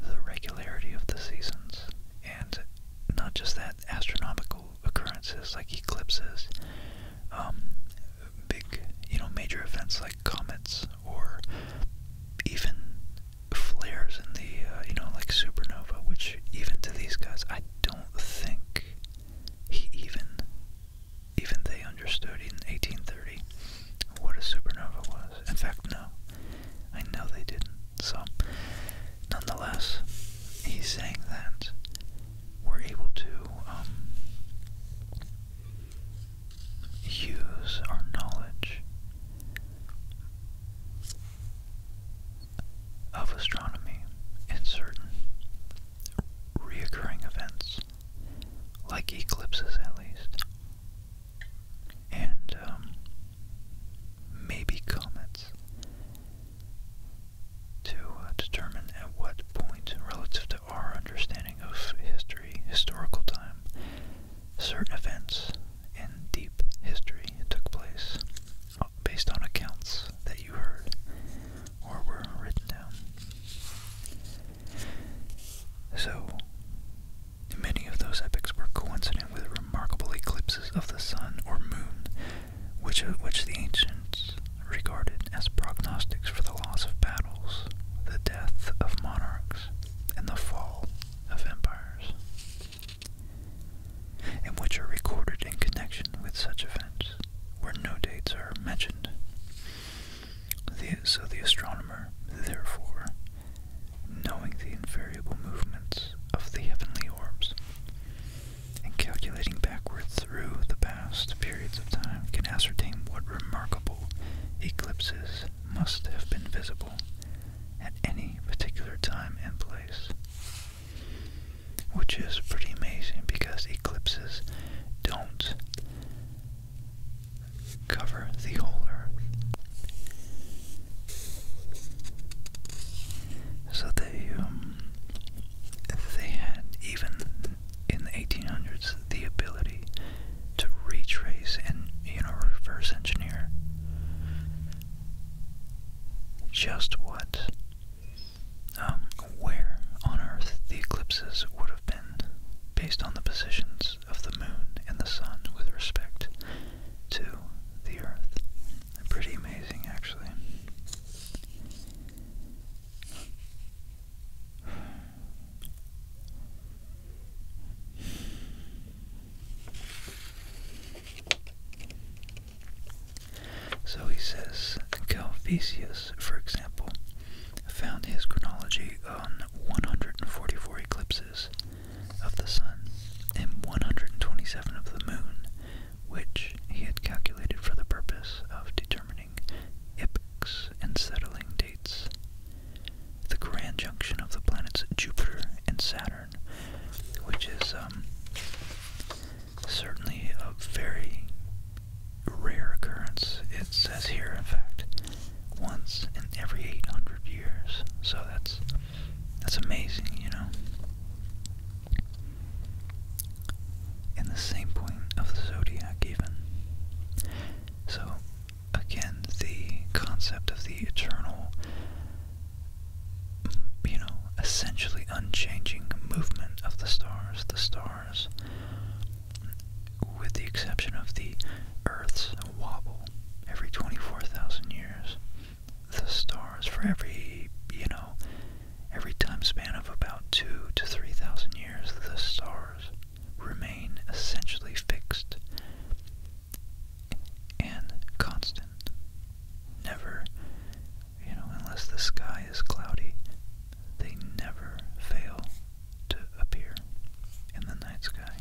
the regularity of the seasons, and not just that, astronomical occurrences like eclipses, um, big, you know, major events like comets or even flares in the, uh, you know, like supernova, which even to these guys, I don't think he even even they understood in 1830 what a supernova was. In fact, no, I know they didn't. So, nonetheless, he's saying that we're able to um, use our knowledge of astronomy in certain reoccurring events, like eclipses at least, and um, maybe comets, to uh, determine at what point, relative to our understanding of history, historical time, certain events in deep history took place based on accounts that you heard or were written down. So, many of those epics were coincident with remarkable eclipses of the sun or moon, which, uh, which the ancients regarded as prognostics for the loss of battles, the death of monarchs, and the fall of empires, and which are recorded in connection with such events where no dates are mentioned. so the astronomer, therefore, knowing the invariable movements of the heavenly orbs and calculating backward through the past periods of time, can ascertain what remarkable eclipses must have been visible at any particular time and place which is pretty amazing because eclipses don't cover the whole Earth. So they um, they had even in the 1800s the ability to retrace and you know reverse engineer just what um, where on Earth the eclipses would have been based on the positions of the moon and the sun with respect to the Earth. Pretty amazing, actually. So he says Calvisius, for example, found his chronology on 144 eclipses of the sun and 127 of the moon, which he had calculated for the purpose of determining epochs and settling dates. The grand junction of the planets Jupiter and Saturn, which is um, certainly a very rare occurrence. It says here, in fact, once in every 800 years. So that's that's amazing, you know. In the same point of the zodiac, even. So, again, the concept of the eternal, you know, essentially unchanging movement of the stars. The stars with the exception of the Earth's wobble every 24,000 years. The stars, for every, you know, every time span of about two to 3,000 years, the stars remain essentially fixed and constant, never you know, unless the sky is cloudy, they never fail to appear in the night sky.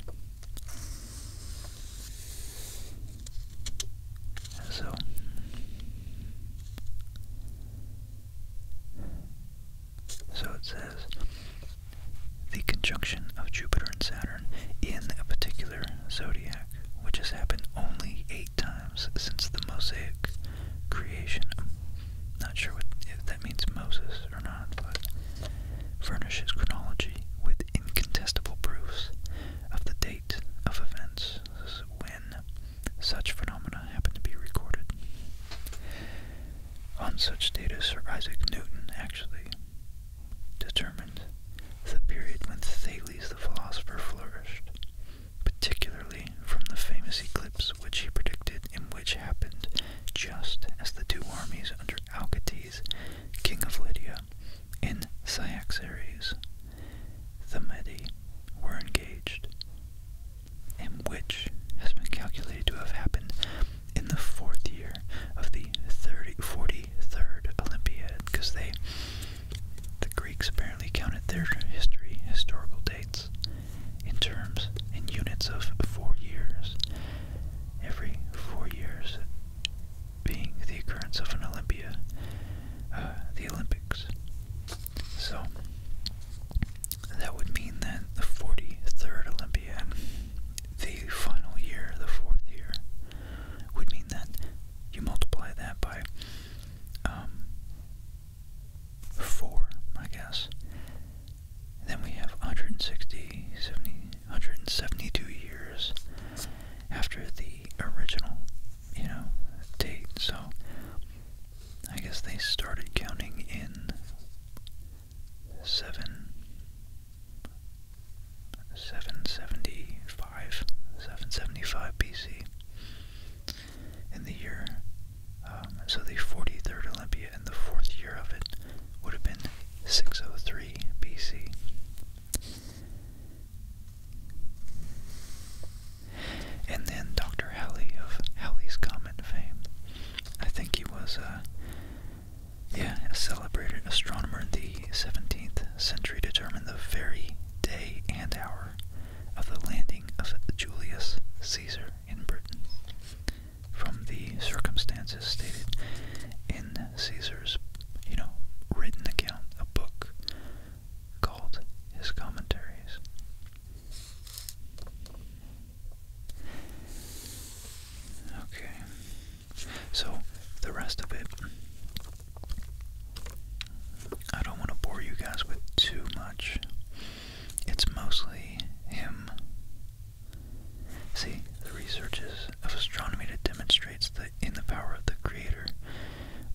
So, so it says the conjunction of Jupiter and Saturn in a particular zodiac, which has happened only eight times since the Mosaic creation. I'm not sure what, if that means Moses or not, but furnishes chronology with incontestable proofs of the date of events when such phenomena happen to be recorded. On such data, Sir Isaac Newton actually determined the period when Thales the philosopher flourished, particularly from the famous eclipse which he predicted and which happened just as the two armies under Alcates, king of Lydia, and Cyaxares, the Mede, were engaged, in which has been calculated to have happened in the fourth year of the 30, Olympiad, because they, the Greeks apparently counted their history historical dates in terms in units of four years. Every four years being the occurrence of an Olympia, uh, the Olympics. So that would mean that the 43rd Olympiad, the final year, the fourth year, would mean that you multiply that by um, four, I guess. then we have 160, 70, 172 years after the original, you know, date. So I guess they started counting in seventy five, seven seventy five BC in the year. Um, so the 43rd Olympiad and the fourth year of it would have been 603 BC. And then Dr. Halley of Halley's Comet fame. I think he was a, uh, yeah, a celebrated astronomer in the 17th century, determined the very day and hour of the landing of Julius Caesar in Britain. From the circumstances stated in Caesar's, you know, written account, a book called his Commentaries. Okay, so the rest of it, I don't want to bore you guys with too much. It's mostly him. See, the researches of astronomy that demonstrates that in the power of the creator,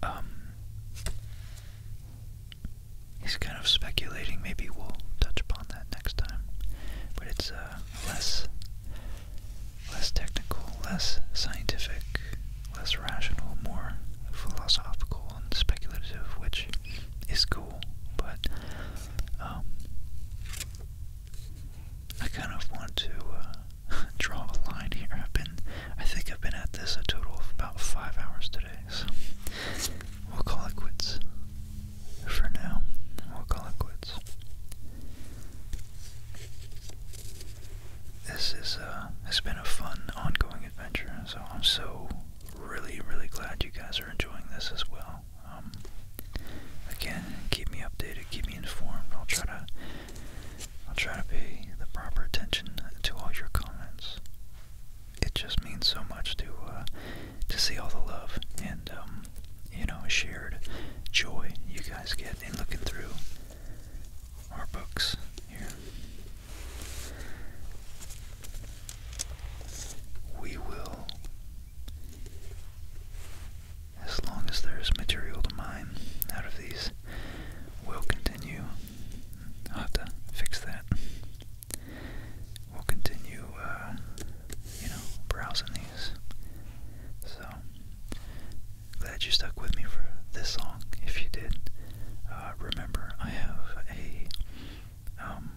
um, he's kind of speculating. Maybe we'll touch upon that next time. But it's uh, less, less technical, less scientific, less rational, more philosophical and speculative, which is cool, but um, I kind of want to uh, *laughs* draw a line here. I've been, I think I've been at this a total of about five hours today, so we'll call it quits for now. We'll call it quits. This is uh, has been a fun ongoing adventure, so I'm so really, really glad you guys are enjoying this as well. Um, again, keep me updated, keep me informed. I'll try to, I'll try to pay the proper attention to all your comments. It just means so much to uh, to see all the love and um, you know shared joy you guys get in looking through our books here. We will, as long as there is material to mine out of these, we'll continue. I'll have to fix that. We'll continue, uh, you know, browsing these. So, glad you stuck with me for this long. If you did, uh, remember I have a um,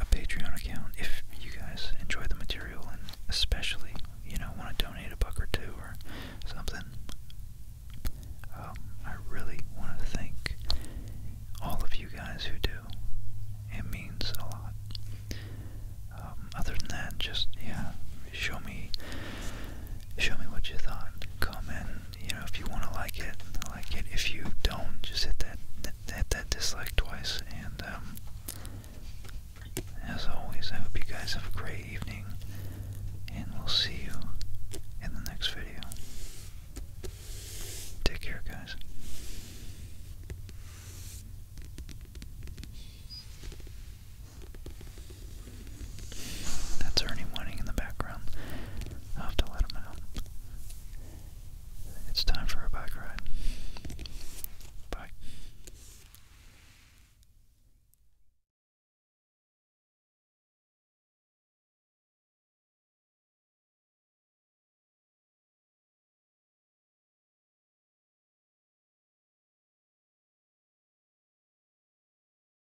a Patreon account if you guys enjoy the material and especially, you know, want to donate a buck or two or something. Um, I really want to thank all of you guys who do. It means a lot. Um, other than that, just yeah, show me, show me what you thought. Comment, you know, if you want to like it, like it. If you don't, just hit that hit that dislike twice. And um, as always, I hope you guys have a great evening, and we'll see you in the next video. Take care, guys. That's Ernie whining in the background. i have to let him out. It's time for a bike ride. Bye.